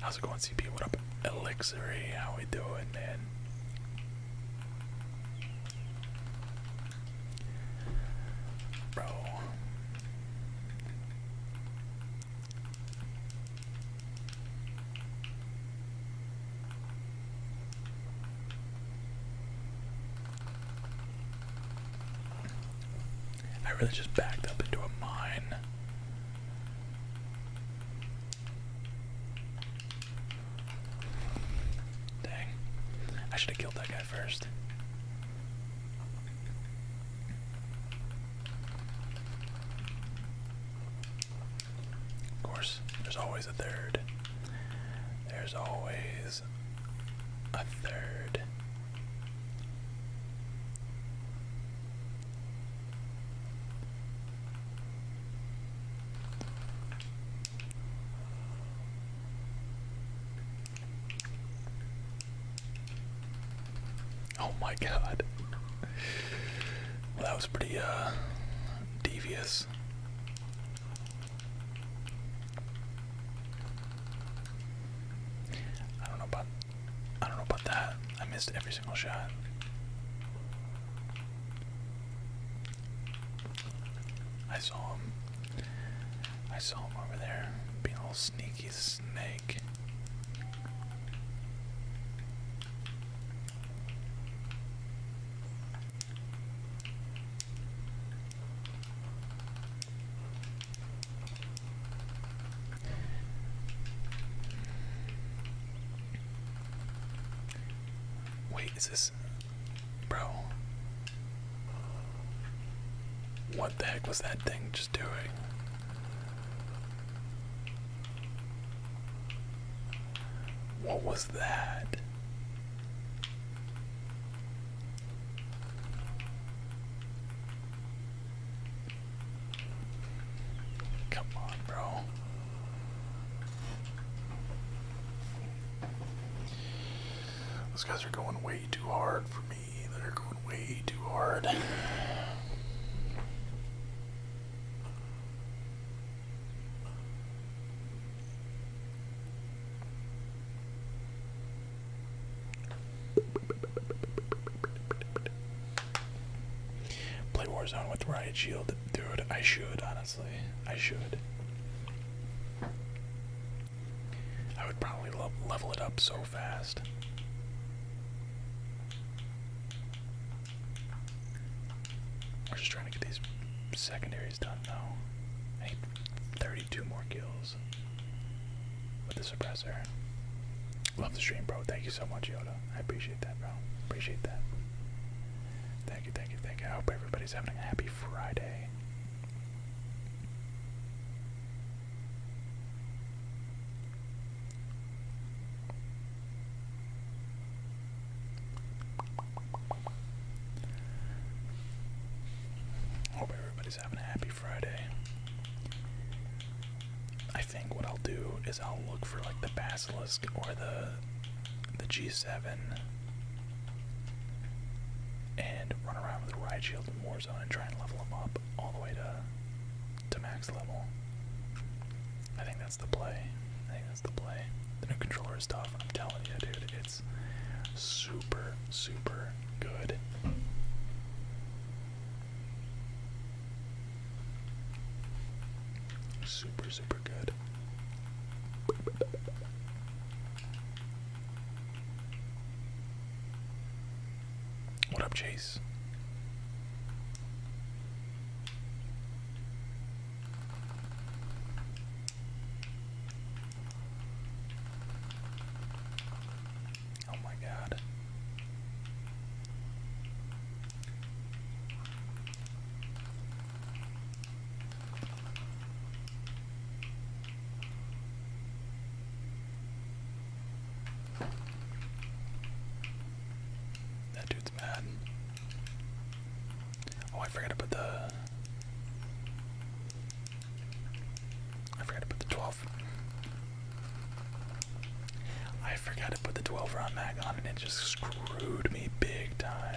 How's it going, CP? What up, Elixir? How we doing, man? Bro. I really just backed up into a mine. Dang. I should have killed that guy first. Of course, there's always a third. There's always a third. Oh my god. Well, that was pretty uh devious. I don't know about I don't know about that. I missed every single shot. I saw him. I saw him over there being a little sneaky snake. Wait, is this Bro. What the heck was that thing just doing? What was that? Come on, bro. Those guys are going way too hard for me. They're going way too hard. Play Warzone with Riot Shield. Dude, I should, honestly. I should. I would probably level it up so fast. We're just trying to get these secondaries done now. need 32 more kills with the suppressor. Love the stream, bro. Thank you so much, Yoda. I appreciate that, bro. Appreciate that. Thank you, thank you, thank you. I hope everybody's having a happy Friday. Hope everybody's having a happy Friday. I think what I'll do is I'll look for like the basilisk or the the G7 and run around with Ride Shield and Warzone and try and level them up all the way to, to max level. I think that's the play. I think that's the play. The new controller is tough. I'm telling you, dude, it's super, super good. Super, super good. What up, Chase? Oh, my God. That dude's mad. Oh, I forgot to put the. I forgot to put the 12. I forgot to put the 12 round mag on and it just screwed me big time.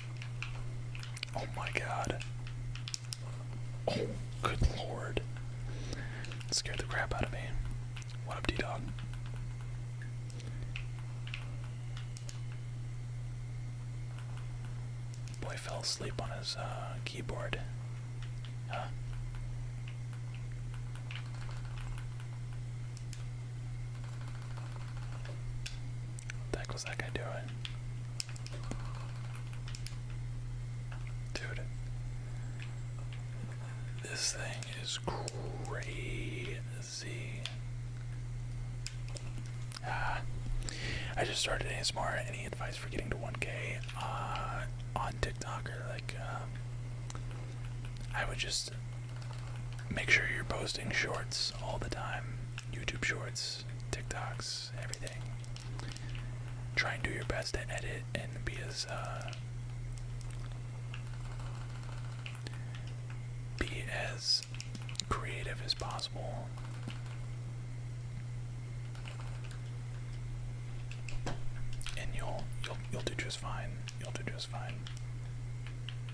Oh my god. Oh, good lord. scared the crap out of me. What up, D Dog? Boy fell asleep on his uh, keyboard. What the heck was that guy doing? Dude. This thing is crazy. Ah, I just started ASMR. Any advice for getting to 1K uh, on TikTok or like? Um, I would just make sure you're posting shorts all the time. YouTube Shorts, TikToks, everything. Try and do your best to edit and be as uh, be as creative as possible. And you'll you'll you'll do just fine. You'll do just fine.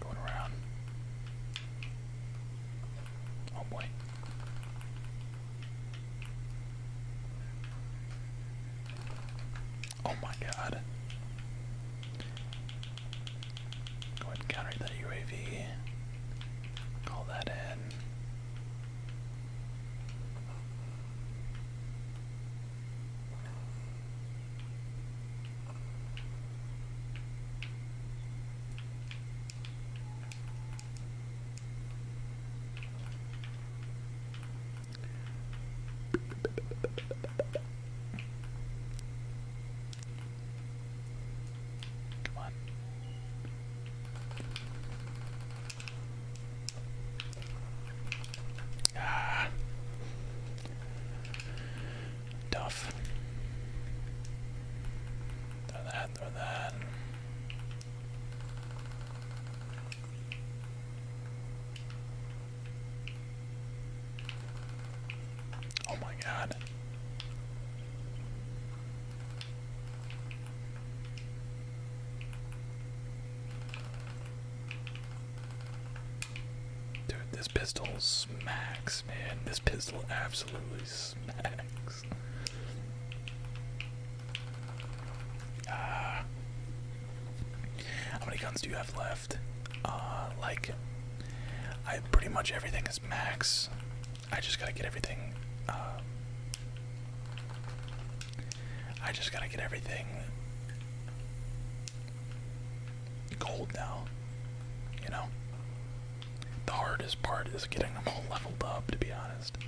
Going around. Oh boy. Oh my god. Go ahead and counter that UAV. Call that in. Come on. Ah. Tough. Throw that, throw that. Oh my god. Dude, this pistol smacks, man. This pistol absolutely smacks. Ah. How many guns do you left. Uh, like, I pretty much everything is max. I just gotta get everything. Uh, I just gotta get everything gold now. You know, the hardest part is getting them all leveled up. To be honest.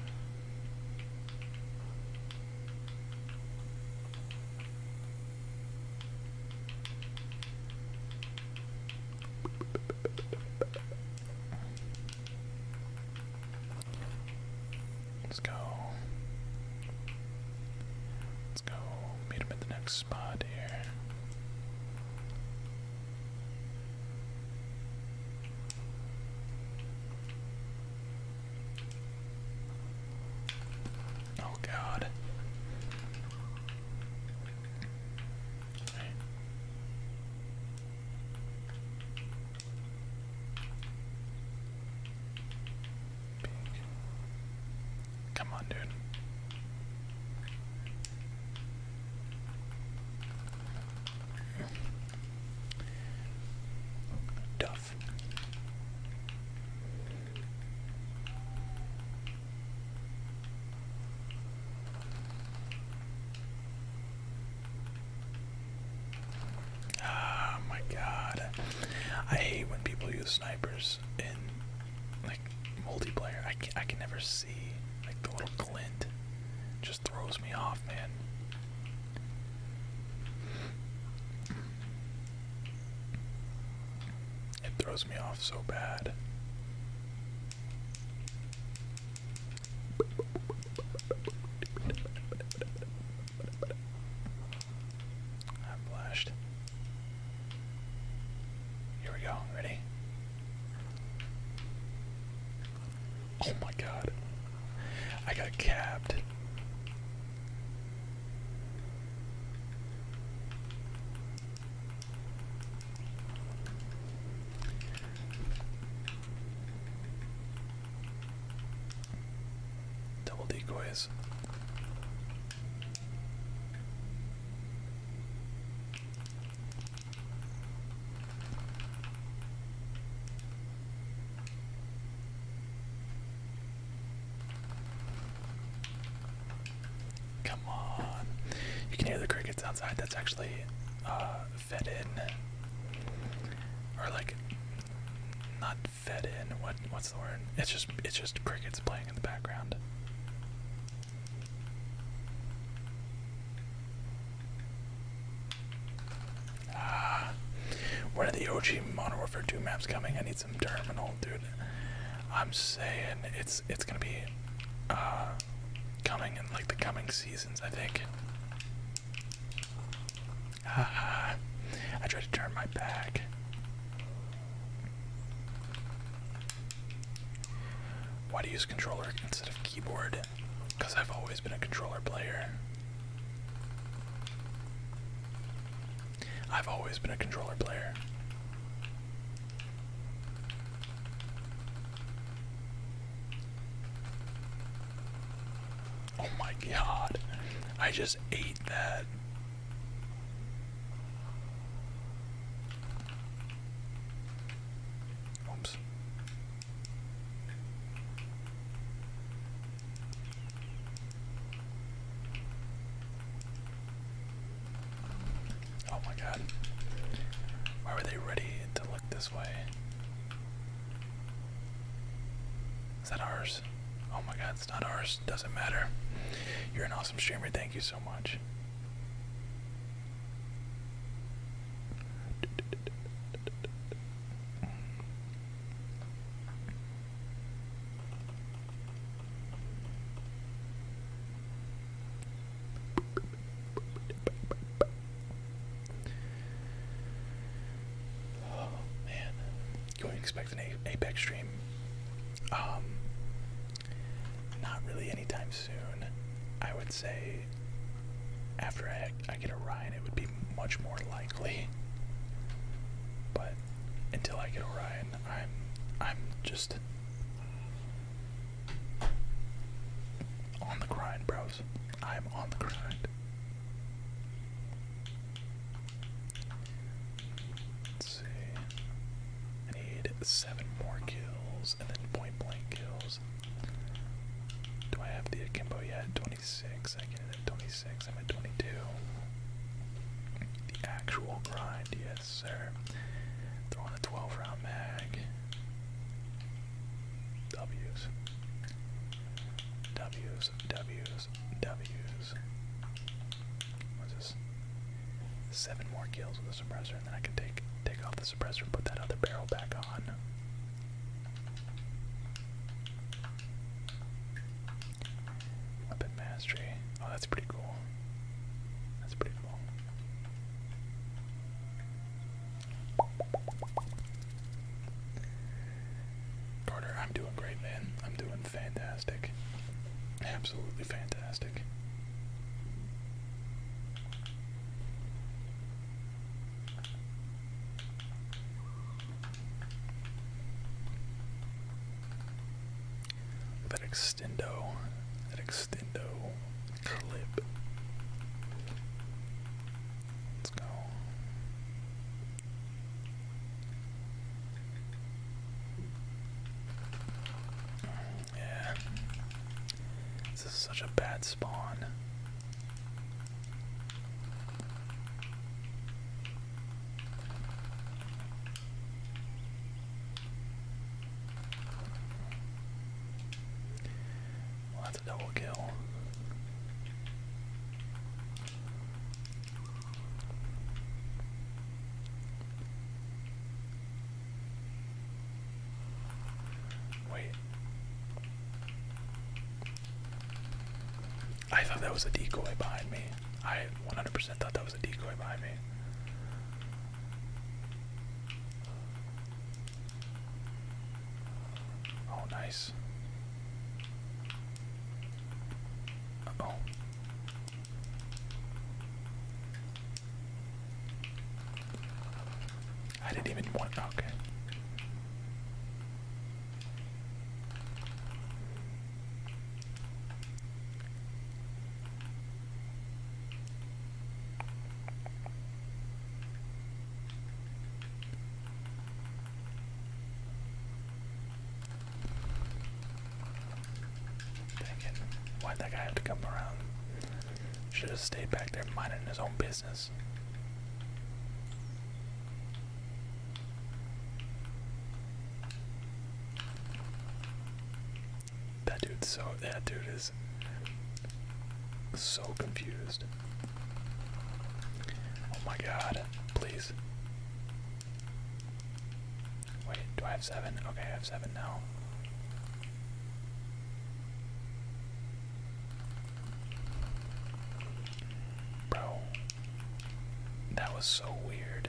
Let's go. Let's go meet him at the next spot here. Oh god. Come on, dude. Duff. Oh my god. I hate when people use snipers in like multiplayer. I can, I can never see like the little glint. Just throws me off, man. It throws me off so bad. I'm Here we go. Ready? Oh my god. I got capped. Double decoys. Come on. You can hear the crickets outside. That's actually uh, fed in. Or like, not fed in. What? What's the word? It's just it's just crickets playing in the background. Ah, when are the OG Modern Warfare 2 maps coming? I need some terminal, dude. I'm saying it's it's gonna be uh, coming in like the coming seasons, I think. Ah, I tried to turn my back. Why do you use controller instead of keyboard? Because I've always been a controller player. I've always been a controller player. Oh my god. I just ate that. Oops. Oh my god. Why were they ready to look this way? Is that ours? Oh my god, it's not ours. Doesn't matter. You're an awesome streamer. Thank you so much. Oh man, going to expect an Apex stream. Um, not really anytime soon. I would say after I, get Orion, it would be much more likely. But until I get a I'm I'm just on the grind, bros. I am on the grind. Let's see. need seven more kills and then point blank kills. Do I have the akimbo yet? 26. I get it at 26. I'm at 22. The actual grind, yeah. Yes, sir. Throwing a 12 round mag. W's. W's, W's, W's. What's Seven more kills with the suppressor, and then I can take take off the suppressor put that other barrel back on. Weapon mastery. Oh, that's pretty cool. That's pretty cool. Carter, I'm doing great, man. I'm doing fantastic. Absolutely fantastic. That extendo, an extendo clip. Let's go. Yeah. This is such a bad spawn that's a double kill. Wait. I thought that was a decoy behind me. I 100 thought that was a decoy behind me. Oh, nice. oh. I didn't even want okay. Dang it. Why'd that guy have to come around? Should have stayed back there mining his own business. That dude's so that dude is so confused. Oh my god, please. Wait, do I have seven? Okay, I have seven now. Bro, that was so weird.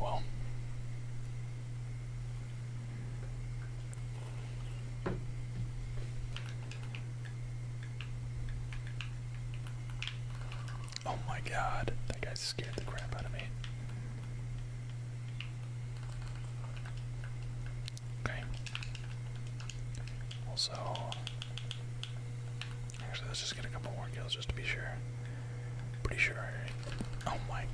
Well, oh my God, that guy scared the crap out of me. Okay. Also, actually, let's just get a couple more kills just to be sure. Pretty sure. oh my.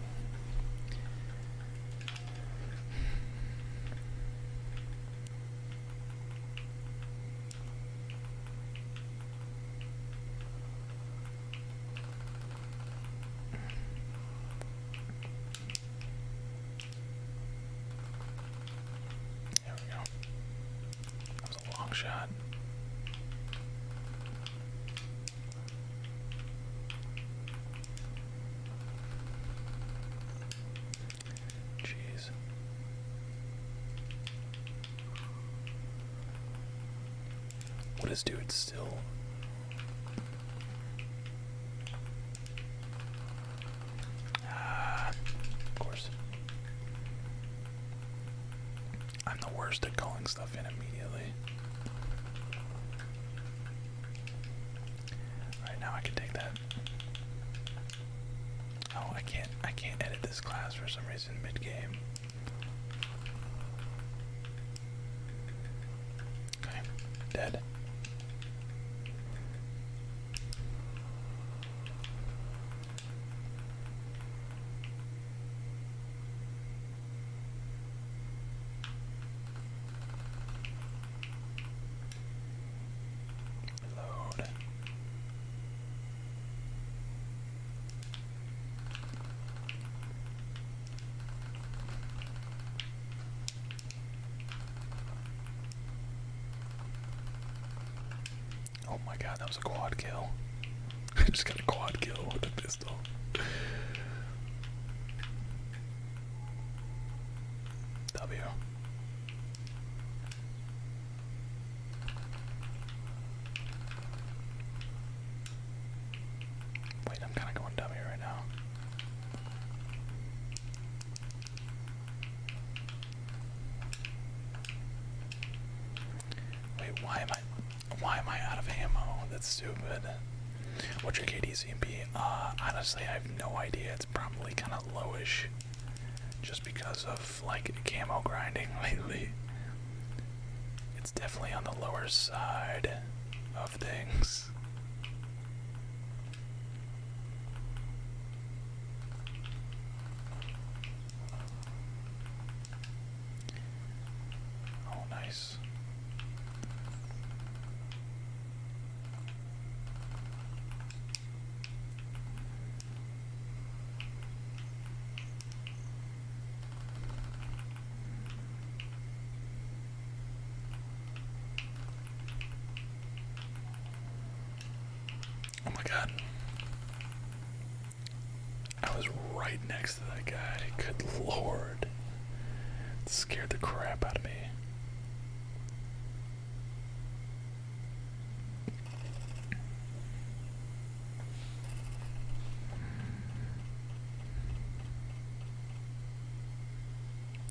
There we go. That was a long shot. Jeez. What is dude still Ah, of course. I'm the worst at calling stuff in immediately. Alright, now I can take that. Oh, I can't I can't edit this class for some reason mid-game. Okay, dead. Reload. Oh my god, that was a quad kill. I just got a quad kill with a pistol. W. Wait, I'm kind of going W right now. Wait, why am I why am I out of ammo? That's stupid. What's your KDCMP? Uh, honestly I have no idea. It's probably kinda lowish. Just because of like camo grinding lately. It's definitely on the lower side of things. Oh, nice. Oh my god. I was right next to that guy. Good lord. It scared the crap out of me.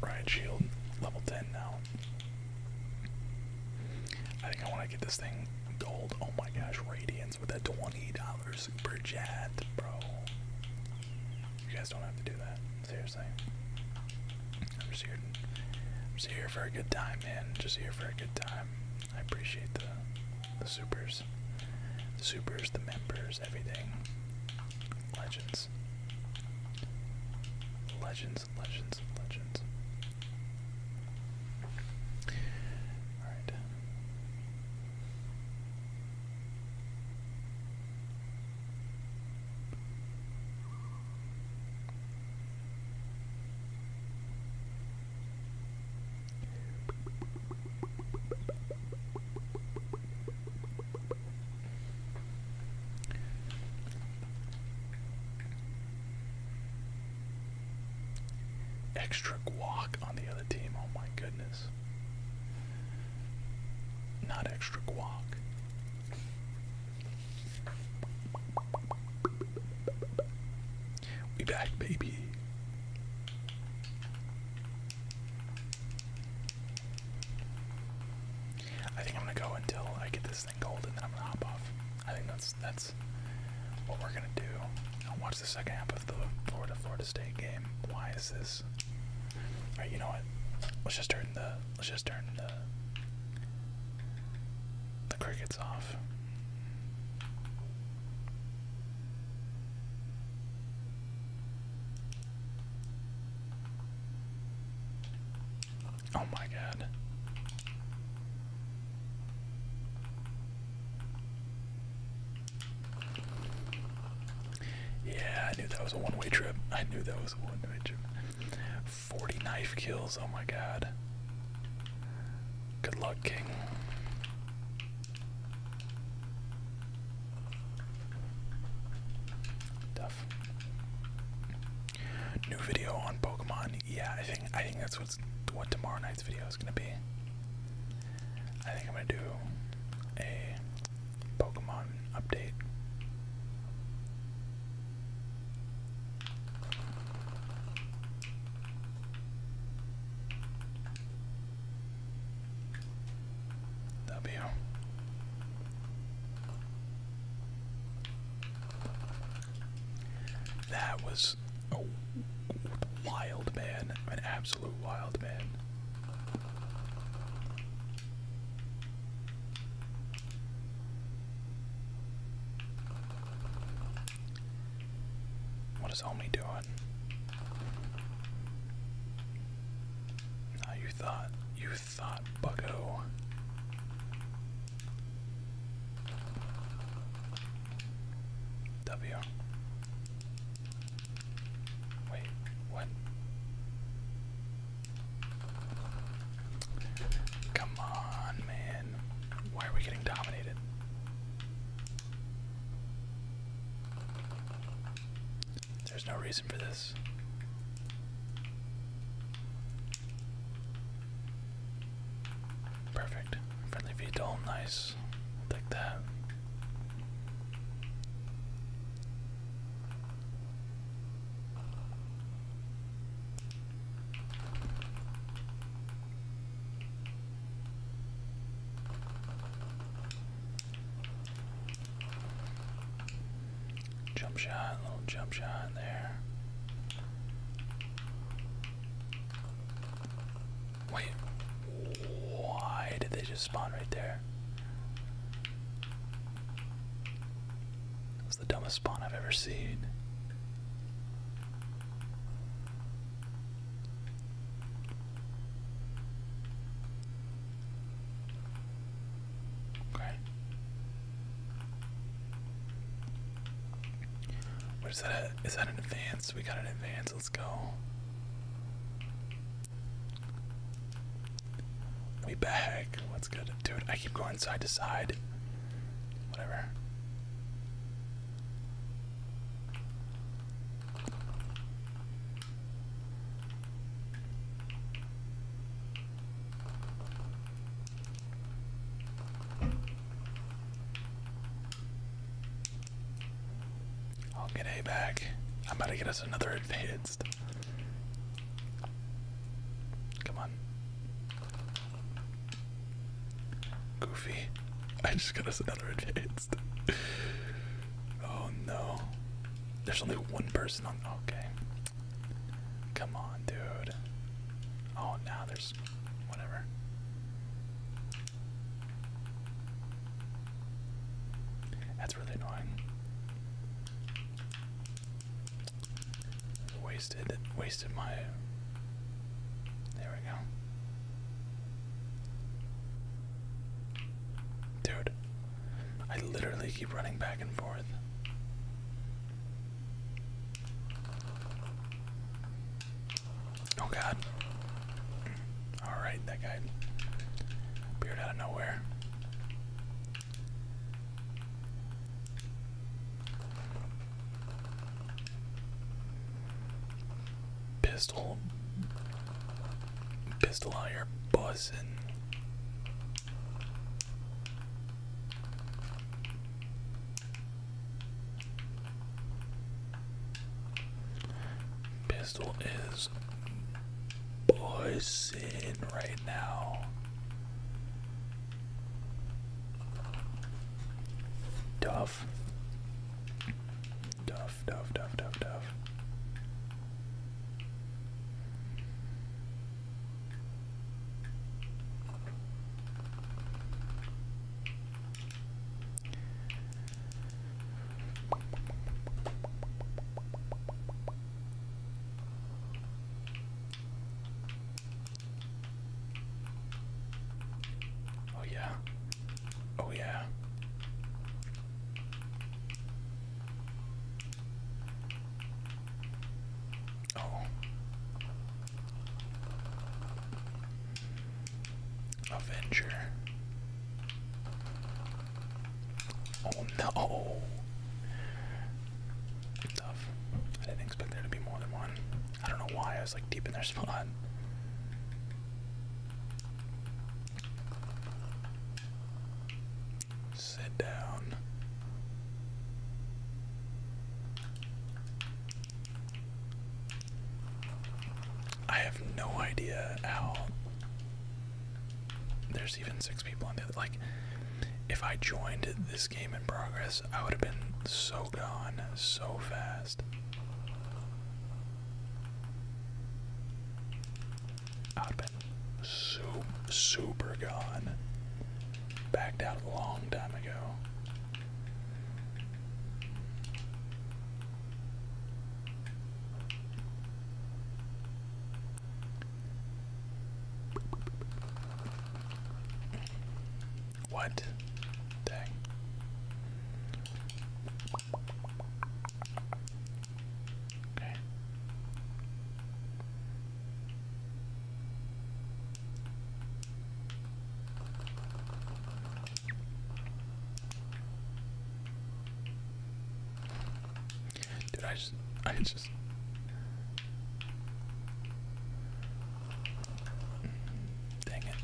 Riot shield, level 10 now. I think I want to get this thing gold. Oh my gosh, radiance with a $20 super chat, bro. You guys don't have to do that, seriously. I'm just here, just here for a good time, man. Just here for a good time. I appreciate the, the supers, the supers, the members, everything. Legends. Legends, legends, legends. Alright. Extra guac on the other team. Oh my goodness. Not extra guac. We back, baby. I think I'm gonna go until I get this thing gold, and then I'm gonna hop off. I think that's that's what we're gonna do. I'll watch the second half of the Florida Florida State game. Why is this? All right, you know what? Let's just turn the let's just turn the the crickets off. Oh my god. Yeah, I knew that was a one-way trip. I knew that was a one-way trip. 40 knife kills, oh my god. Good luck, King. New video on Pokemon. Yeah, I think I think that's what's what tomorrow night's video is gonna be. I think I'm gonna do a Pokemon update. W. That was a wild man, an absolute wild man. What is Omni doing? Now you thought, you thought, bucko. W. Wait, what? Come on, man. Why are we getting dominated? There's no reason for this. Perfect. Friendly veto, nice. i that. Jump shot, little jump shot in there. Wait, why did they just spawn right there? That's the dumbest spawn I've ever seen. Okay. What is that? is that an advance? We got an advance. Let's go. We back. What's good? Dude, I keep going side to side. Whatever. I'll get A back. I'm going to get us another advanced. Come on. Goofy. I just got us another advanced. oh no. There's only one person on. Okay. Come on, dude. Oh, now there's whatever. That's really annoying. Wasted, wasted my. There we go. Dude, I literally keep running back and forth. Oh god. Alright, that guy appeared out of nowhere. Pistol. Pistol out here buzzing. Pistol is buzzing right now. Duff. Duff, duff, duff, duff, duff. Oh, yeah. Oh, yeah. Oh. Avenger. Oh no. Tough. I didn't expect there to be more than one. I don't know why I was like deep in their spot. Sit down. I have no idea how there's even six people in there. Like, if I joined this game in progress, I would have been so gone so fast. I would been so super gone backed out a long time ago. What? Dang. Okay. Dude, I just, I just. Dang it.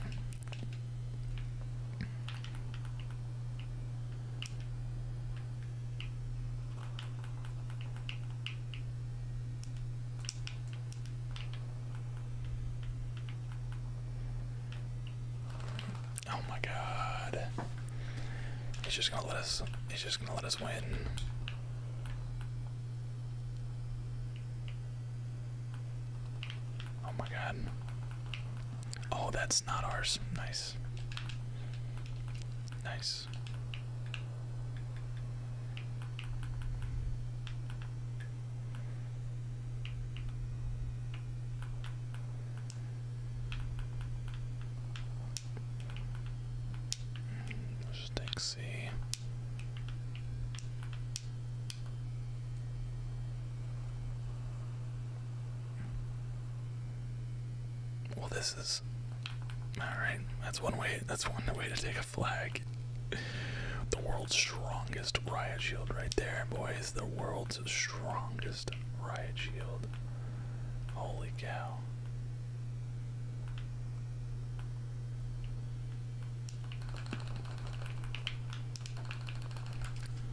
Oh my god. He's just gonna let us he's just gonna let us win. Oh my god. Oh that's not ours. Nice. Nice. Let's take C. Well, this is all right. That's one way. That's one way to take a flag. The world's strongest riot shield, right there, boys. The world's strongest riot shield. Holy cow.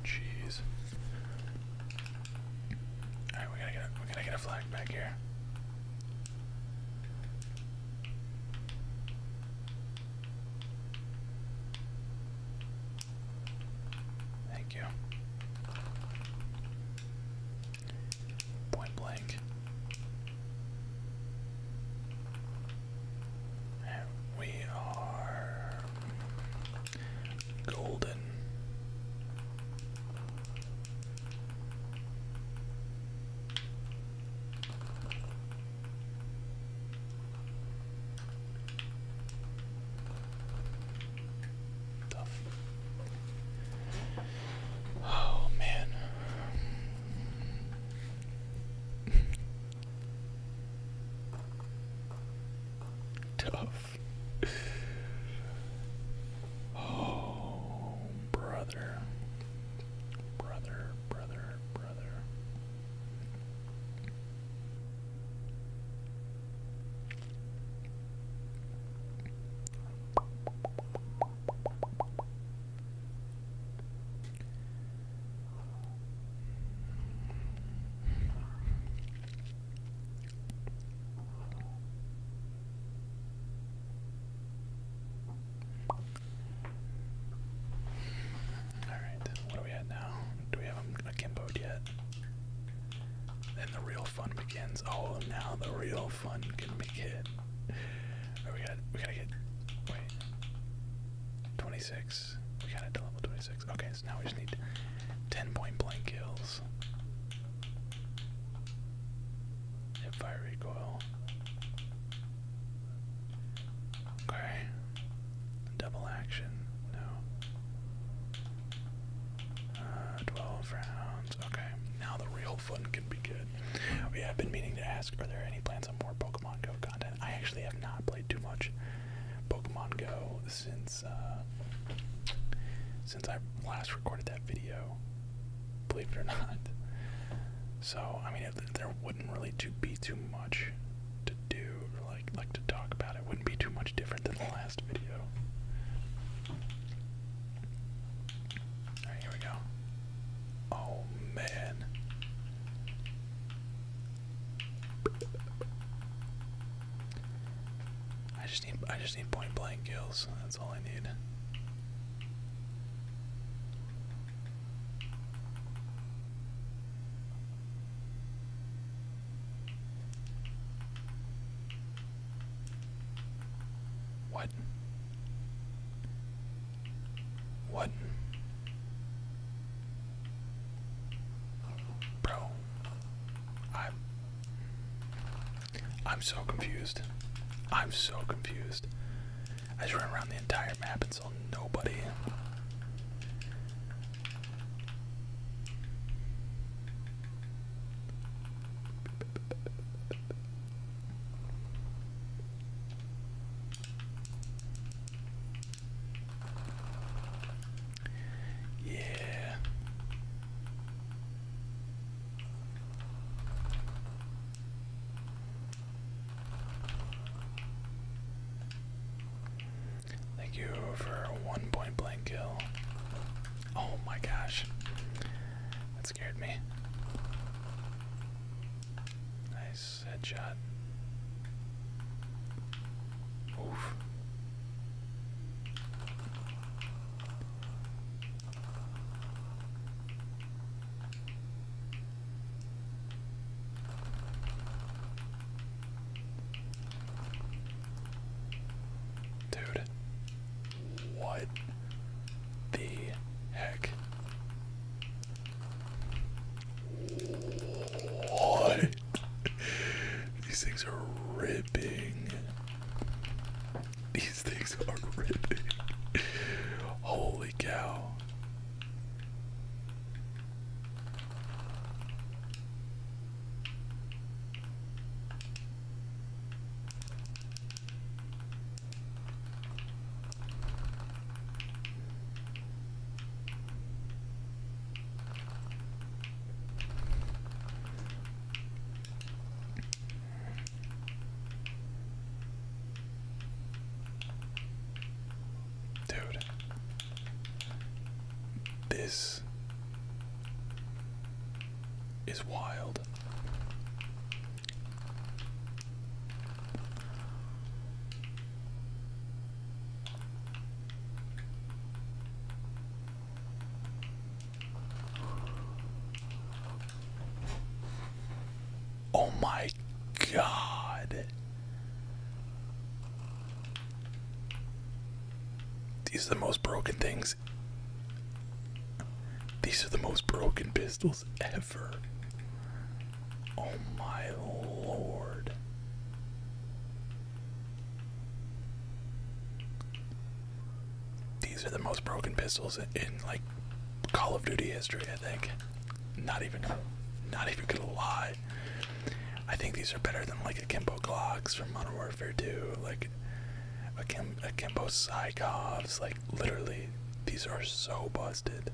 Jeez. Alright, we gotta get we gotta get a flag back here. Thank you. Point blank. we are golden. Tough. Oh man. Tough. Oh, brother. Brother, brother, brother. Alright, what do we at now? Do we have them akimboed yet? Then the real fun begins. Oh, now the real fun can begin. Oh, we got we gotta get wait. 26. We got it to level 26. Okay, so now we just need 10 point blank kills and fire recoil. Okay. Double action. No. Uh, 12 rounds. Okay. Now the real fun can begin. We have been meaning to ask are there any plans on more Pokemon Go content? I actually have not played too much Pokemon Go since, uh, since I last recorded that video believe it or not. So I mean, there wouldn't really to be too much to do, like like to talk about. It wouldn't be too much different than the last video. here we go. Oh man. I just need I just need point blank kills. That's all I need. What? What? Bro, I'm I'm so confused. I'm so confused. I just ran around the entire map and saw nobody. Yeah. Thank you for one point blank kill. Oh my gosh. That scared me. Nice headshot. Dude, what the heck? What? These things are ripping. These things are ripping. Holy cow. Dude, this is wild. Oh my god. These are the most broken things. These are the most broken pistols ever. Oh my lord. These are the most broken pistols in, in like Call of Duty history, I think. Not even not even gonna lie. I think these are better than like Akimbo Glocks from Modern Warfare 2, like Akim Akimbo Psychovs, like literally these are so busted.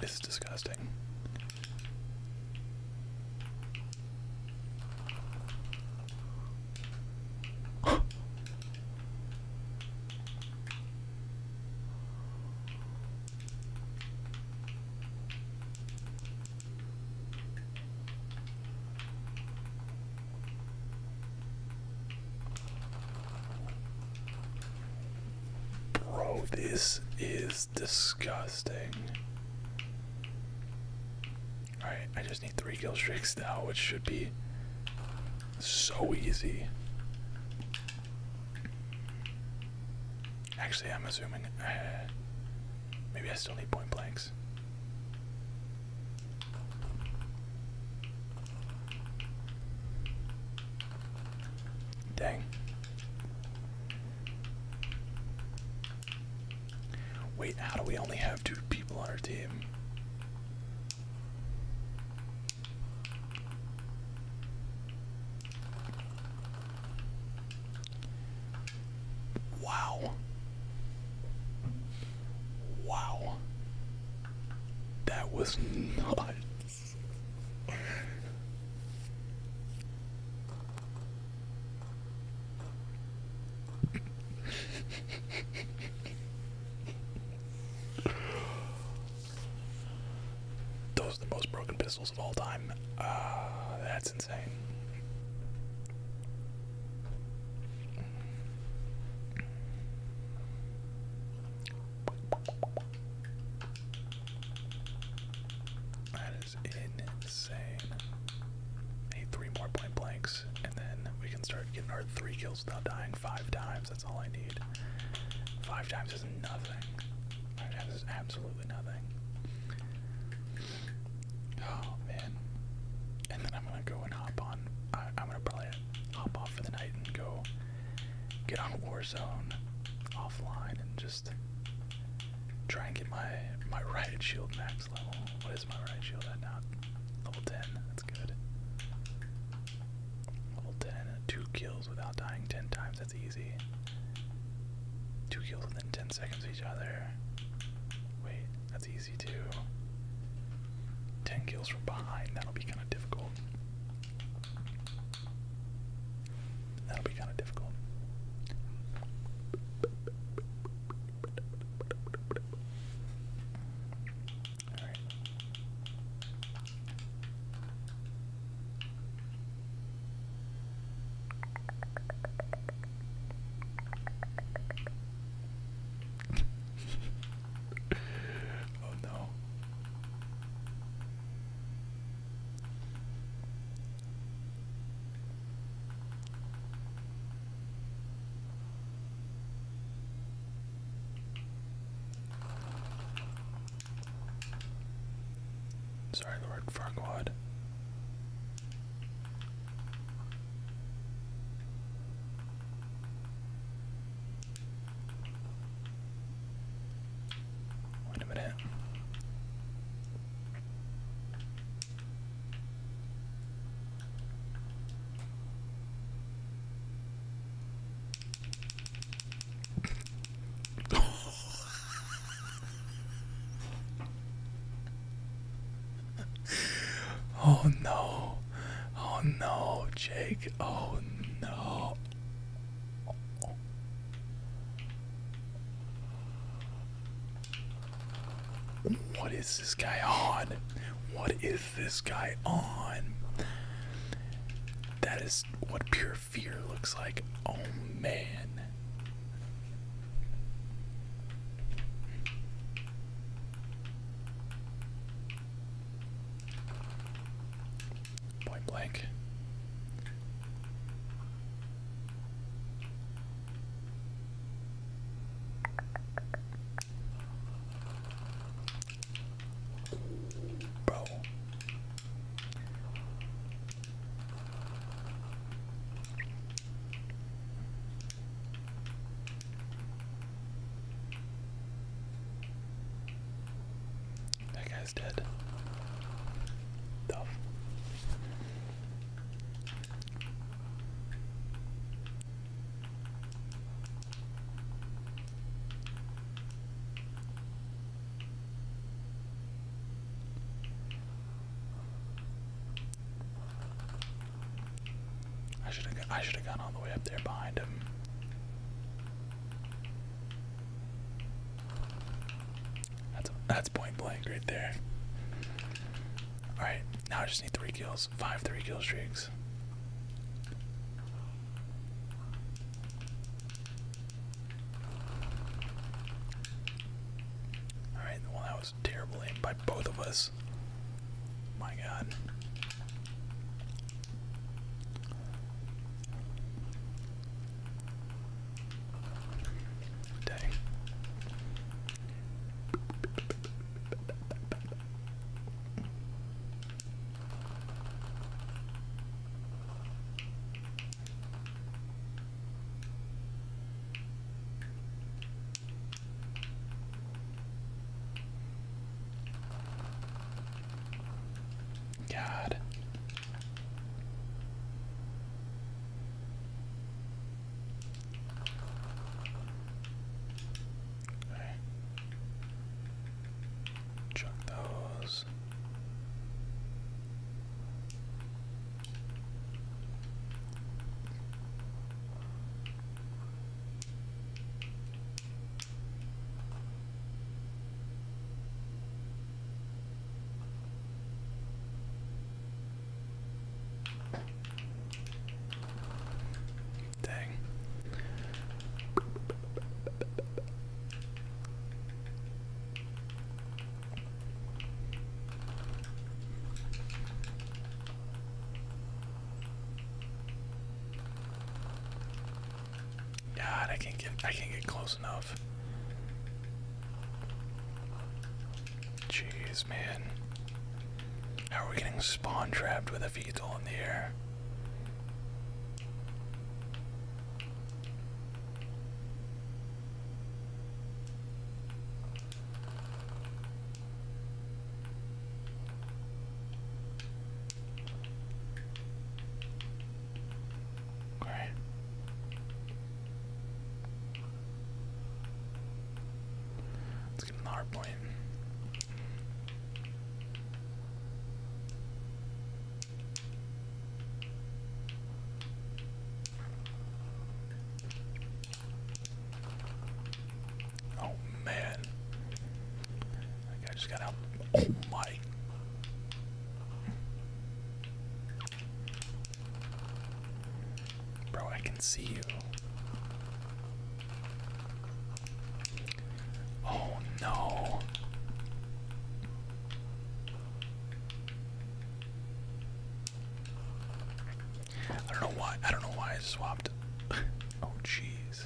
This is disgusting. Bro, this is disgusting. Alright, I just need three kill streaks now, which should be so easy. Actually, I'm assuming. Uh, maybe I still need point blanks. Dang. Wait, how do we only have two people on our team? Wow. Wow. That was nuts. Those are the most broken pistols of all time. Uh, that's that is insane. I need three more point blanks, and then we can start getting our three kills without dying five times. That's all I need. Five times is nothing. Five times is absolutely nothing. Oh man. And then I'm gonna go and hop on. I, am gonna probably hop off for the night and go get on Warzone offline and just try and get my my riot shield max level. What is my right shield at now? Level 10. That's good. Level 10. Two kills without dying 10 times. That's easy. Two kills within 10 seconds each other. Wait, that's easy too. 10 kills from behind, that'll be kind of difficult. That'll be kind of difficult. All right oh no. Sorry, Lord Farquaad. Wait a minute. oh no. Oh no, Jake. Oh no. What is this guy on? What is this guy on? That is what pure fear looks like. Oh man. Point blank. Bro. That guy's dead. Tough. I should have I should have gone all the way up there behind him. That's that's point blank right there. All right, now I just need three kills, five three kill streaks. All right, terrible aim by both of us. My god. Dang. God. Chuck those. Dang. God, I can get I can get close enough. Jeez, man. How are we getting spawn trapped with a vehicle in the air? All right. Let's get another hard point. Oh man. I just got out. Oh my. Bro, I can see you. Oh no. I don't know why. I don't know why I swapped. oh, jeez.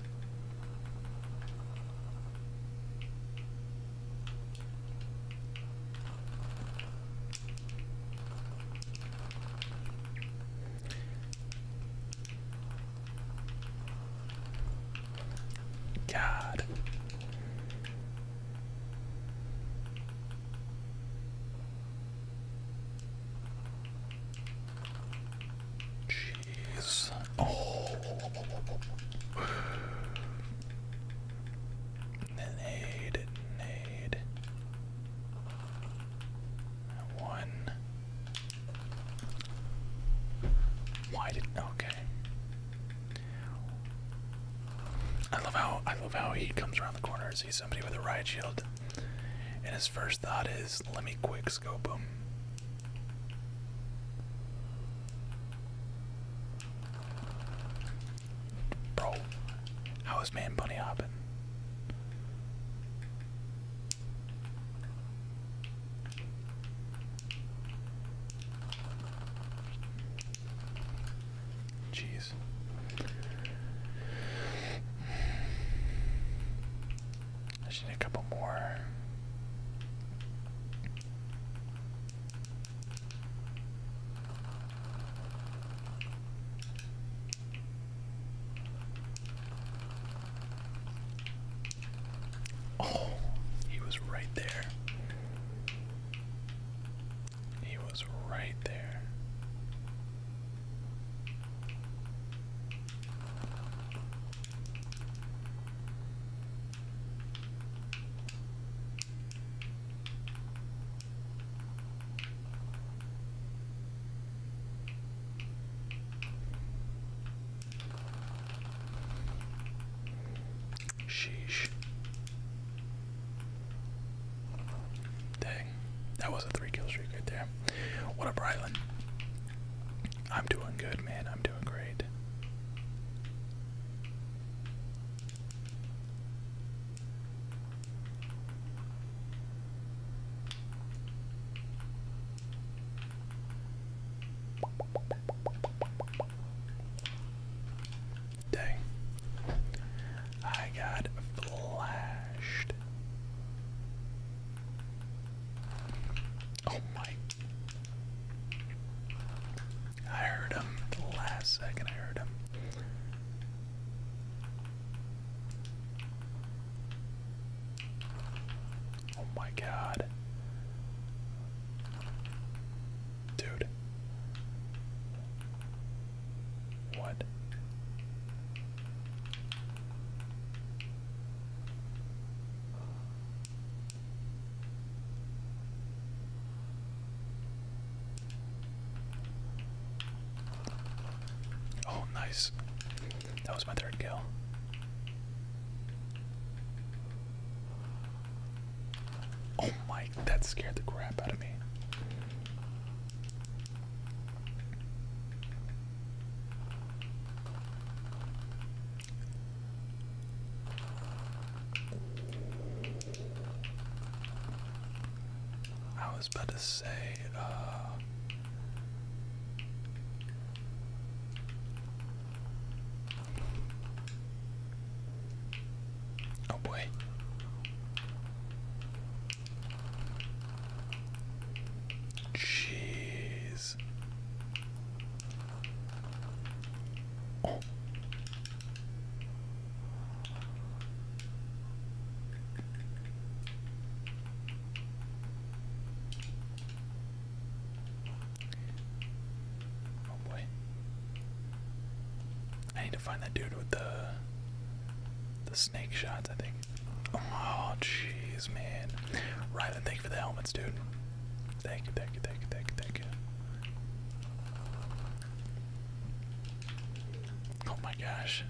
God. Jeez. Oh. Nade, Why did okay? I love how I love how he comes around the corners see somebody with a riot shield, and his first thought is, let me quick scope him. Bro, how is man bunny hopping? Jeez. I need a couple more. Oh, he was right there. He was right there. Sheesh. Dang, that was a three kill streak right there. What a Brylan! I'm doing good, man. I'm doing great. Dang. I got flashed. Oh my. I heard him the last second, I heard him. Oh my god. Dude. What? Oh, nice. That was my third kill. Oh my, that scared the crap out of me. I was about to say, uh, oh boy. Jeez. Oh. boy. I need to find that dude with the the snake shots, I think. Oh, jeez, man. Rylan, thank you for the helmets, dude. Thank you, thank you, thank you, thank you, thank you. Oh my gosh.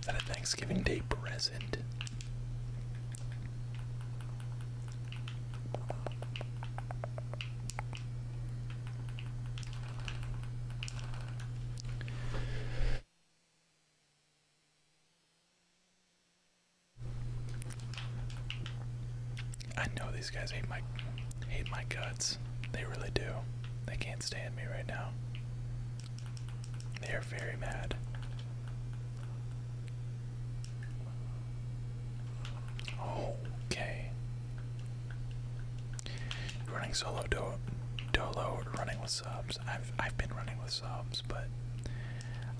Is that a Thanksgiving Day present? I know these guys hate my hate my guts. They really do. They can't stand me right now. They are very mad. Okay. Running solo do dolo running with subs. I've I've been running with subs, but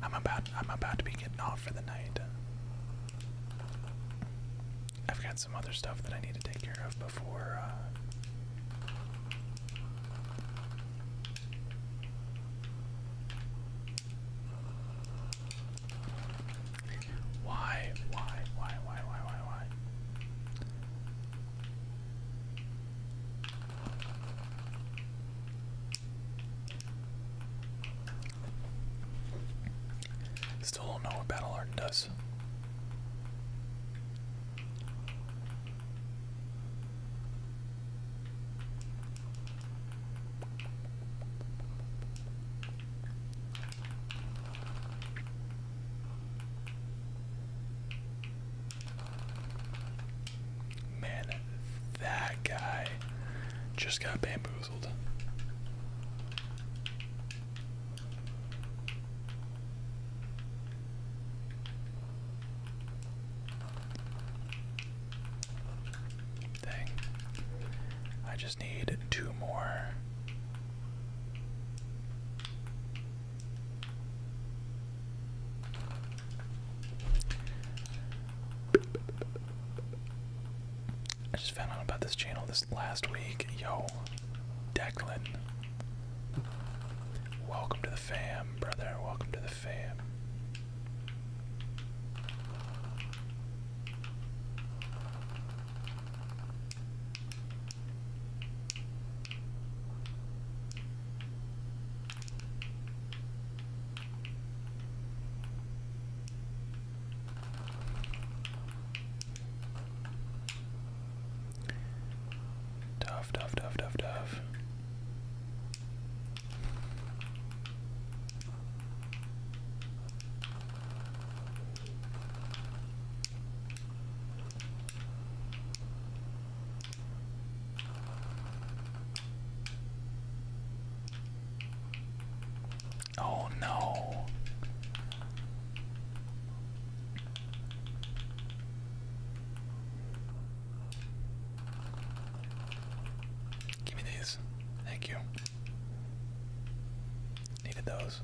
I'm about I'm about to be getting off for the night. I've got some other stuff that I need to take care of before. Uh, why, why, why, why, why, why, why? Still don't know what Battle Art does. Man, that guy just got bamboozled. Dang. I just need two more. I just found out about this channel this last week. Yo, Declan. Welcome to the fam, brother. Welcome to the fam. Tough, tough, tough, tough, tough. Oh no. Give me these. Thank you. Needed those.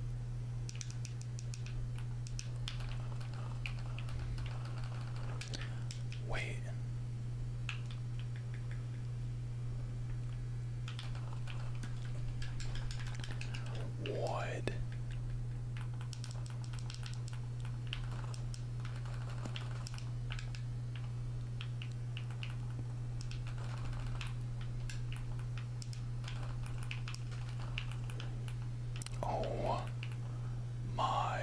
Wait. Wood. Oh my.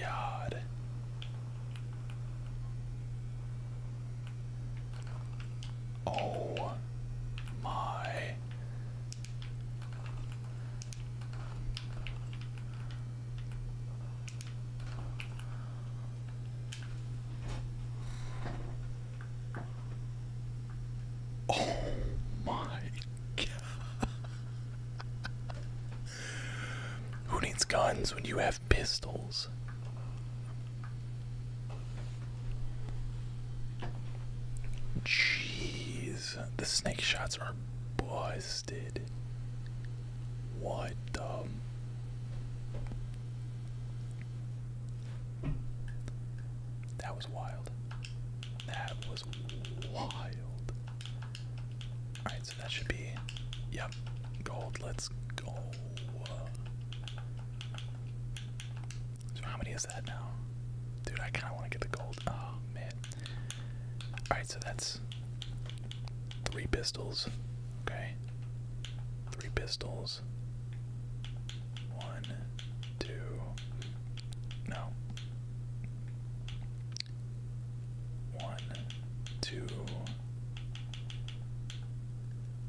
God. Oh my. Oh my god. Who needs guns when you have pistols? Jeez, the snake shots are busted. What the? That was wild. That was wild. Alright, so that should be. Yep, gold. Let's go. So, how many is that now? Dude, I kind of want to get the gold. Oh, man. Alright, so that's three pistols. Okay. Three pistols this. One, two, no. One, two.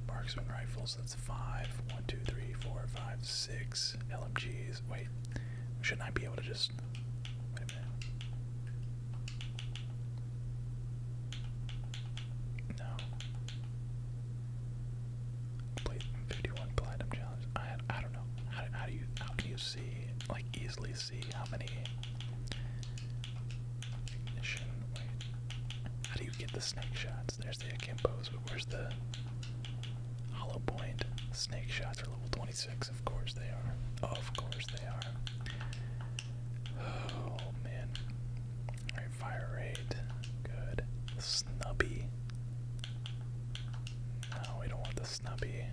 Marksman rifles, that's five. One, two, three, four, five, six. LMGs. Wait, shouldn't I be able to just. No. Play 51 platinum challenge. I I don't know. How, do you how can you see like easily see how many how do you get the snake shots? There's the akimbos, but where's the hollow point? Snake shots are level 26. Of course they are. Of course they are. Oh man fire rate. Good. Snubby. No, we don't want the snubby.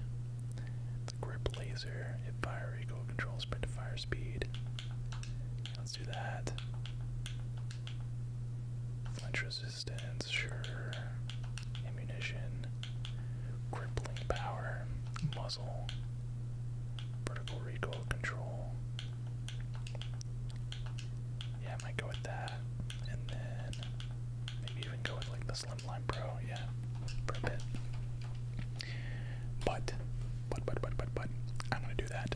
It's grip laser. fire equal control sprint to fire speed. Let's do that. Flinch resistance, sure. Ammunition. Crippling power. Muzzle. Vertical recoil control. Yeah, I might go with that. And then maybe even go with like the Slimline Pro, yeah, for a bit. But, but, but, but, but, but, I'm gonna do that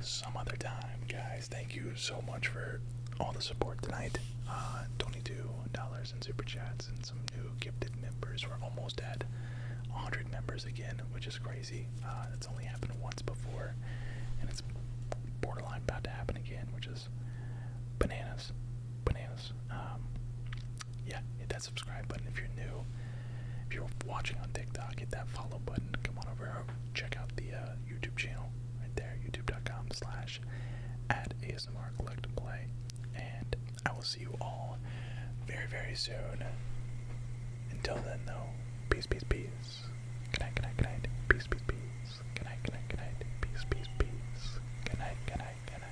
some other time, guys. Thank you so much for all the support tonight. Uh, $22 in super chats and some new gifted members. We're almost at 100 members again, which is crazy. Uh, it's only happened once before, and it's borderline about to happen again, which is bananas. Bananas. Um, yeah, hit that subscribe button if you're new. If you're watching on TikTok, hit that follow button. Come on over, check out the uh, YouTube channel right there, youtube.com slash at And I will see you all very, very soon. Until then, though, peace, peace, peace. Good night, good night, good night. Peace, peace, peace. Good night, good night, good night. Peace, peace, peace. Good night, good night, good night.